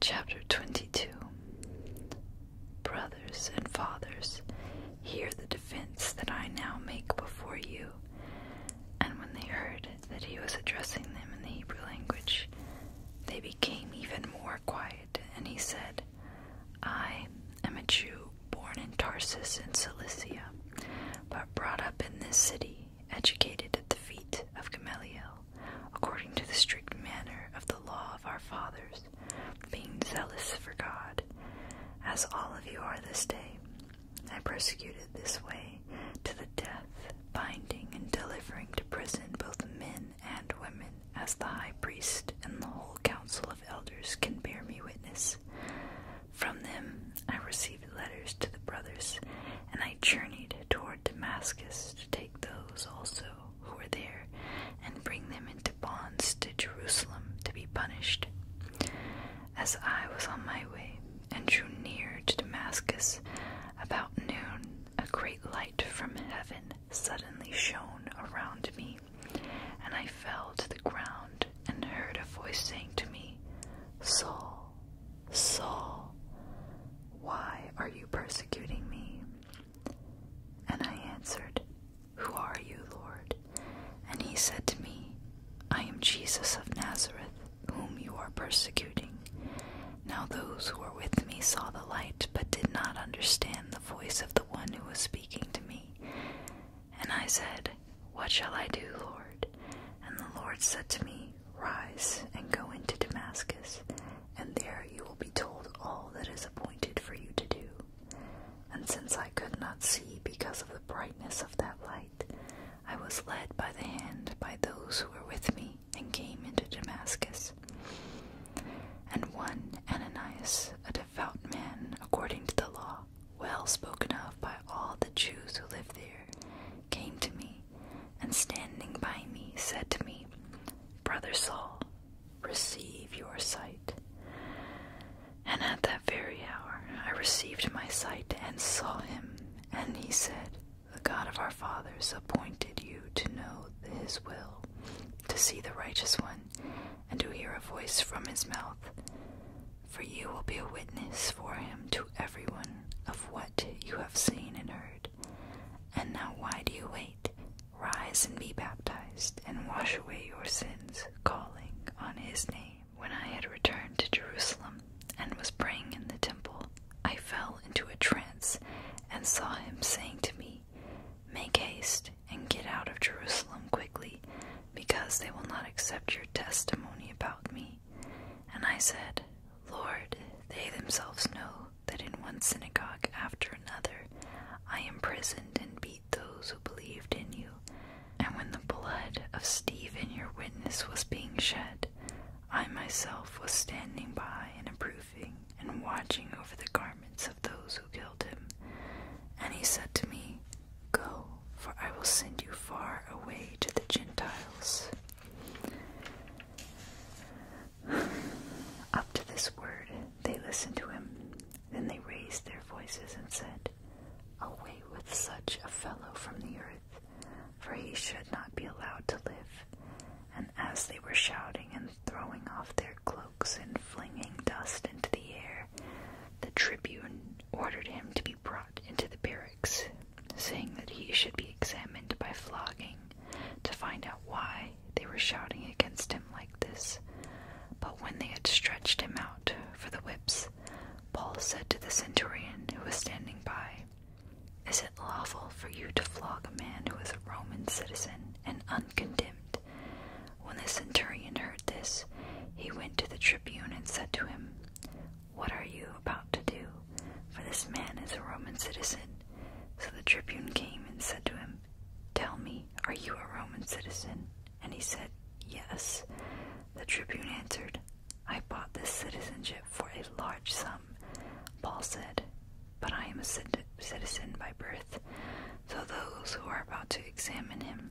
chapter 22. Brothers and fathers, hear the defense that I now make before you. And when they heard that he was addressing them in the Hebrew language, they became even more quiet, and he said, I am a Jew born in Tarsus in Cilicia, but brought up in this city, educated at the feet of Gamaliel, according to the strict manner of the law of our fathers, being zealous for God, as all of you are this day. I persecuted this way to the death, binding and delivering to prison both men and women, as the high priest and the whole council of elders can bear me witness. From them I received letters to the brothers, and I journeyed toward Damascus to take those also who were there and bring them into bonds to Jerusalem to be punished. As I was on my way, and drew near to Damascus. About noon, a great light from heaven suddenly shone around me, and I fell to the ground and heard a voice saying to me, Saul, Saul, why are you persecuting me? And I answered, Who are you, Lord? And he said to me, I am Jesus of Nazareth, whom you are persecuting. Now those who were with me saw the light, but did not understand the voice of the one who was speaking to me. And I said, What shall I do, Lord? And the Lord said to me, Rise and go into Damascus, and there you will be told all that is appointed for you to do. And since I could not see because of the brightness of that light, I was led by the hand by those who were with me and came into Damascus. And one Ananias, a devout man according to the law, well spoken of by all the Jews who lived there, came to me, and standing by me, said to me, Brother Saul, receive your sight. And at that very hour I received my sight and saw him, and he said, the God of our fathers appointed you to know his will, to see the righteous one, and to hear a voice from his mouth. For you will be a witness for him to everyone of what you have seen and heard. And now, why do you wait? Rise and be baptized, and wash away your sins, calling on his name when I had returned to Jerusalem and was praying in the temple, I fell into a trance and saw him saying to me, Make haste and get out of Jerusalem quickly, because they will not accept your testimony about me. And I said, Lord, they themselves know that in one synagogue after another I imprisoned and beat those who believed in you. And when the blood of Stephen your witness was being shed, I myself was standing by and approving and watching over the garments of those who killed him. And he said to me, Go, for I will send you far away to the Gentiles. Up to this word, they listened to him. Then they raised their voices and said, Away with such a fellow from the earth for he should not be allowed to live. And as they were shouting and throwing off their cloaks and flinging dust into the air, the tribune ordered him to be brought into the barracks, saying that he should be examined by flogging to find out why they were shouting against him like this. But when they had stretched him out for the whips, Paul said to the centurion who was standing by, is it lawful for you to flog a man who is a Roman citizen and uncondemned? When the centurion heard this, he went to the tribune and said to him, What are you about to do? For this man is a Roman citizen. So the tribune came and said to him, Tell me, are you a Roman citizen? And he said, Yes. The tribune answered, I bought this citizenship for a large sum, Paul said, but I am a citizen by birth. So those who are about to examine him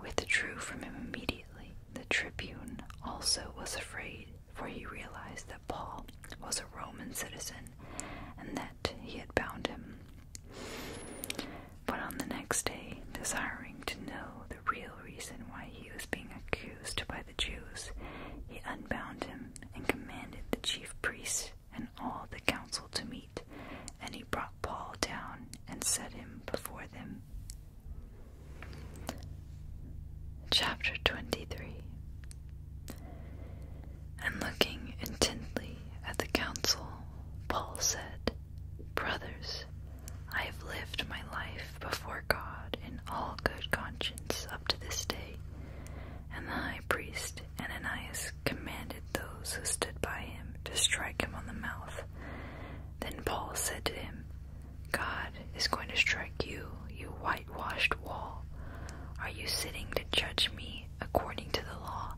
withdrew from him immediately. The tribune also was afraid, for he realized that Paul was a Roman citizen and that he had bound him. But on the next day, desiring to know the real reason why he was being accused by the Jews, he unbound him and commanded the chief priests and all the council to meet, and he brought Paul down and set him before them. Chapter 23 And looking intently at the council, Paul said, Brothers, I have lived my life before God in all good conscience up to this day. And the high priest Ananias commanded those who stood by him to strike him on the mouth. Then Paul said to him, God is going to strike you, you whitewashed wall. Are you sitting to judge me according to the law?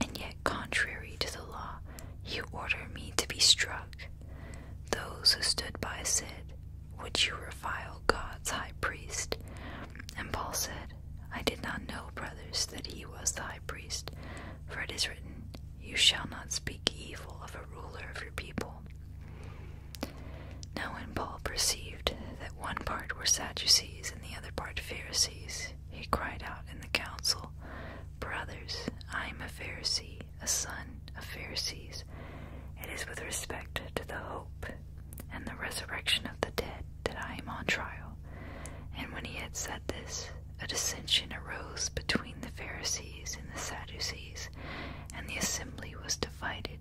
And yet, contrary to the law, you order me to be struck. Those who stood by said, would you revile God's high priest? And Paul said, I did not know, brothers, that he was the high priest, for it is written, You shall not speak evil of a ruler of your people. Now, when Paul perceived that one part were Sadducees and the other part Pharisees, he cried out in the council, Brothers, I am a Pharisee a son of Pharisees, it is with respect to the hope and the resurrection of the dead that I am on trial. And when he had said this, a dissension arose between the Pharisees and the Sadducees, and the assembly was divided.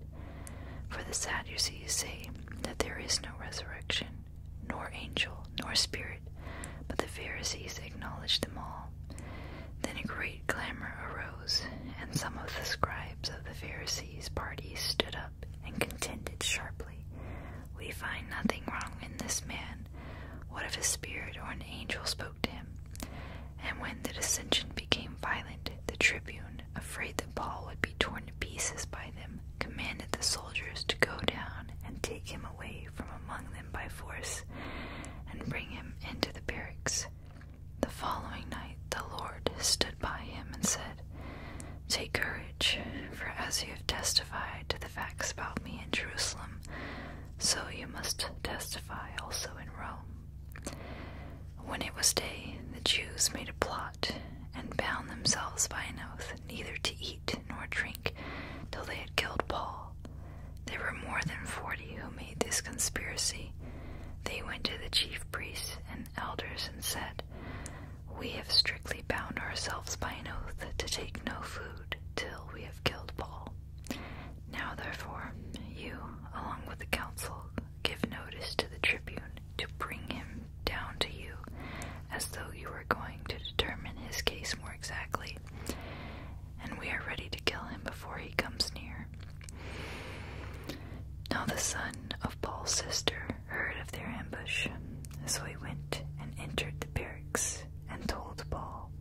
For the Sadducees say that there is no resurrection, nor angel, nor spirit, but the Pharisees acknowledge them all. Then a great clamor arose, and some of the scribes of the Pharisees' party stood up and contended sharply. We find nothing wrong in this man. What if a spirit or an angel spoke to him? And when the dissension became violent, the tribune, afraid that Paul would be torn to pieces by them, commanded the soldiers to go down and take him away from among them by force and bring him into the barracks. The following night the Lord stood by him and said, Take courage, for as you have testified to the facts about me in Jerusalem, so you must testify also in Rome. When it was day, the Jews made a plot and bound themselves by an oath neither to eat nor drink till they had killed Paul. There were more than forty who made this conspiracy. They went to the chief priests and elders and said, We have strictly bound ourselves by an oath to take no food till we have killed Paul. Now, therefore, you, along with the council, give notice to the tribune to bring him down to you, as though you were going to determine his case more exactly. And we are ready to kill him before he comes near. Now the son of Paul's sister heard of their ambush, so he went and entered the barracks and told Paul.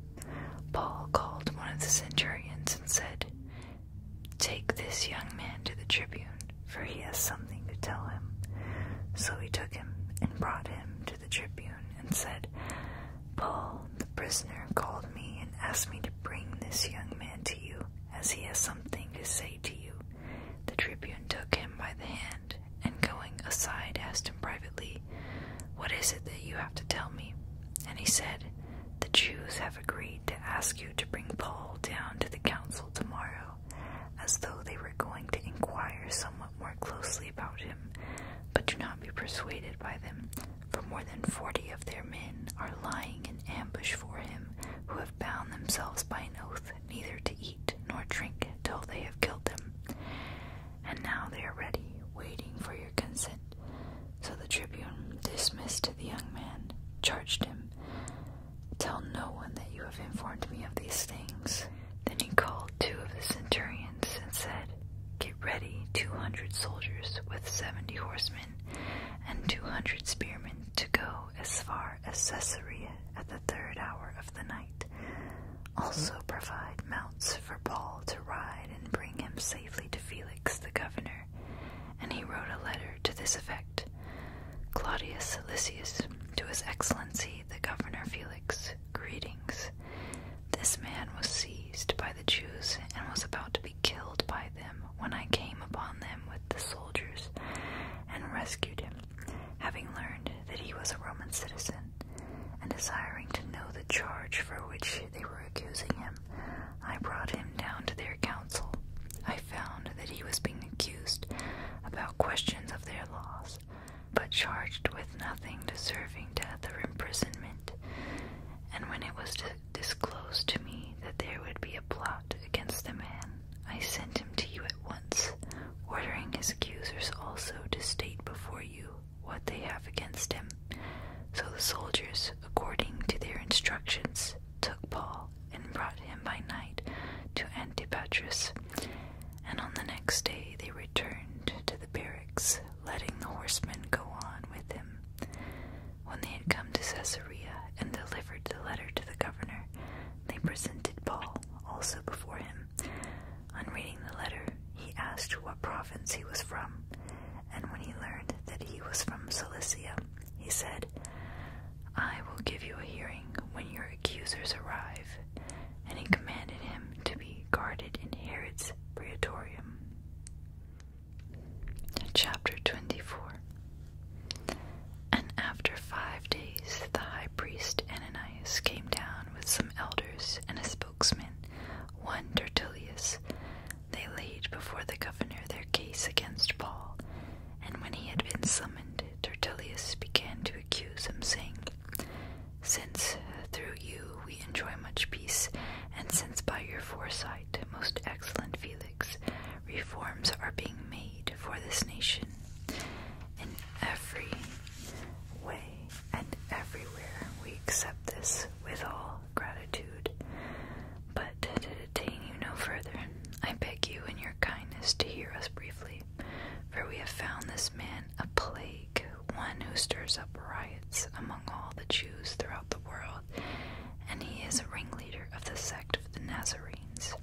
Paul called one of the centurions and said, Take this young man to the tribune, for he has something to tell him. So he took him and brought him to the tribune and said, Paul, the prisoner called me and asked me to bring this young man to you, as he has something to say to you. The tribune took him by the hand, and going aside, asked him privately, What is it that you have to tell me? And he said, The Jews have agreed to ask you to bring Paul down to the council tomorrow, as though they were going to inquire somewhat more closely about him. But do not be persuaded by them, for more than forty of their men are lying in ambush for him, who have bound themselves by an oath neither to eat nor drink till they have killed him. And now they are ready, waiting for your consent. So the tribune dismissed the young man, charged him, Tell no one that you have informed me of these things. Then he called two of the centurions and said, Get ready two hundred soldiers with seventy horsemen and two hundred spearmen to go as far as Caesarea at the third hour of the night. Also provide mounts for Paul to ride and bring him safely to Felix the governor. And he wrote a letter to this effect Claudius Silicius, to his excellency the governor Felix, greetings. This man was seized by the Jews and was about to be killed by them when I came upon them with the soldiers and rescued him, having learned that he was a Roman citizen, and desiring to know the charge for which they were accusing him, I brought him down to their council. I found that he was being accused about questions of their laws, but charged with nothing deserving death or imprisonment. And when it was disclosed to me that there would be a plot against the man, I sent him to you at once, ordering his accusers also to state before you what they have against him. So the soldiers, according to their instructions, took Paul and brought him by night to Antipatris, and on the next day they returned to the barracks, letting the horsemen go on with him. When they had come to Caesarea and delivered the letter to the governor, they presented Paul also before him. On reading the letter, he asked what province he was from, and when he learned that he was from Cilicia, he said, I will give you a hearing when your accusers arrive. And he commanded him to be guarded in Herod's praetorium. Chapter 24 And after five days, the high priest Ananias came down with some elders and a spokesman, one Tertullius. They laid before the governor their case against Paul, and when he had been summoned, Tertullius began to accuse him, saying, Since through you we enjoy much peace, and since by your foresight, most excellent Felix, reforms are being made for this nation in every way and everywhere. We accept this with all gratitude. But to detain you no further, I beg you in your kindness to hear us briefly, for we have found this man a plague, one who stirs up riots among all the Jews throughout the world, and he is a ringleader of the sect of the Nazarenes.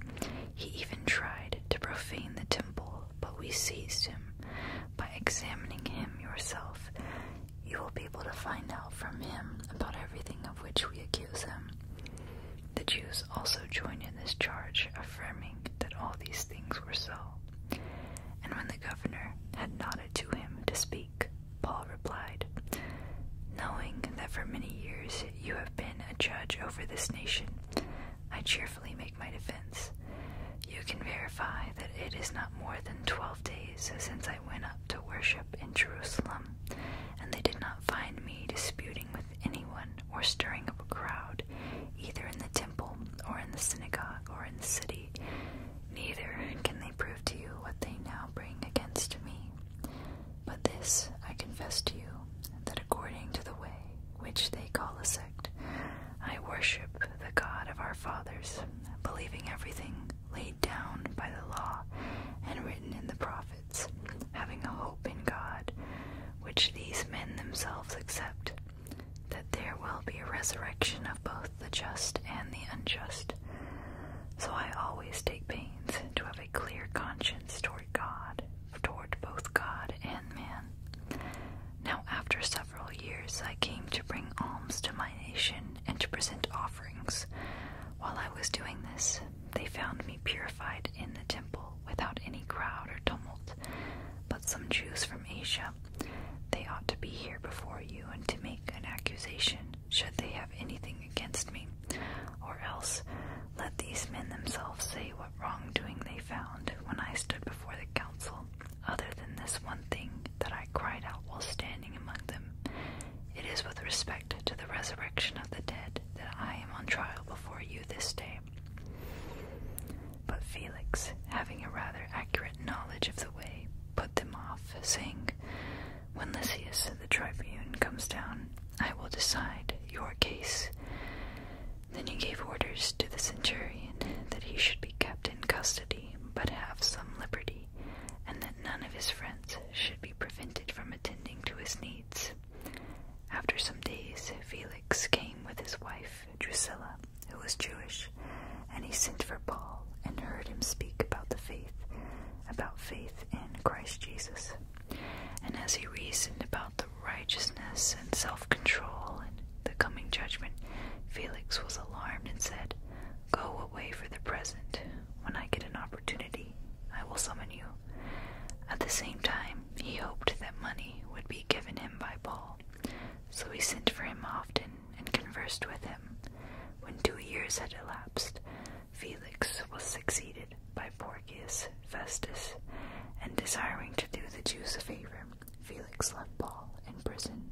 He even tried to profane the temple, but we seized him. By examining him yourself, you will be able to find out from him about everything of which we accuse him. The Jews also join in this charge, affirming that all these things were so. And when the governor had nodded to him to speak, Paul replied, Knowing that for many years you have been a judge over this nation, I cheerfully make my defense. You can verify that it is not more than twelve days since I went up to worship in Jerusalem, and they did not find me disputing with anyone or stirring up a crowd, either in the temple or in the synagogue or in the city. Neither can they prove to you what they now bring against me. But this I confess to you, that according to the way which they call a sect, I worship the God of our fathers, believing everything laid down by the law and written in the prophets, having a hope in God, which these men themselves accept, that there will be a resurrection of both the just and the unjust. So I always take pains to have a clear conscience toward God, toward both God and man. Now, after several years, I came to bring alms to my nation and to present offerings. While I was doing this, they found me purified in the temple without any crowd or tumult, but some Jews from Asia. They ought to be here before you and to make an accusation should they have anything against me, or else let these men themselves say what wrongdoing they found when I stood before the council, other than this one thing that I cried out while standing among them. It is with respect to the resurrection of the dead that I am on trial before you this day. But Felix, having a rather accurate knowledge of the way, put them off, saying, when Lysias the tribune comes down, I will decide your case. Then he gave orders to the centurion that he should be kept in custody, but have some liberty, and that none of his friends should be prevented from attending to his needs. After some days, Felix came with his wife, Drusilla, who was Jewish, and he sent for Paul and heard him speak about the faith, about faith in Christ Jesus. And as he reasoned about the righteousness and self control and the coming judgment, Felix was alarmed and said, Go away for the present. When I get an opportunity, I will summon you. At the same time, he hoped that money would be given him by Paul. So he sent for him often and conversed with him. When two years had elapsed, Felix was succeeded by Porcius Festus, and desiring to do the Jews a favor, Felix left Paul in prison.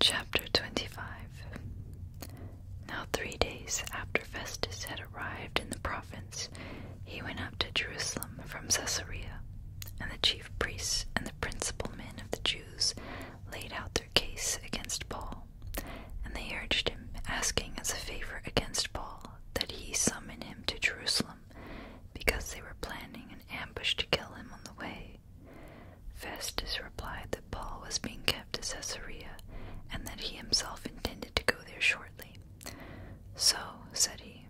Chapter 25 Now, three days after Festus had arrived in the province, he went up to Jerusalem from Caesarea, and the chief priests and the principal men of the Jews laid out their case against Paul and they urged him, asking as a favor against Paul that he summon him to Jerusalem, because they were planning an ambush to kill him on the way. Festus replied that Paul was being kept at Caesarea, and that he himself intended to go there shortly. So, said he,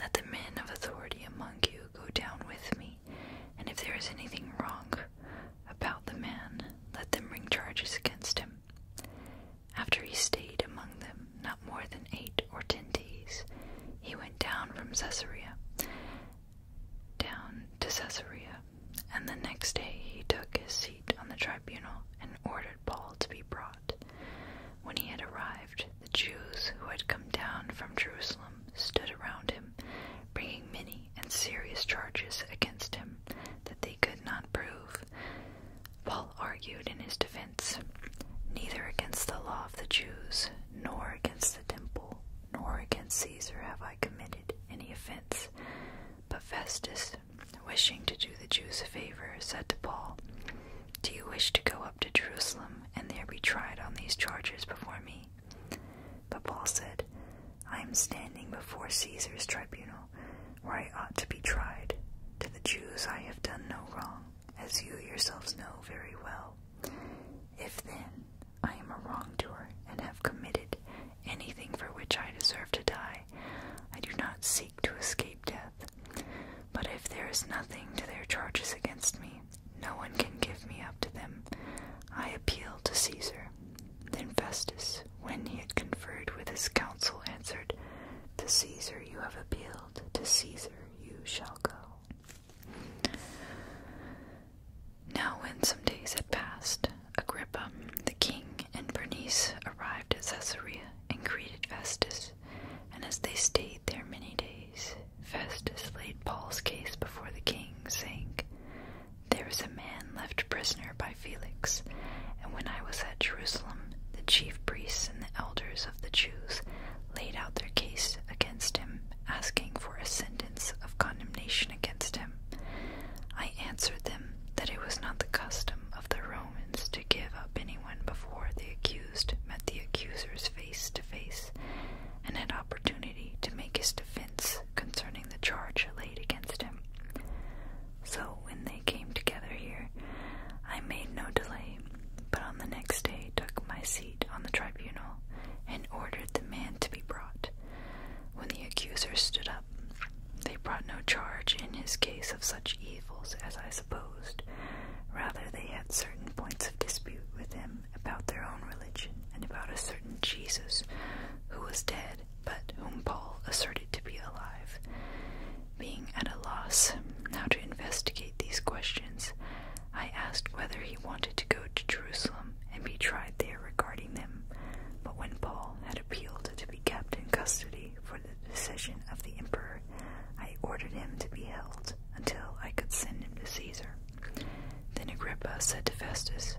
let the men of authority among you go down with me, and if there is anything wrong about the man, let them bring charges against him. After he stayed among them not more than eight or ten days, he went down from Caesarea down to Caesarea, and the next day he took his seat on the tribunal and ordered Paul to be brought. When he had arrived, the Jews who had come down from Jerusalem stood around him, bringing many and serious charges against him that they could not prove. Paul argued in his defense Neither against the law of the Jews, nor against the temple, nor against Caesar have I committed any offense. But Festus, wishing to do the Jews a favor, said to Paul, Do you wish to go up to Jerusalem and there be tried on these charges before me? But Paul said, I am standing before Caesar's tribunal, where I ought to be tried. To the Jews I have done no wrong, as you yourselves know very well. If then I am a wrongdoer and have committed anything for which I deserve to die, I do not seek to escape death. But if there is nothing to their charges against me, no one can give me up to them. I appeal to Caesar, then Festus, when he had conferred with his council, answered, To Caesar you have appealed, to Caesar you shall go. Now, when some days had passed, Agrippa, the king, and Bernice arrived at Caesarea and greeted Festus. And as they stayed there many days, Festus laid Paul's case before the king, saying, there was a man left prisoner by Felix, and when I was at Jerusalem, the chief priests and the elders of the Jews laid out their case against him, asking for a sentence of condemnation against him. I answered them that it was not the custom of the Romans to give up anyone before the accused met the accusers face to face and had opportunity to make his defense concerning the charge laid against him. So when they came together here, I made no delay, but on the next day took my seat on the tribunal and ordered the man to be brought. When the accusers stood up, they brought no charge in his case of such evils as I supposed. Rather, they had certain points of dispute with him about their own religion and about a certain Jesus who was dead but whom Paul asserted to be alive. Being at a loss how to investigate these questions, I asked whether he wanted to go to Jerusalem and be tried there regarding them. But when Paul had appealed to be kept in custody for the decision of the emperor, I ordered him to be held until I could send him to Caesar. Then Agrippa said to Festus,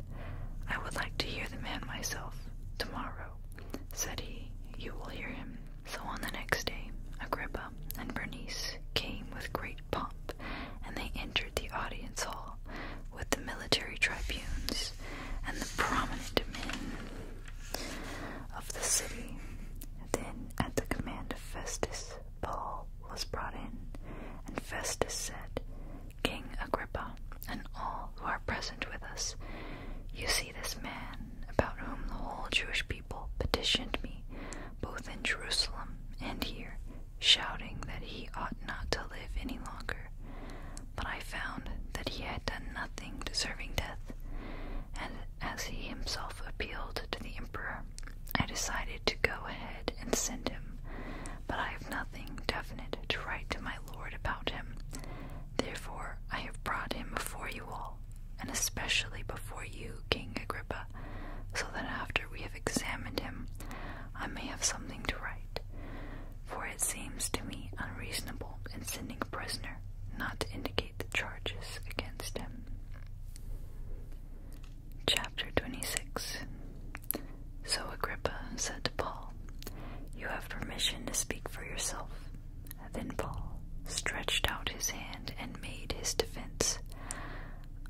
I would like to hear the man myself. Tomorrow, said he, you will hear him. So on the next day, Agrippa and Bernice came with great pomp, and they entered the audience hall with the military tribunes and the prominent men of the city. Then, at the command of Festus, Paul was brought in, and Festus said, King Agrippa, and all who are present with us, you see this man, about whom the whole Jewish people petitioned me, both in Jerusalem and here, shouting that he ought not to live any longer. But I found that he had done nothing deserving death, and as he himself appealed to the emperor, I decided to go ahead and send him, but I have nothing definite to write to my Lord about him. Therefore, I have brought him before you all, and especially before you, King Agrippa, so that after we have examined him, I may have something to write. For it seems to me unreasonable in sending a prisoner not to indicate the charges against him. Chapter 26 so Agrippa said to Paul, You have permission to speak for yourself. Then Paul stretched out his hand and made his defense.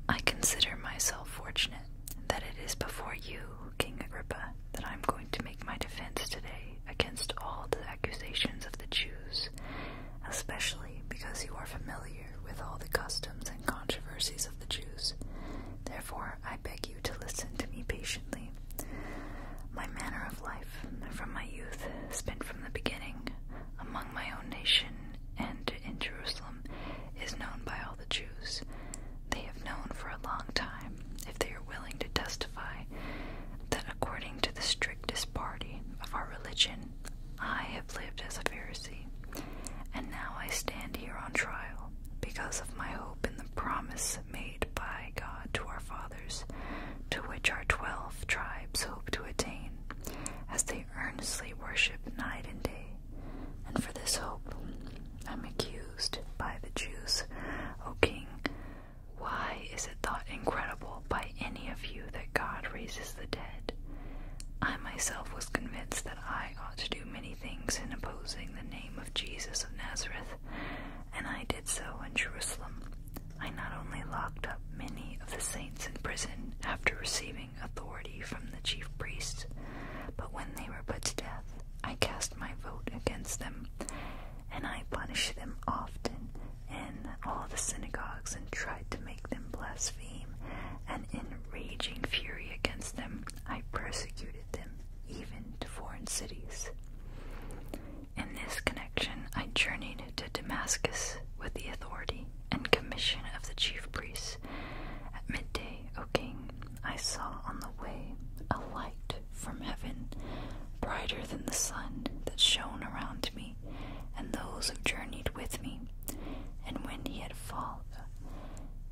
I consider myself fortunate that it is before you, King Agrippa, that I am going to make my defense today against all the accusations of the Jews, especially because you are familiar with all the customs and controversies of the Jews. Therefore, I beg you to listen to me patiently. My manner of life, from my youth, spent from the beginning among my own nation and in Jerusalem, is known by all the Jews. They have known for a long time, if they are willing to testify, that according to the strictest party of our religion, I have lived as a Pharisee, and now I stand here on trial because of my hope in the promise made by God to our fathers, to which our twelve tribes hope to attain, as they earnestly worship night and day. And for this hope I'm accused by the Jews, O king. Why is it thought incredible by any of you that God raises the dead? I myself was convinced that I ought to do many things in opposing the name of. Jesus of Nazareth, and I did so in Jerusalem. I not only locked up many of the saints in prison after receiving authority from the chief priests, but when they were put to death, I cast my vote against them, and I punished them often in all the synagogues and tried to make them blaspheme, and in raging fury against them, I persecuted them even to foreign cities. In this connection, I journeyed to Damascus with the authority and commission of the chief priests. At midday, O king, I saw on the way a light from heaven, brighter than the sun, that shone around me and those who journeyed with me. And when he had fallen,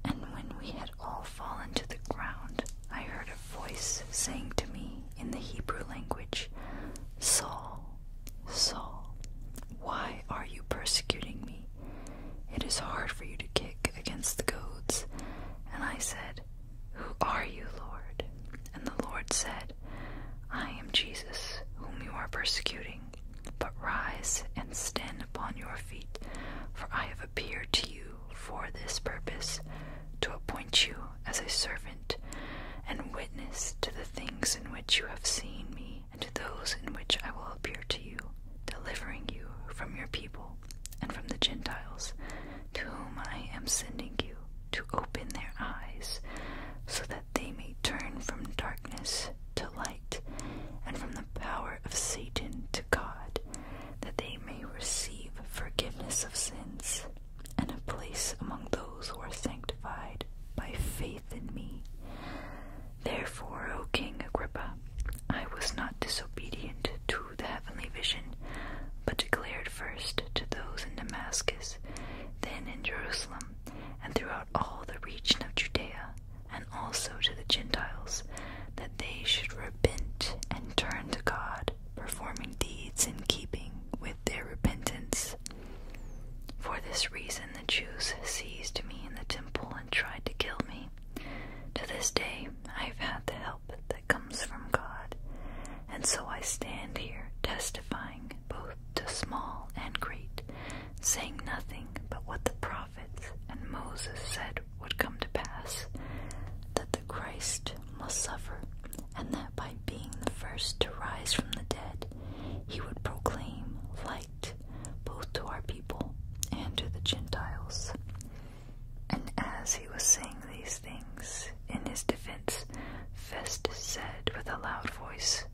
and when we had all fallen to the ground, I heard a voice saying to me in the Hebrew language, Saul, Saul, why are you persecuting me? It is hard for you to kick against the goads. And I said, Who are you, Lord? And the Lord said, I am Jesus, whom you are persecuting. But rise and stand upon your feet, for I have appeared to you for this purpose to appoint you as a servant and witness to the things in which you have seen me and to those in which I will appear to you, delivering you from your people and from the Gentiles to whom I am sending you to open their eyes so that they may turn from darkness to light and from the power of Satan to God that they may receive forgiveness of sins and a place among those who are sanctified by faith in me. Therefore, O King Agrippa, I was not disobedient to the heavenly vision, but declared first to those in Damascus, then in Jerusalem, and throughout all the region of Judea, and also to the Gentiles, that they should repent and turn to God, performing deeds in keeping with their repentance. For this reason, the Jews seized me in the temple and tried to kill me. To this day, I have had the help that comes from God, and so I stand here testifying both to small and great, saying nothing but what the and Moses said would come to pass that the Christ must suffer, and that by being the first to rise from the dead, he would proclaim light both to our people and to the Gentiles. And as he was saying these things, in his defense, Festus said with a loud voice,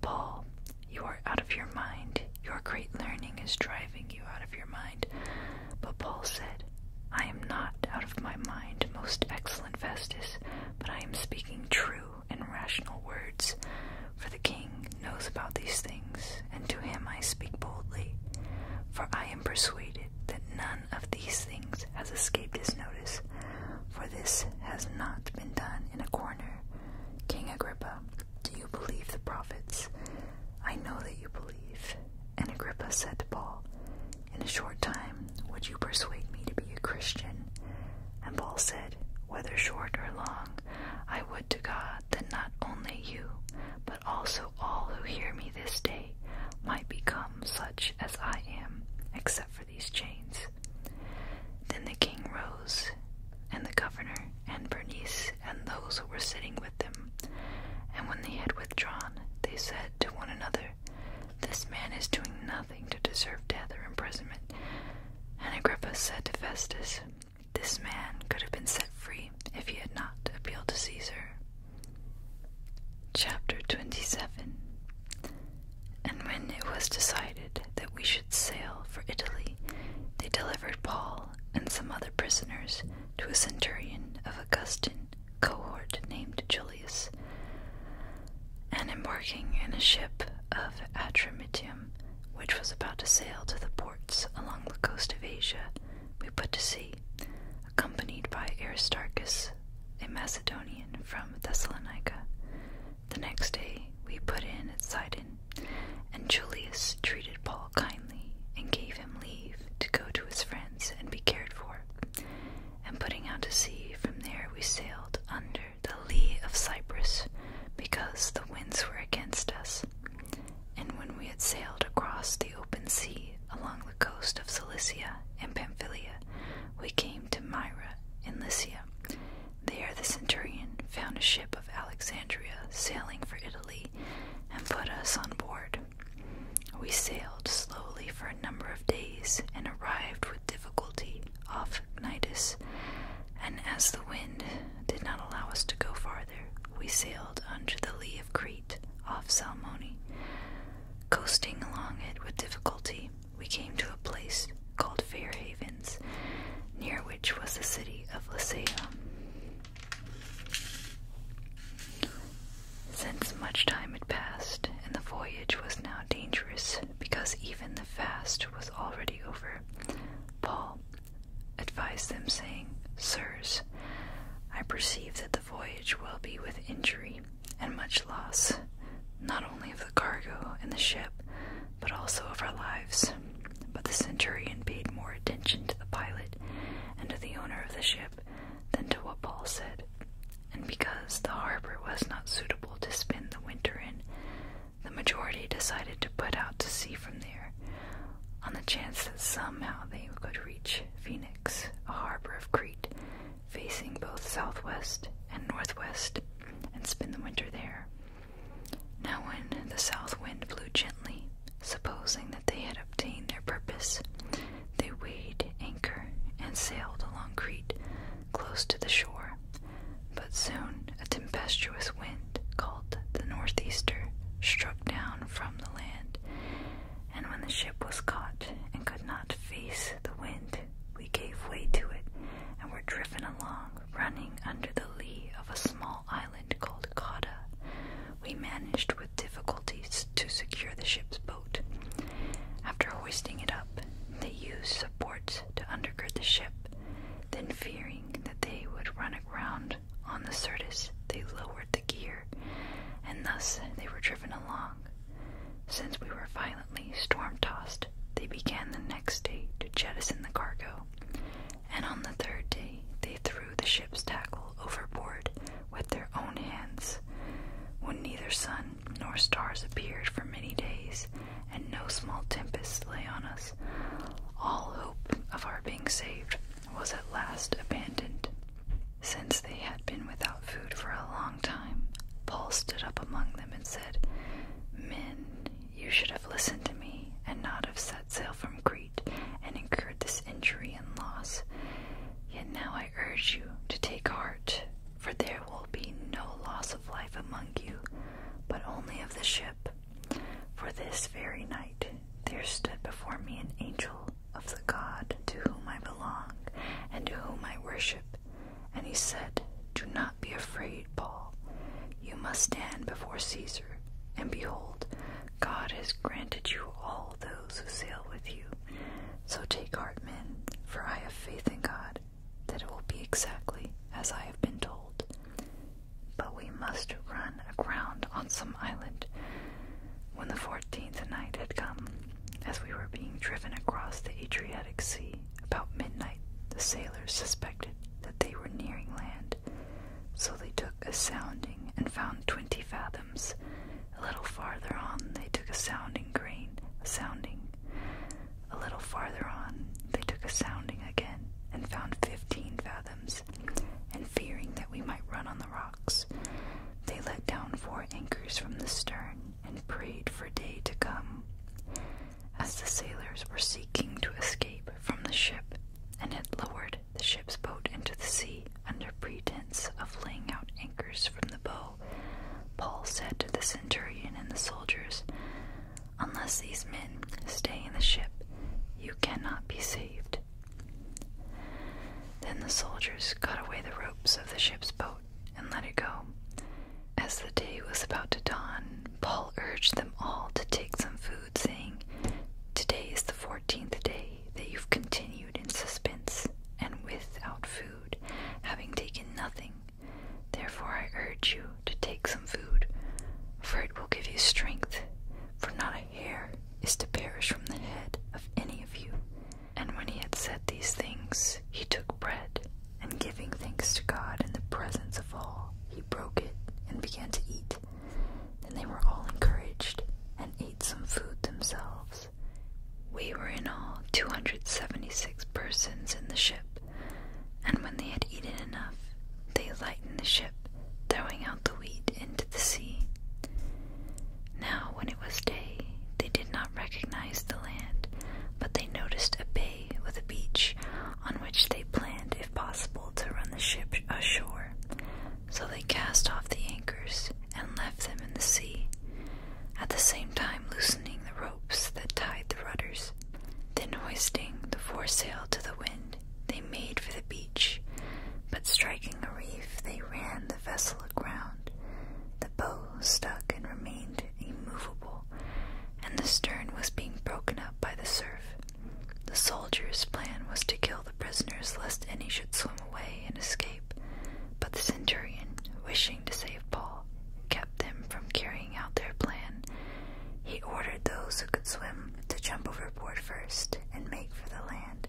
Paul, you are out of your mind. Your great learning is driving out of your mind. But Paul said, I am not out of my mind, most excellent Festus, but I am speaking true and rational words. For the king knows about these things, and to him I speak boldly. For I am persuaded that none of these things has escaped his notice, for this has not been done in a corner. King Agrippa, do you believe the prophets? I know that you believe. And Agrippa said to Paul, In a short time would you persuade me to be a Christian? And Paul said, Whether short or long, I would to God that not only you, but also all who hear me this day might become such as I am, except for these chains. Then the king rose, and the governor, and Bernice, and those who were sitting with them. And when they had withdrawn, they said to one another, This man is doing nothing to deserve death or imprisonment. And Agrippa said to Festus, This man could have been set free if he had not appealed to Caesar. Chapter 27 And when it was decided that we should sail for Italy, they delivered Paul and some other prisoners to a centurion of Augustan cohort named Julius, and embarking in a ship of Atramitium, which was about to sail to the ports along the coast of Asia, we put to sea, accompanied by Aristarchus, a Macedonian from Thessalonica. The next day we put in at Sidon, and Julius treated Paul kindly and gave him leave to go to his friends and be cared for. And putting out to sea, from there we sailed under the lee of Cyprus, because the winds were against us. And when we had sailed across the open sea along the coast of Cilicia and Pamphylia, we came to Myra in Lycia. There the centurion found a ship of Alexandria sailing for Italy and put us on board. We sailed slowly for a number of days and arrived with difficulty off Cnidus, and as the wind did not allow us to go farther, we sailed under the lee of Crete off Salmoni. Coasting along it with difficulty, we came to a place called Fair Havens, near which was the city of Lycia. Since much time had passed, and the voyage was now dangerous because even the fast was already over, Paul advised them, saying, Sirs, I perceive that the voyage will be with injury and much loss, not only of the cargo and the ship, but also of our lives. But the centurion paid more attention to the pilot and to the owner of the ship than to what Paul said, and because the harbor was not suitable to spend the winter in, the majority decided to put out to sea from there, on the chance that somehow they could reach Phoenix, a harbor of Crete, facing both southwest and northwest, and spend the winter there. Now, when the south wind blew gently, Supposing that they had obtained their purpose, they weighed anchor and sailed along Crete close to the shore. But soon a tempestuous wind called the Northeaster struck down from the land, and when the ship was caught and could not face the wind, we gave way to it and were driven along, running under the lee of a small island called Cotta, we managed with difficulties to secure the ship's boat. After hoisting it up, they used supports to undergird the ship. Then, fearing that they would run aground on the Sirtis, they lowered the gear, and thus they were driven along. Since we were violently storm tossed, they began the next day to jettison the cargo, and on the third day they threw the ship ships tackle overboard with their own hands. When neither sun nor stars appeared for many days, and no small tempest lay on us, all hope of our being saved was at last abandoned. Since they had been without food for a long time, Paul stood up among them and said, Men, you should have listened to me and not have set sail from Greece." and incurred this injury and loss. Yet now I urge you to take heart, for there will be no loss of life among you, but only of the ship. For this very night there stood before me an angel of the God to whom I belong and to whom I worship, and he said, Do not be afraid, Paul. You must stand before Caesar, and behold, God has granted you all the those who sail with you. So take heart, men, for I have faith in God that it will be exactly as I have been told. But we must run aground on some island. When the fourteenth night had come, as we were being driven across the Adriatic Sea, about midnight the sailors suspected that they were nearing land. So they took a sounding and found twenty fathoms, a little farther on, they took a sounding grain, a sounding. A little farther on, they took a sounding again, and found fifteen fathoms. And fearing that we might run on the rocks, they let down four anchors from the stern, and prayed for day to come. As the sailors were seeking to escape from the ship, and had lowered the ship's boat into the sea under pretense of laying out anchors from the bow, Paul said to the centurion and the soldiers, Unless these men stay in the ship, you cannot be saved. Then the soldiers cut away the ropes of the ship's boat and let it go. As the day was about to dawn, Paul urged them all to take some food, saying, Today is the fourteenth day that you've continued in suspense and without food, having taken nothing. Therefore, I urge you to take some food, for it will give you strength, for not a hair is to perish from the head of any of you. And when he had said these things, he took bread, and giving thanks to God in the presence of all, he broke it and began to eat. Then they were all encouraged and ate some food themselves. We were in all 276 persons in the ship, and when they had eaten enough, they lightened the ship, throwing out the wheat into the sea. Now, when it was day, they did not recognize the land, but they noticed a bay with a beach on which they planned, if possible, to run the ship ashore, so they cast off the anchors and left them in the sea, at the same time loosening the ropes that tied the rudders. Then, hoisting the foresail to the wind, they made for the beach, but striking a reef, they ran the vessel aground. The bow stuck and remained immovable, and the stern was being broken up by the surf. The soldiers' plan was to kill the prisoners lest any should swim away and escape. But the centurion, wishing to save Paul, kept them from carrying out their plan. He ordered those who could swim to jump overboard first and make for the land,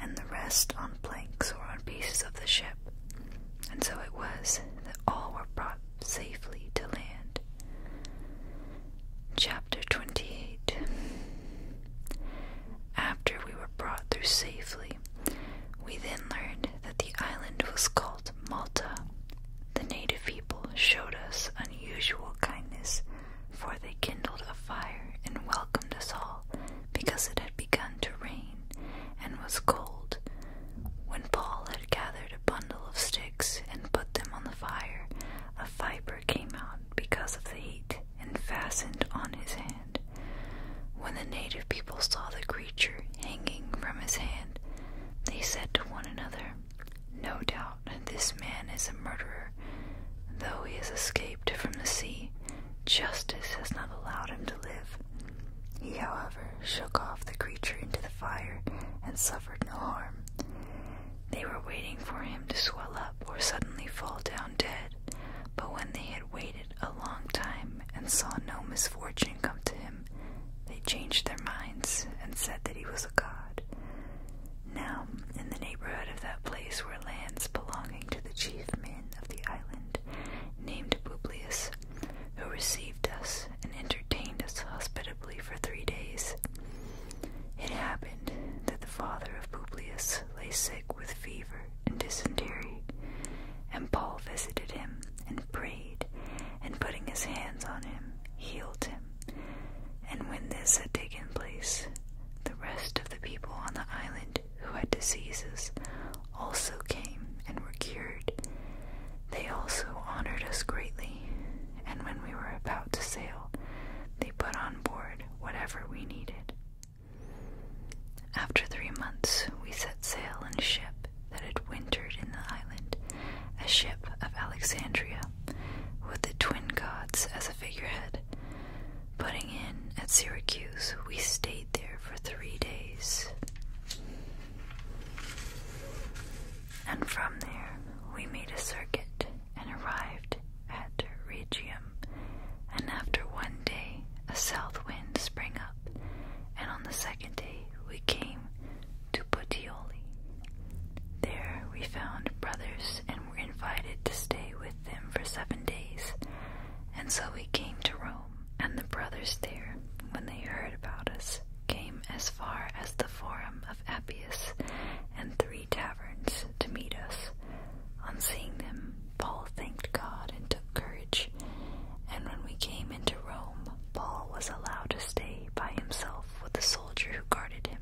and the rest on planks or on pieces of the ship. And so it was that all were brought safely to land. Chapter 28 after we were brought through safely, we then learned that the island was called Malta. The native people showed us unusual kindness, for they kindled a fire and welcomed us all because it had begun to rain and was cold. When Paul had gathered a bundle of sticks and put them on the fire, a viper came out because of the heat and fastened on his hand. When the native people saw the creature hanging from his hand, they said to one another, No doubt this man is a murderer, though he has escaped from the sea. Justice has not allowed him to live. He, however, shook off the creature into the fire and suffered no harm. They were waiting for him to swell up or suddenly fall down dead, but when they had waited a long time and saw no misfortune come to him, they changed their minds and said that he was a god. Now, in the neighborhood of that place were lands belonging to the chief men of the island, named Publius, who received us and entertained us hospitably for three days. It happened that the father of Publius lay sick with fever, and dysentery. And Paul visited him and prayed, and putting his hands on him, healed him. And when this had taken place, the rest of the people on the island who had diseases also came and were cured. They also honored us greatly, and when we were about to sail, they put on board whatever we needed. After three months, we set sail in a ship that had wintered in the island, a ship of Alexandria, with the twin gods as a figurehead. Putting in at Syracuse, we stayed there for three days. And from there, we made a circuit and arrived at Regium, and after one day a south wind sprang up, and on the second day we came to Potioli. There we found brothers and were invited to stay with them for seven days, and so we came to Rome, and the brothers there, when they heard about us, came as far as the Forum of Appius and three taverns to meet us. On seeing them, Paul thanked God and took courage. And when we came into Rome, Paul was allowed to stay by himself with the soldier who guarded him.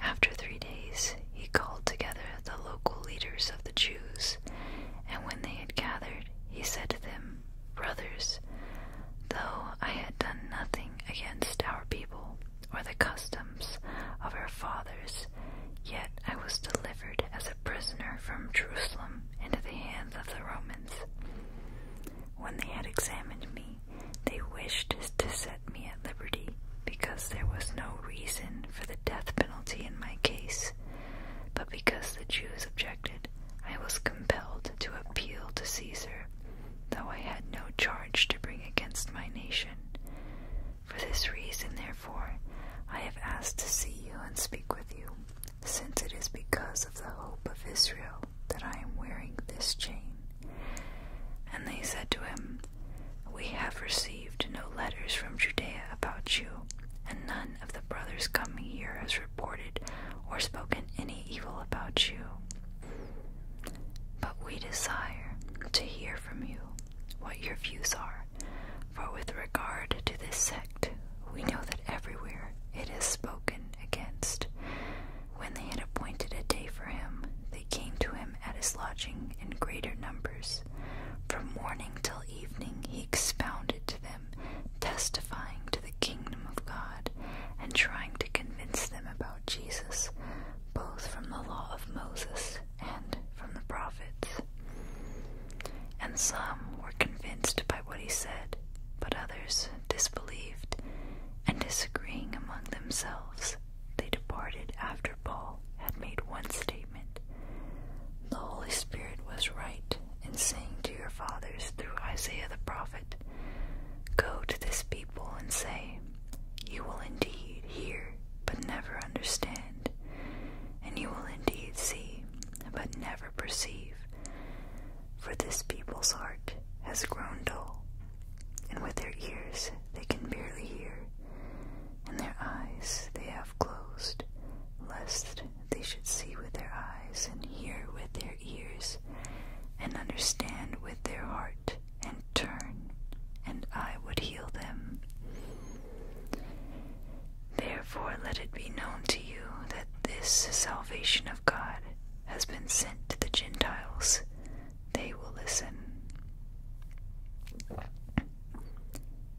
After three days, he called together the local leaders of the Jews, and when they had gathered, he said to them, Brothers, though I had done nothing against our people, or the customs of our fathers, yet I was delivered as a prisoner from Jerusalem into the hands of the Romans. When they had examined me, they wished to set me at liberty, because there was no reason for the death penalty in my case. But because the Jews objected, I was compelled to appeal to Caesar, though I had no charge to bring against my nation. For this reason, therefore, I have asked to see you and speak with you, since it is because of the hope of Israel that I am wearing this chain. And they said to him, We have received no letters from Judea about you, and none of the brothers coming here has reported or spoken any evil about you. But we desire to hear from you what your views are, for with regard to this sect, we know that everywhere it is spoken against. When they had appointed a day for him, they came to him at his lodging in greater numbers. From morning till evening he expounded to them, testifying to the kingdom of God, and trying to convince them about Jesus, both from the law of Moses and from the prophets. And some were convinced by what he said, but others disbelieved, and disagreeing among themselves, they departed after Paul had made one statement The Holy Spirit was right in saying to your fathers through Isaiah the prophet, Go to this people and say, You will indeed hear, but never understand and you will indeed see, but never perceive. For this people's heart has grown dull, and with their ears they can barely hear, and their eyes they have closed, lest they should see with their eyes, and hear with their ears, and understand with their heart, and turn, and I would heal them. Therefore, let it be known to you that this salvation of God has been sent to the Gentiles. They will listen.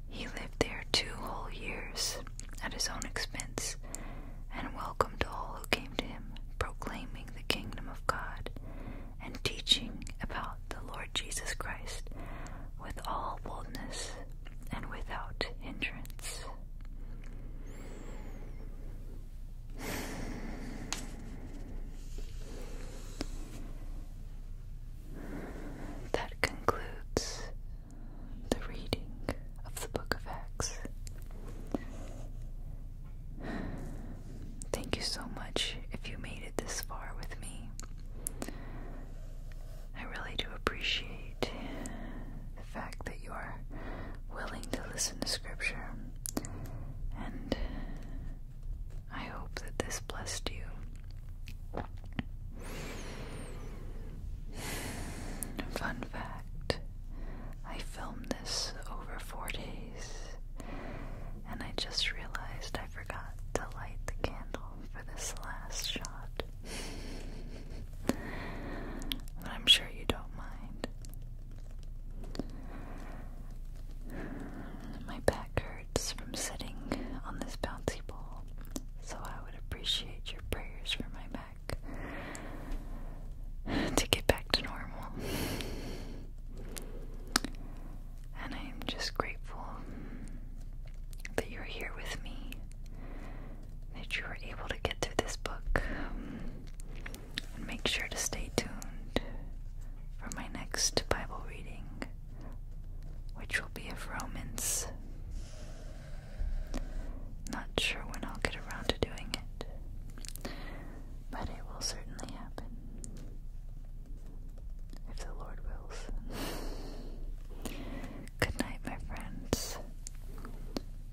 He lived there two whole years at his own expense and welcomed all who came to him, proclaiming the kingdom of God and teaching about the Lord Jesus Christ with all boldness and without hindrance. That concludes the reading of the Book of Acts. Thank you so much if you made this far with me. I really do appreciate the fact that you are willing to listen to Scripture, and I hope that this blessed you. Fun fact I filmed this over four days, and I just realized I forgot to light the candle for this last shot. but I'm sure you don't mind. My back hurts from sitting on this bouncy ball, so I would appreciate your prayers for my back to get back to normal. And I'm just grateful that you're here with me, that you were able to get through this book. and make sure to stay tuned for my next Bible reading, which will be of Romans. Not sure when I'll get around to doing it, but it will certainly happen if the Lord wills. Good night, my friends.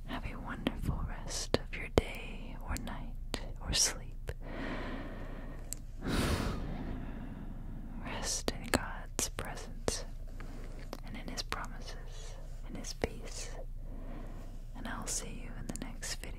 Have a wonderful rest of your day or night or sleep. Rest in God's presence and in His promises, in His peace. And I'll see you in the next video.